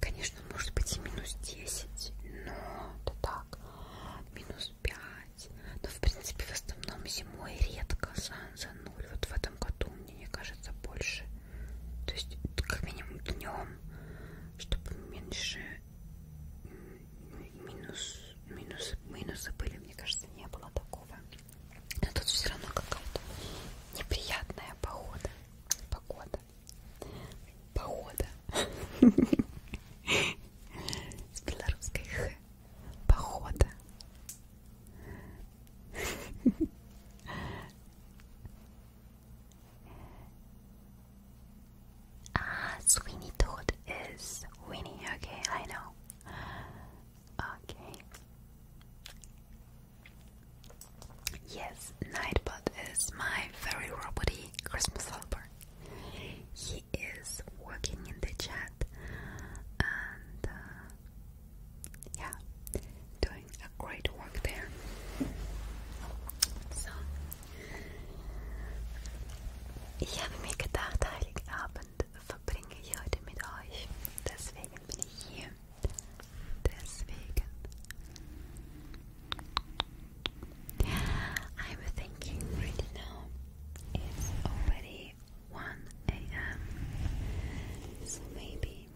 Конечно, может быть и минус 10, но это так, минус 5. Но, в принципе, в основном зимой редко за, за 0. Вот в этом году, мне, мне кажется, больше. То есть, как минимум днем, чтобы меньше минус, минусы, минусы были, мне кажется, не было такого. Но тут все равно какая-то неприятная погода. Погода. Погода. С белорусской Х. Похода. Ah, Sweeney Todd is Winnie. Okay, I know. Okay. Yes, Nightbot is my very roboty Christmas helper. He is working in the chat and uh, yeah, doing a great work there. So, ich habe mir gedacht, Heiligabend verbringe ich heute mit euch. Deswegen bin ich hier. Deswegen I'm thinking right now it's already 1 a.m. So maybe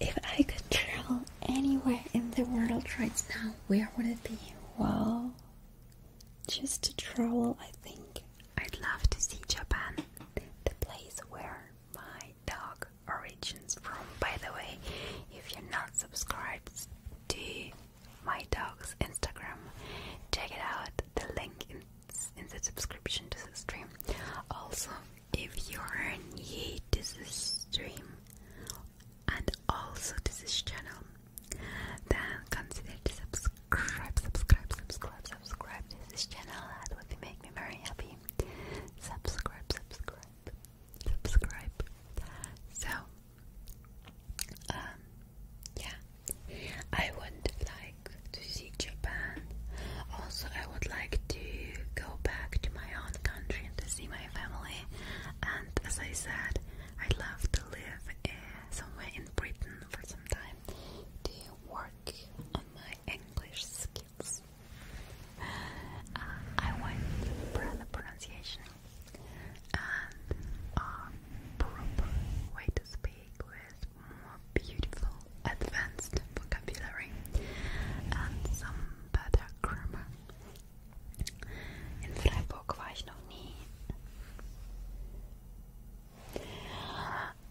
if I could travel anywhere in the world right now, where would it be? Well, just to travel, I think I'd love to see Japan, the place where my dog origins from. By the way, if you're not subscribed to my dog's Instagram, check it out. The link in, in the subscription to the stream. Also, if you're new to this stream and also to this channel, then consider to subscribe, subscribe, subscribe, subscribe to this channel. That would make me very happy. Subscribe, subscribe, subscribe. So, um, yeah, I would like to see Japan. Also, I would like to go back to my own country and to see my family. And as I said, I love to live eh, somewhere in Britain for some time to work on my English skills. Uh, I went for pronunciation a proper way to speak with more beautiful advanced vocabulary and some better grammar. In Freiburg war ich noch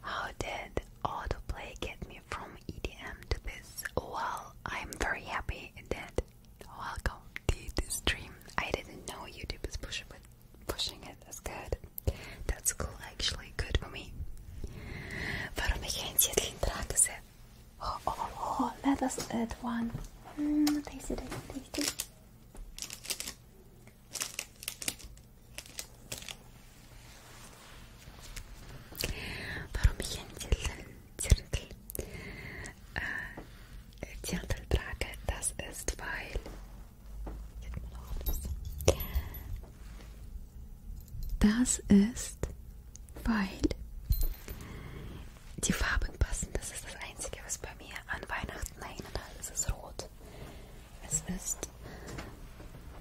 How did autoplay get me from EDM to this. Well, I'm very happy that welcome to the stream. I didn't know YouTube is pushing it. Pushing it. That's good. That's cool. Actually, good for me. Warum ich ein Zettel trage? Oh, oh, oh! Let us add one. Mm, tasty, tasty, tasty. Warum ich einen Zirkel, äh, eh, Zirkel trage, das ist, weil das ist, weil die Farben passen. Das ist das Einzige, was bei mir an Weihnachten hängt. Es ist rot. Es ist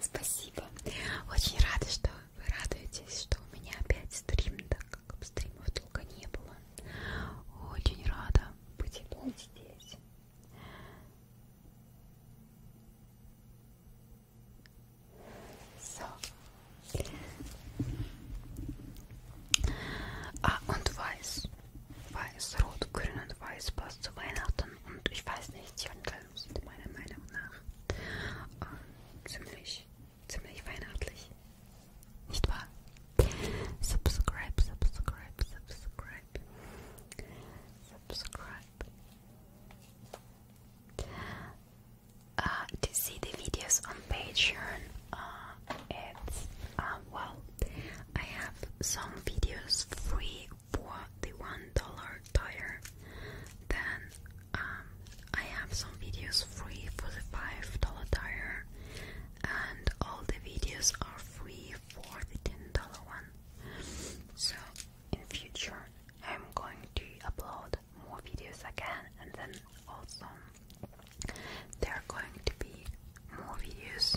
Спасибо. Очень рада, что вы радуетесь, что у меня опять стрим, так как стримов долго не было. Очень рада быть опять здесь. So. Ah, und weiß. Weiß, rot, grün und weiß passt zu Weihnachten und ich weiß nicht, Jondeln sind meiner Meinung nach äh, ziemlich, ziemlich weihnachtlich. Nicht wahr? Subscribe, subscribe, subscribe. Subscribe. Uh, ah, to see the videos on Patreon, uh, it's, uh, well, I have some videos free the one dollar tire, then um, I have some videos free for the five dollar tire, and all the videos are free for the ten dollar one. So in future, I'm going to upload more videos again, and then also there are going to be more videos.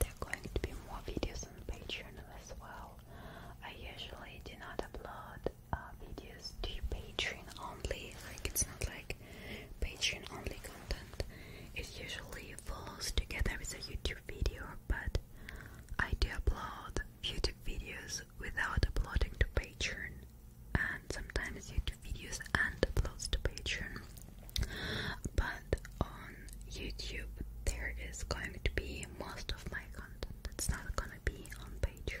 There are going to be more videos on Patreon as well. I usually do not upload uh, videos to Patreon only, like it's not like Patreon only content. It usually falls together with a YouTube video, but I do upload YouTube videos without uploading to Patreon and sometimes YouTube videos and uploads to Patreon. But on YouTube, there is going to be most of my content that's not gonna be on Patreon.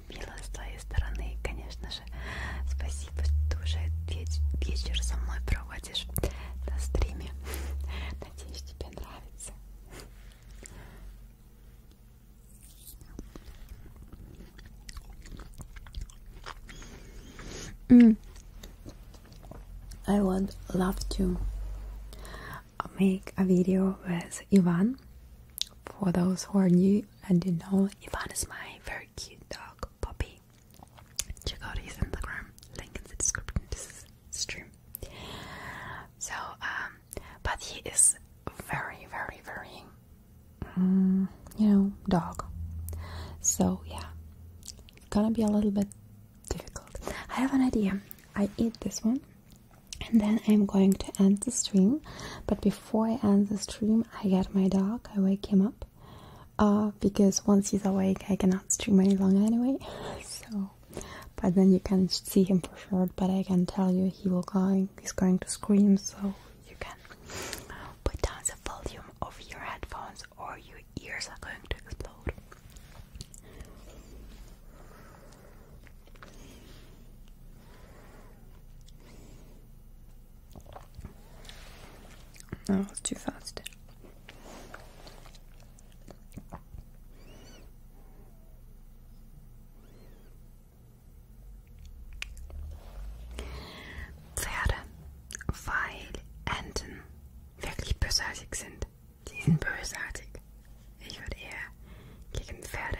очень мило с твоей стороны, конечно же. Спасибо, что уже вечер со мной проводишь на стриме. Надеюсь, тебе нравится. Mm. I would love to make a video with Ivan for those who are new and you know Ivan is my very cute dog puppy. Check out his Instagram, link in the description This is stream. So um but he is very very very mm, you know dog. So yeah. It's gonna be a little bit difficult. I have an idea. I eat this one and then I'm going to end the stream but before before I end the stream, I get my dog, I wake him up. Uh, because once he's awake, I cannot stream any longer anyway. So, but then you can see him for sure. But I can tell you, he will going, he's going to scream. So you can put down the volume of your headphones, or your ears are going to explode. Ja, was du fast. Pferde, weil Enten wirklich bösartig sind. Die sind bösartig. Ich würde eher gegen Pferde,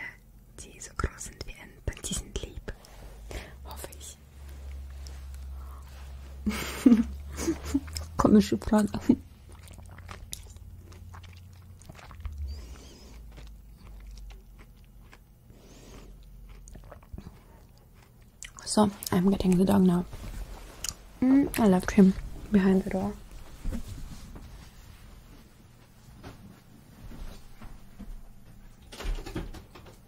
die so groß sind wie Enten, die sind lieb. Hoffe ich. Komische Frage. So, I'm getting the dog now. Mm, I left him behind the door.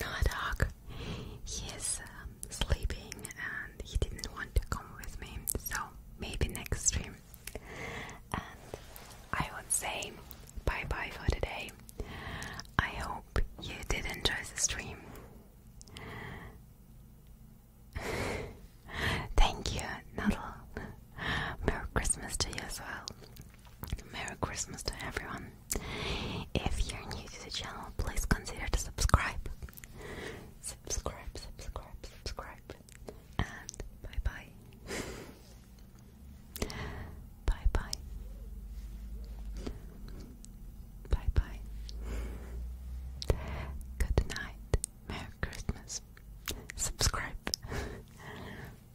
No dog. He is um, sleeping and he didn't want to come with me, so maybe next stream. And I would say bye bye for today. I hope you did enjoy the stream. Thank you, Nuddle. Merry Christmas to you as well. Merry Christmas to everyone. If you're new to the channel, please consider to subscribe. Subscribe, subscribe, subscribe. And bye bye. bye bye. Bye bye. Good night. Merry Christmas. Subscribe.